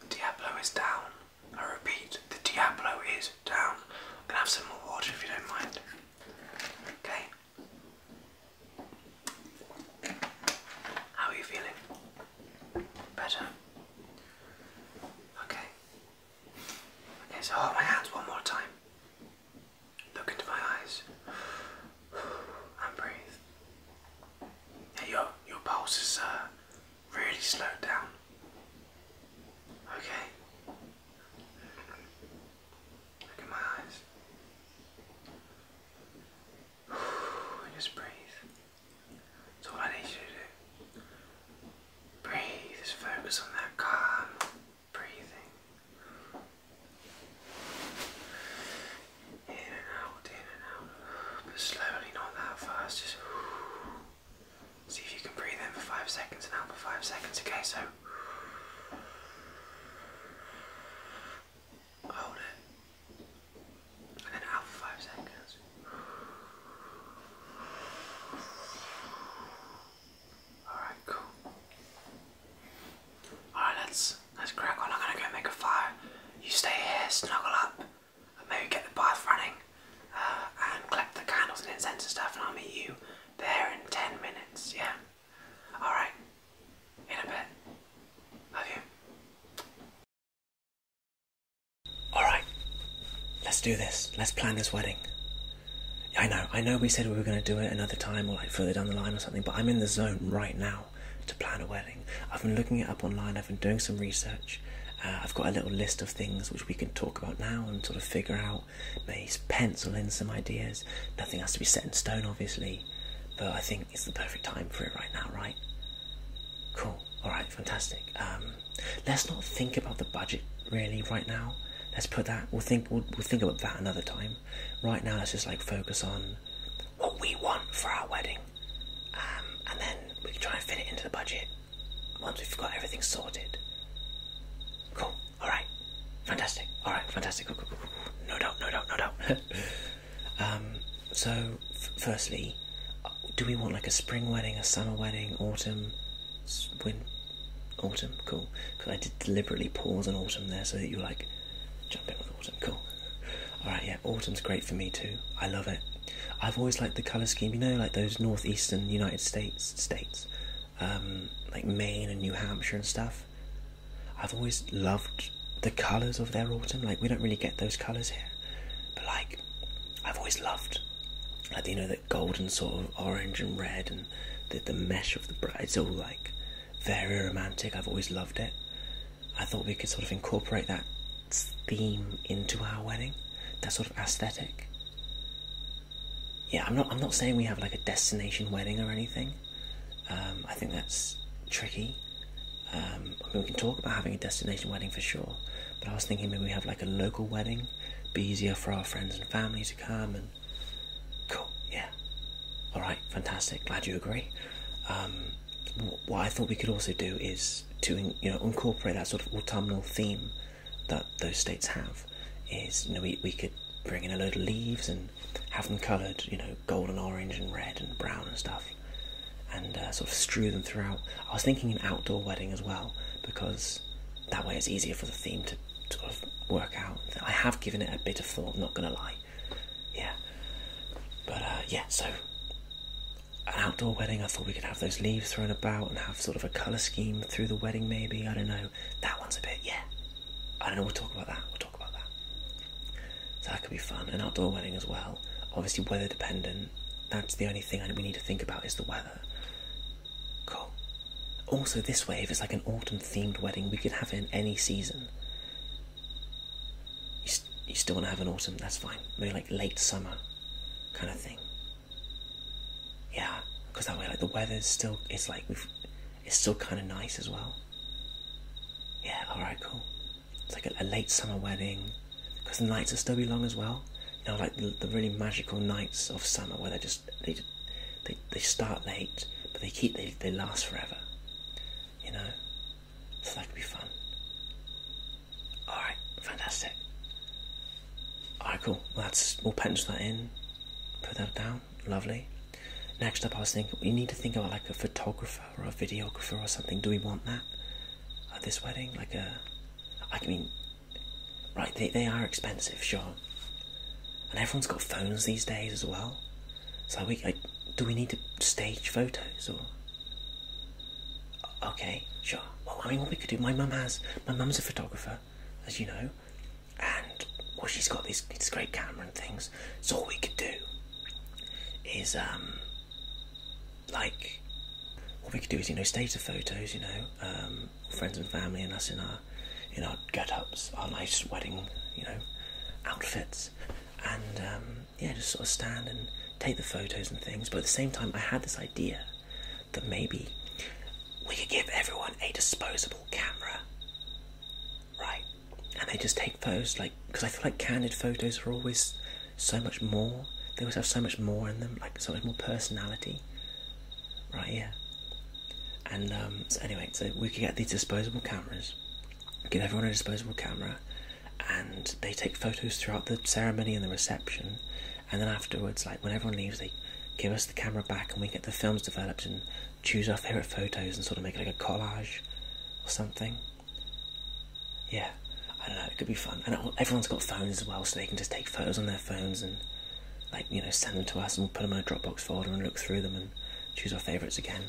Diablo is down. I repeat, the Diablo is down. I'm gonna have some more water if you don't mind. Okay. How are you feeling? Better? Okay. Okay, so hold my hands one more time. Look into my eyes. (sighs) And breathe. your your pulse is uh, really slow down. Okay? Look at my eyes. (sighs) just breathe. That's all I need you to do. Breathe, just focus on that calm breathing in and out, in and out, but slowly, not that fast. Just see if you can breathe in for five seconds and out for five seconds. Okay, so hold it, and then out for five seconds. Alright, cool. Alright, let's let's crack on. I'm gonna go make a fire. You stay here, snuggle up and maybe get the bath running uh, and collect the candles and incense and stuff, and I'll meet you there in 10 minutes, yeah? Alright, in a bit. Love you. Alright, let's do this. Let's plan this wedding. I know, I know we said we were going to do it another time or like further down the line or something, but I'm in the zone right now to plan a wedding. I've been looking it up online, I've been doing some research. Uh, I've got a little list of things which we can talk about now and sort of figure out, maybe pencil in some ideas. Nothing has to be set in stone, obviously, but I think it's the perfect time for it right now, right? Cool, alright, fantastic. Um, let's not think about the budget really right now. Let's put that, we'll think, we'll think about that another time. Right now, let's just like focus on what we want for our wedding. Um, and then we can try and fit it into the budget once we've got everything sorted. Cool. All right. Fantastic. All right. Fantastic. No doubt. No doubt. No doubt. (laughs) um, so, firstly, uh, do we want like a spring wedding, a summer wedding, autumn, win, autumn? Cool. Because I did deliberately pause on autumn there so that you like jump in with autumn. Cool. All right. Yeah. Autumn's great for me too. I love it. I've always liked the color scheme, you know, like those northeastern United States states, um, like Maine and New Hampshire and stuff. I've always loved the colors of their autumn. Like we don't really get those colors here, but like I've always loved, like you know, that golden sort of orange and red and the the mesh of the bright. It's all like very romantic. I've always loved it. I thought we could sort of incorporate that theme into our wedding, that sort of aesthetic. Yeah, I'm not. I'm not saying we have like a destination wedding or anything. Um, I think that's tricky. Um, I mean, we can talk about having a destination wedding for sure, but I was thinking maybe we have like a local wedding, be easier for our friends and family to come. And cool, yeah. All right, fantastic. Glad you agree. Um, what I thought we could also do is to you know incorporate that sort of autumnal theme that those states have. Is you know we we could bring in a load of leaves and have them coloured, you know, gold orange and red and brown and stuff, and uh, sort of strew them throughout. I was thinking an outdoor wedding as well because that way it's easier for the theme to sort of work out. I have given it a bit of thought, not gonna lie. Yeah. But uh, yeah, so an outdoor wedding. I thought we could have those leaves thrown about and have sort of a colour scheme through the wedding, maybe. I don't know. That one's a bit, yeah. I don't know. We'll talk about that. We'll talk about that. So that could be fun. An outdoor wedding as well. Obviously, weather dependent. That's the only thing we need to think about is the weather. Cool. Also, this wave is like an autumn themed wedding, we could have it in any season. you still want to have an autumn, that's fine. Maybe like late summer kind of thing. Yeah, because that way, like the weather's still, it's like it's still kind of nice as well. Yeah, all right, cool. It's like a, late summer wedding, because the nights are still be long as well. You know, like the, the really magical nights of summer where they just they, they, they start late, but they keep they they last forever. You know, so that could be fun. Alright, fantastic. Alright, cool. Well, that's, we'll punch that in, put that down. Lovely. Next up, I was thinking we need to think about like a photographer or a videographer or something. Do we want that at this wedding? Like a, I mean, right? They they are expensive, sure. And everyone's got phones these days as well. So we like, do we need to stage photos or? Okay, sure. Well, I mean, what we could do. My mum has. My mum's a photographer, as you know, and well, she's got this this great camera and things. So all we could do is um, like, what we could do is you know, state status photos, you know, um, friends and family, and us in our in our get-ups, our nice wedding, you know, outfits, and um, yeah, just sort of stand and take the photos and things. But at the same time, I had this idea that maybe we could give everyone a disposable camera, right? And they just take photos, like, because I feel like candid photos are always so much more. They always have so much more in them, like so much more personality, right? Yeah. And um, so anyway, so we could get these disposable cameras, give everyone a disposable camera, and they take photos throughout the ceremony and the reception, and then afterwards, like when everyone leaves, they give us the camera back, and we get the films developed and choose our favorite photos and sort of make it like a collage or something. Yeah, I don't know. It could be fun, and everyone's got phones as well, so they can just take photos on their phones and like you know send them to us, and we'll put them in a Dropbox folder and look through them and choose our favorites again.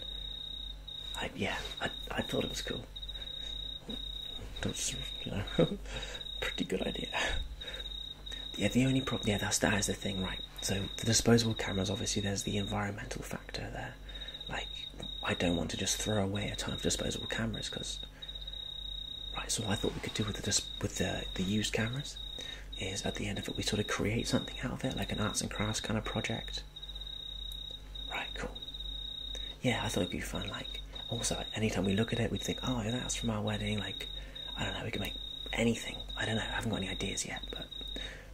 yeah, I, I thought it was cool. That's you (laughs) pretty good idea. Yeah, the only problem, yeah, that's that is the thing, right? So the disposable cameras, obviously, there's the environmental factor there. Like, I don't want to just throw away a ton of disposable cameras because, right? So what I thought we could do with the with the the used cameras is at the end of it we sort of create something out of it, like an arts and crafts kind of project. Right, cool yeah, I thought it'd be fun. Like, also, anytime we look at it, we'd think, oh, that's from our wedding. Like, I don't know, we could make anything. I don't know, I haven't got any ideas yet, but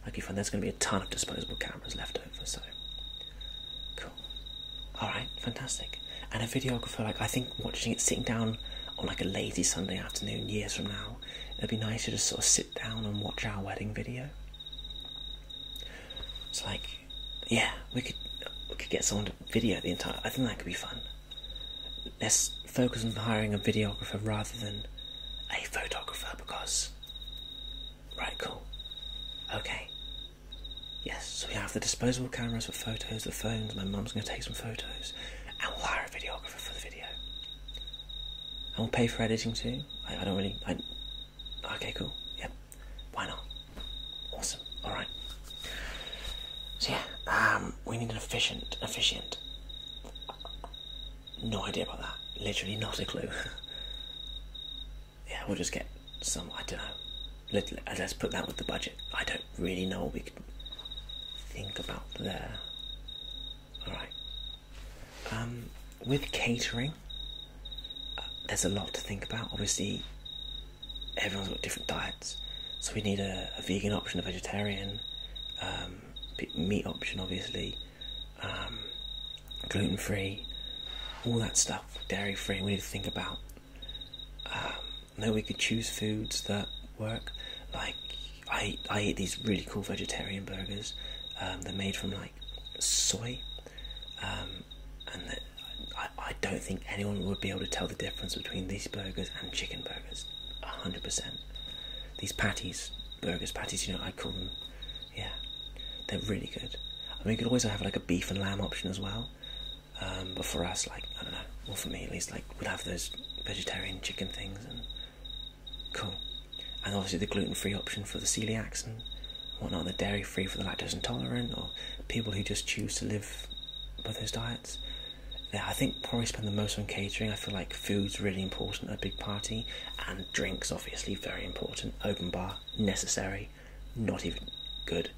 that'd be There's going to be a ton of disposable cameras left over, so cool. All right, fantastic. And a videographer, like, I think watching it sitting down on like a lazy Sunday afternoon years from now, it'd be nice to just sort of sit down and watch our wedding video. It's like yeah, we could we could get someone to video the entire. I think that could be fun. Let's focus on hiring a videographer rather than a photographer because. Right, cool. Okay. Yes, so we have the disposable cameras for photos, the phones. My mum's going to take some photos, and we'll hire a videographer for the video. And we'll pay for editing too. I, I don't really. I, okay, cool. Yep. Why not? Awesome. All right. So yeah, um, we need an efficient, efficient. No idea about that. Literally not a clue. (laughs) yeah, we'll just get some. I don't know. Let, let's put that with the budget. I don't really know what we could think about there. All right. Um, with catering, uh, there's a lot to think about. Obviously, everyone's got different diets. So we need a, vegan option, a vegetarian, um, meat option, obviously, um, gluten free, all that stuff, dairy free. We need to think about. Um, then we could choose foods that work. Like I, I eat these really cool vegetarian burgers. Um, they're made from like soy, and I, don't think anyone would be able to tell the difference between these burgers and chicken burgers. 100%. These patties, burgers, patties, you know, I call them, yeah, they're really good. I mean, you could always have like a beef and lamb option as well. Um, but for us, like, I don't know, well, for me at least, like, we'd have those vegetarian chicken things and cool. And obviously the gluten free option for the celiacs and whatnot, the dairy free for the lactose intolerant, or people who just choose to live by those diets. Yeah, I think probably spend the most on catering. I feel like food's really important at a big party, and drinks obviously very important. Open bar necessary, not even good.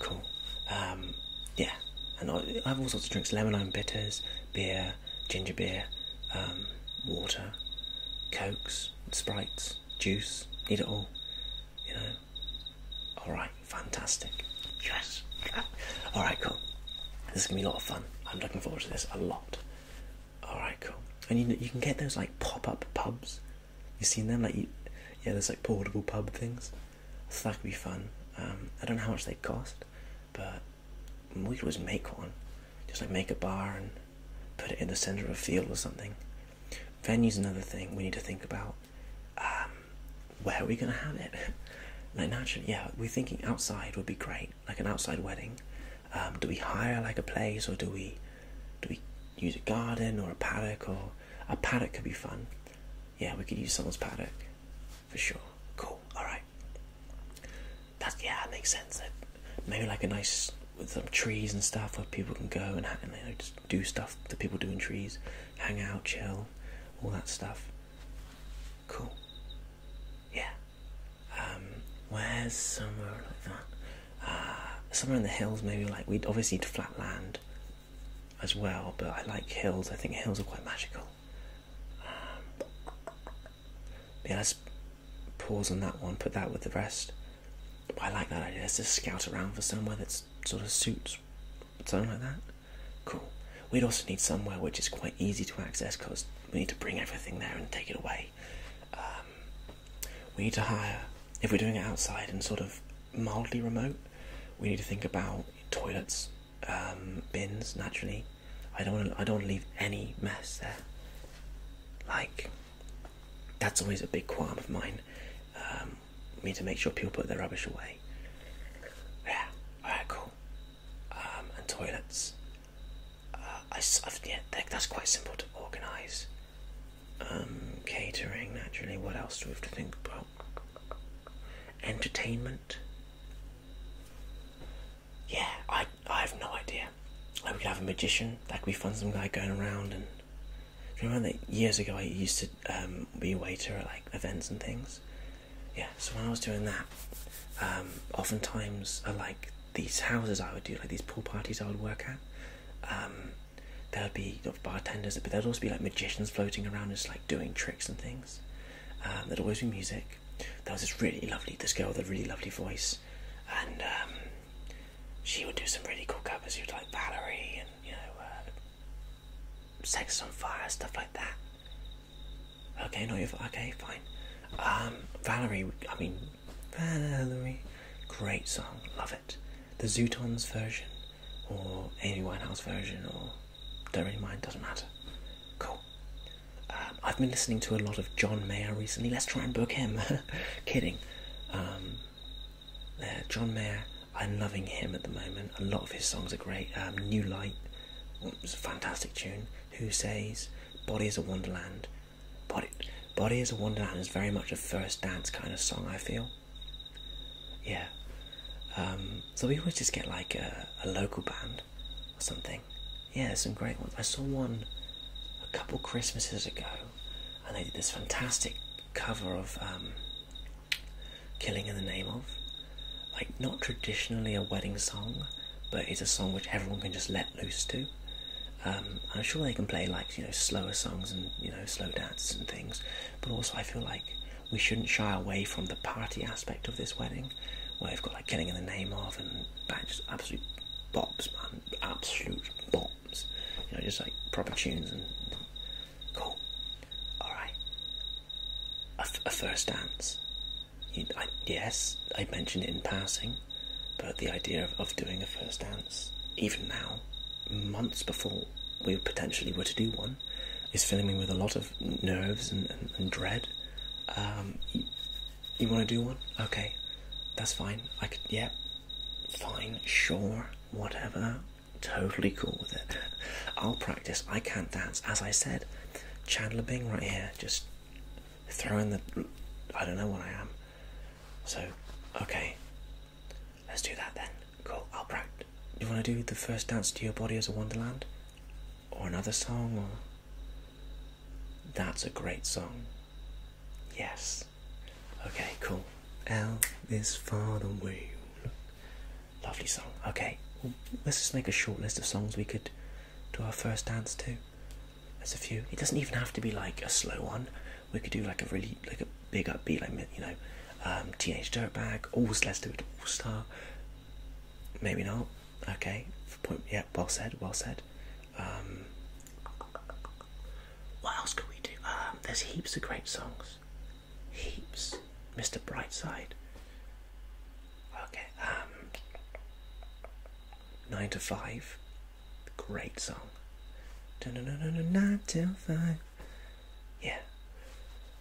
Cool. Um, yeah, and I, have all sorts of drinks: lemon lemonade bitters, beer, ginger beer, um, water, cokes, sprites, juice. Eat it all. You know, all right, fantastic. Yes. All right, cool. This is gonna be a lot of fun. I'm looking forward to this a lot. All right, cool. And you you can get those like pop up pubs. You seen them like yeah, there's like portable pub things. So that could be fun. Um, I don't know how much they cost, but we could always make one. Just like make a bar and put it in the center of a field or something. Venue is another thing we need to think about. Um, where are we going to have it? (laughs) Like, naturally, yeah, we're thinking outside would be great, like an outside wedding. Um, do we hire like a place, or do we, do we use a garden or a paddock? Or a paddock could be fun. Yeah, we could use someone's paddock for sure. Cool. All right. That's yeah, that makes sense. Maybe like a nice with some trees and stuff where people can go and, and you know, just do stuff that people do in trees, hang out, chill, all that stuff. Cool. Yeah. Um, where's somewhere like that? Uh, somewhere in the hills, maybe. Like we'd obviously need flat land as well, but I like hills. I think hills are quite magical. Um, yeah, let's pause on that one. Put that with the rest. I like that idea. Let's just scout around for somewhere that sort of suits something like that. Cool. We'd also need somewhere which is quite easy to access because we need to bring everything there and take it away. Um, we need to hire, if we're doing it outside and sort of mildly remote, we need to think about toilets, um, bins. Naturally, I don't. Wanna, I don't leave any mess there. Like, that's always a big qualm of mine. Um, um, me to make sure people put their rubbish away. Yeah, alright, cool. Um, and toilets. Uh, I, yeah, that's quite simple to organise. Um, catering, naturally. What else do we have to think about? Entertainment. Yeah, I I have no idea. Like we could have a magician. Like we find Some guy going around and remember that years ago I used to um, be a waiter at like events and things? Yeah, so when I was doing that, um, oftentimes uh, like these houses I would do, like these pool parties I would work at, um, there would be bartenders, but there'd also be like magicians floating around just like doing tricks and things. Um, there'd always be music. There was this really lovely, this girl with a really lovely voice, and she would do some really cool covers. you would like Valerie and you know uh, sex on fire, stuff like that. Okay, not your okay, fine. Um, Valerie, I mean, Valerie, great song, love it. The Zootons version, or Amy Winehouse version, or don't really mind, doesn't matter. Cool. Um, I've been listening to a lot of John Mayer recently. Let's try and book him. (laughs) Kidding. Um, uh, John Mayer. I'm loving him at the moment. A lot of his songs are great. Um, New Light was mm, a fantastic tune. Who Says, Body is a Wonderland. Body, Body is a Wonderland is very much a first dance kind of song, I feel. Yeah. Um, so we always just get like a, local band or something. Yeah, some great ones. I saw one a couple Christmases ago and they did this fantastic cover of um, Killing in the Name of. Like, not traditionally a wedding song, but it's a song which everyone can just let loose to. Um, I'm sure they can play, like, you know, slower songs and, you know, slow dances and things, but also I feel like we shouldn't shy away from the party aspect of this wedding, where you've got, like, Killing in the Name of and just absolute bops, man. Absolute bops. You know, just like proper tunes and Cool. Alright. A, a first dance. yes, I mentioned it in passing, but the idea of, of doing a first dance, even now, months before we potentially were to do one, is filling me with a lot of nerves and, and, dread. Um, you want to do one? Okay, that's fine. I could, yeah, fine, sure, whatever totally cool with it. I'll practice. I can't dance, as I said. Chandler Bing right here, just throwing the. I don't know what I am. So, okay, let's do that then. Cool. I'll practice. You want to do the first dance to your body as a wonderland, or another song, or that's a great song. Yes. Okay. Cool. L is far away. Lovely song. Okay, let's just make a short list of songs we could do our first dance to. There's a few. It doesn't even have to be like a slow one. We could do like a really like a big upbeat, like you know, um, Teenage Dirtbag. Always let's All Star. Maybe not. Okay. Point. Yeah. Well said. Well said. Um, what else could we do? Um, there's heaps of great songs. Heaps. Mr. Brightside. Okay, um. Nine to Five. Great song. nine to five. Yeah.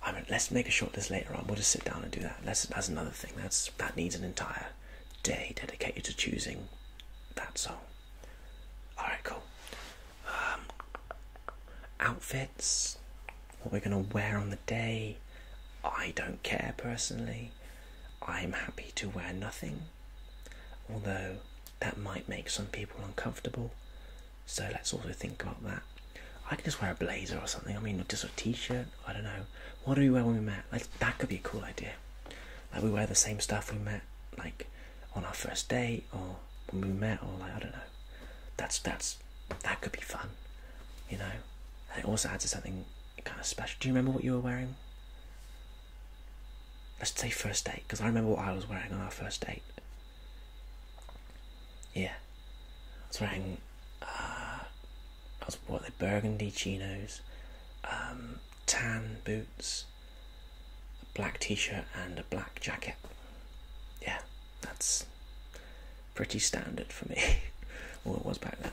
I mean, let's make a short list later on. We'll just sit down and do that. That's that's another thing. That's that needs an entire day dedicated to choosing that song. All right, cool. Um, outfits, what we're going to wear on the day. I don't care personally. I'm happy to wear nothing, although that might make some people uncomfortable. So let's also think about that. I could just wear a blazer or something. I mean, just a t-shirt. I don't know. What do we wear when we met? Like that could be a cool idea. Like we wear the same stuff we met, like on our first day or when we met or like I don't know. That's that's that could be fun, you know. And it also adds to something kind of special. Do you remember what you were wearing? Let's say first date because I remember what I was wearing on our first date. Yeah, I was wearing. Uh, I was what they burgundy chinos, um, tan boots, a black t-shirt, and a black jacket. Yeah, that's pretty standard for me. (laughs) well, it was back then.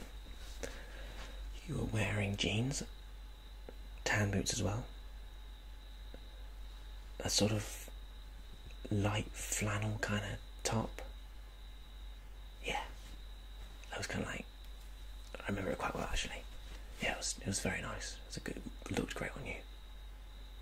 You were wearing jeans, tan boots as well, a sort of light flannel kind of top. Yeah, I was kind of like, I remember it quite well actually. Yeah, it was it was very nice. It a good it looked great on you.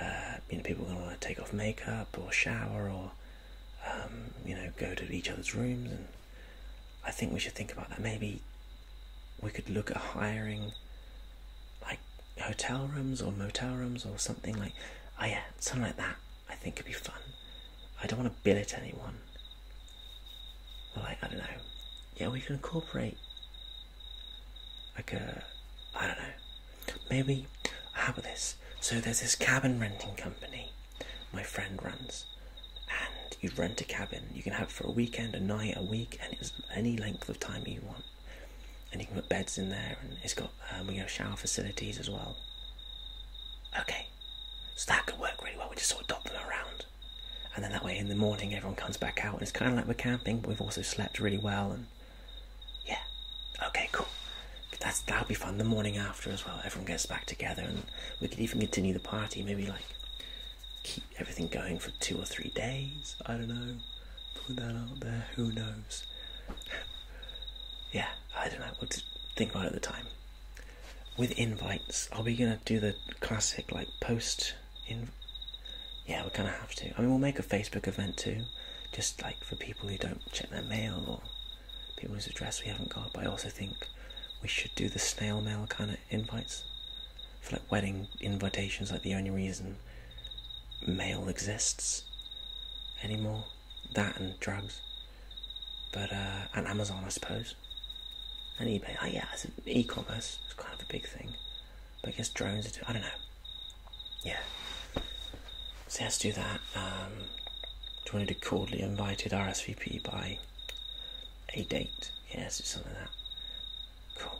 uh, you know, people are going to want to take off makeup or shower or, um, you know, go to each other's rooms. And I think we should think about that. Maybe we could look at hiring like hotel rooms or motel rooms or something like, oh yeah, something like that. I think it could be fun. I don't want to billet anyone. like, I don't know. Yeah, we can incorporate like a, uh, I don't know, Maybe how about this? So there's this cabin renting company my friend runs, and you rent a cabin. You can have for a weekend, a night, a week, and it's any length of time you want. And you can put beds in there, and it's got um, we have know shower facilities as well. Okay, so that could work really well. We just sort of dot them around, and then that way in the morning everyone comes back out, and it's kind of like we're camping, but we've also slept really well and yeah, okay, cool. That's that'll be fun. The morning after as well, everyone gets back together, and we could even continue the party. Maybe like keep everything going for two or three days. I don't know. Put that out there. Who knows? (laughs) yeah, I don't know. What to think about at the time. With invites, are we gonna do the classic like post in? Yeah, we kind of have to. I mean, we'll make a Facebook event too just like for people who don't check their mail or people whose address we haven't got. But I also think we should do the snail mail kind of invites for like wedding invitations. Like the only reason mail exists anymore, that and drugs, but uh, and Amazon, I suppose, and eBay. Oh yeah, e-commerce. is kind of a big thing, but I guess drones. Are, I don't know. Yeah. So let's do that. Um, do we need to do cordially invited RSVP by a date? Yeah, let's do something like that. Cool.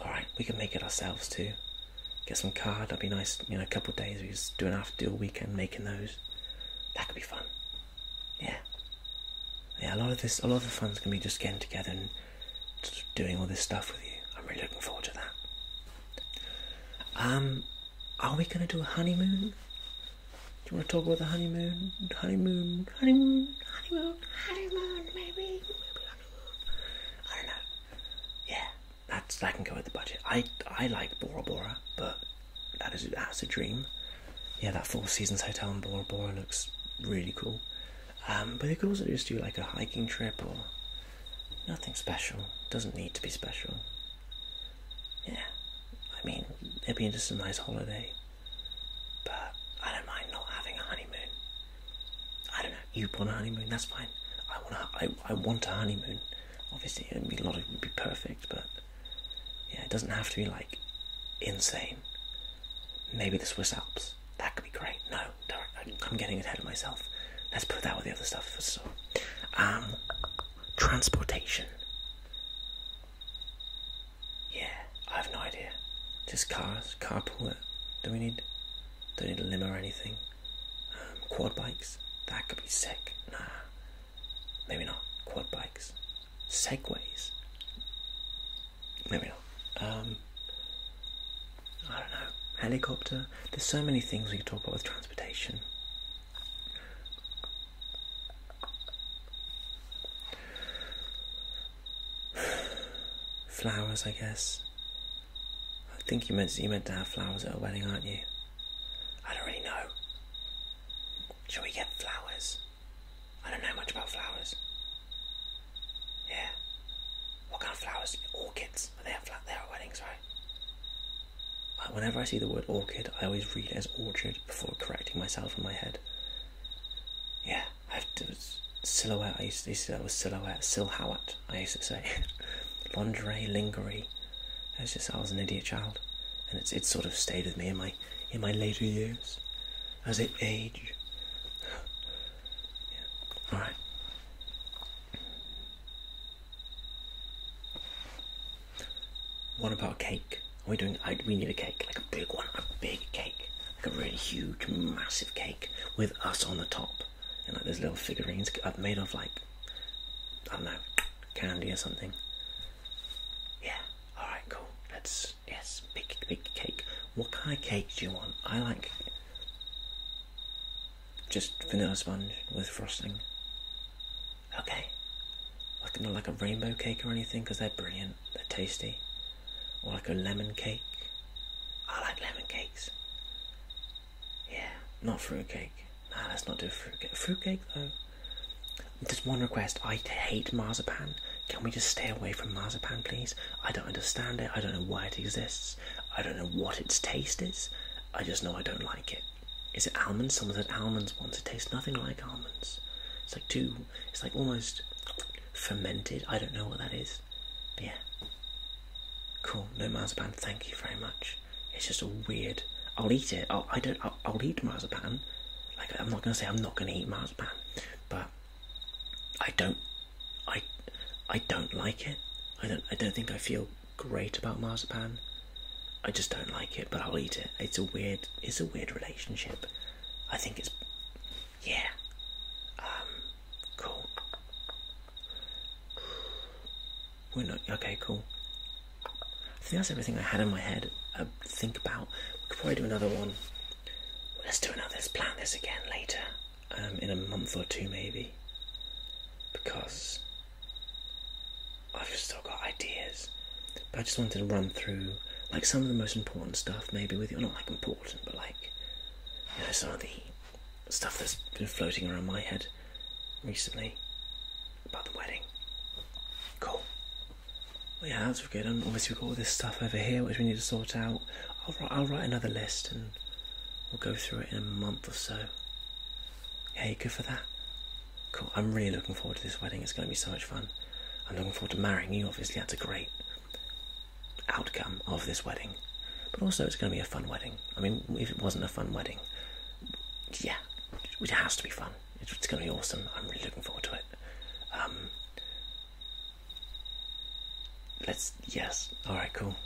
Alright, we can make it ourselves too. Get some card, that'd be nice. You know, a couple of days, we just do an after deal weekend making those. That could be fun. Yeah. Yeah, a lot of this, a lot of the fun's gonna be just getting together and doing all this stuff with you. I'm really looking forward to that. Um, are we gonna do a honeymoon? Do you want to talk about the honeymoon? Honeymoon, honeymoon, honeymoon, honeymoon, maybe, maybe honeymoon. I don't know. Yeah, that's that can go with the budget. I I like Bora Bora, but that is that's a dream. Yeah, that Four Seasons hotel in Bora Bora looks really cool. Um, but they could also just do like a hiking trip or Nothing special. Doesn't need to be special. Yeah, I mean, it'd be just a nice holiday. But I don't mind not having a honeymoon. I don't know. You want a honeymoon? That's fine. I want a, I, I want a honeymoon. Obviously, a lot. Of, it would be perfect, but yeah, it doesn't have to be like insane. Maybe the Swiss Alps. That could be great. No, I'm, getting ahead of myself. Let's put that with the other stuff. So, um, transportation. Yeah, I have no idea. Just cars, carpool. Uh, do we need? do we need a limo or anything. Um, quad bikes. That could be sick. Nah, maybe not. Quad bikes. Segways. Maybe not. Um, I don't know, helicopter. There's so many things we could talk about with transportation. flowers, I guess. I think you meant you meant to have flowers at a wedding, aren't you? I don't really know. Shall we get flowers? I don't know much about flowers. Yeah. What kind of flowers? Orchids they have like, they are weddings, right? whenever I see the word orchid, I always read it as orchard before correcting myself in my head. Yeah, silhouette. I used to say that was silhouette, silhouette. I used to say (laughs) lingerie, lingerie. I was just I was an idiot child, and it's it's sort of stayed with me in my in my later years as it aged. (sighs) yeah. What about a cake? Are we doing? we need a cake, like a big one, a big cake, like a really huge, massive cake with us on the top, and like there's little figurines uh, made of like I don't know candy or something. Yeah. All right. Cool. Let's yes, big big cake. What kind of cake do you want? I like just vanilla sponge with frosting. Okay. Like not like a rainbow cake or anything, because they're brilliant. They're tasty. Or like a lemon cake. I like lemon cakes. Yeah, not fruit cake. Nah, let's not do fruit cake. Fruit cake though. Just one request. I hate marzipan. Can we just stay away from marzipan, please? I don't understand it. I don't know why it exists. I don't know what its taste is. I just know I don't like it. Is it almonds? Someone said almonds once. It tastes nothing like almonds. It's like too. It's like almost fermented. I don't know what that is. yeah. Cool. No marzipan. Thank you very much. It's just a weird. I'll eat it. I'll, I do I'll, I'll eat marzipan. Like I'm not gonna say I'm not gonna eat marzipan, but I don't. I I don't like it. I don't. I don't think I feel great about marzipan. I just don't like it, but I'll eat it. It's a weird, it's a weird relationship. I think it's, yeah, um, cool. We're not okay. Cool. So that's everything I had in my head. Uh, think about. We could probably do another one. Let's do another. Let's plan this again later. Um, in a month or two maybe, because I've still got ideas, but I just wanted to run through like some of the most important stuff, maybe with you. Well, not like important, but like you know some of the stuff that's been floating around my head recently about the wedding. Cool. Well, yeah, that's good. And obviously we've got all this stuff over here which we need to sort out. I'll write another list and we'll go through it in a month or so. Hey, good for that. Cool. I'm really looking forward to this wedding. It's going to be so much fun. I'm looking forward to marrying you. Obviously, that's a great outcome of this wedding. But also, it's going to be a fun wedding. I mean, if it wasn't a fun wedding, yeah, it has to be fun. It's going to be awesome. I'm really looking forward to it. Um, let's, yes. All right, cool.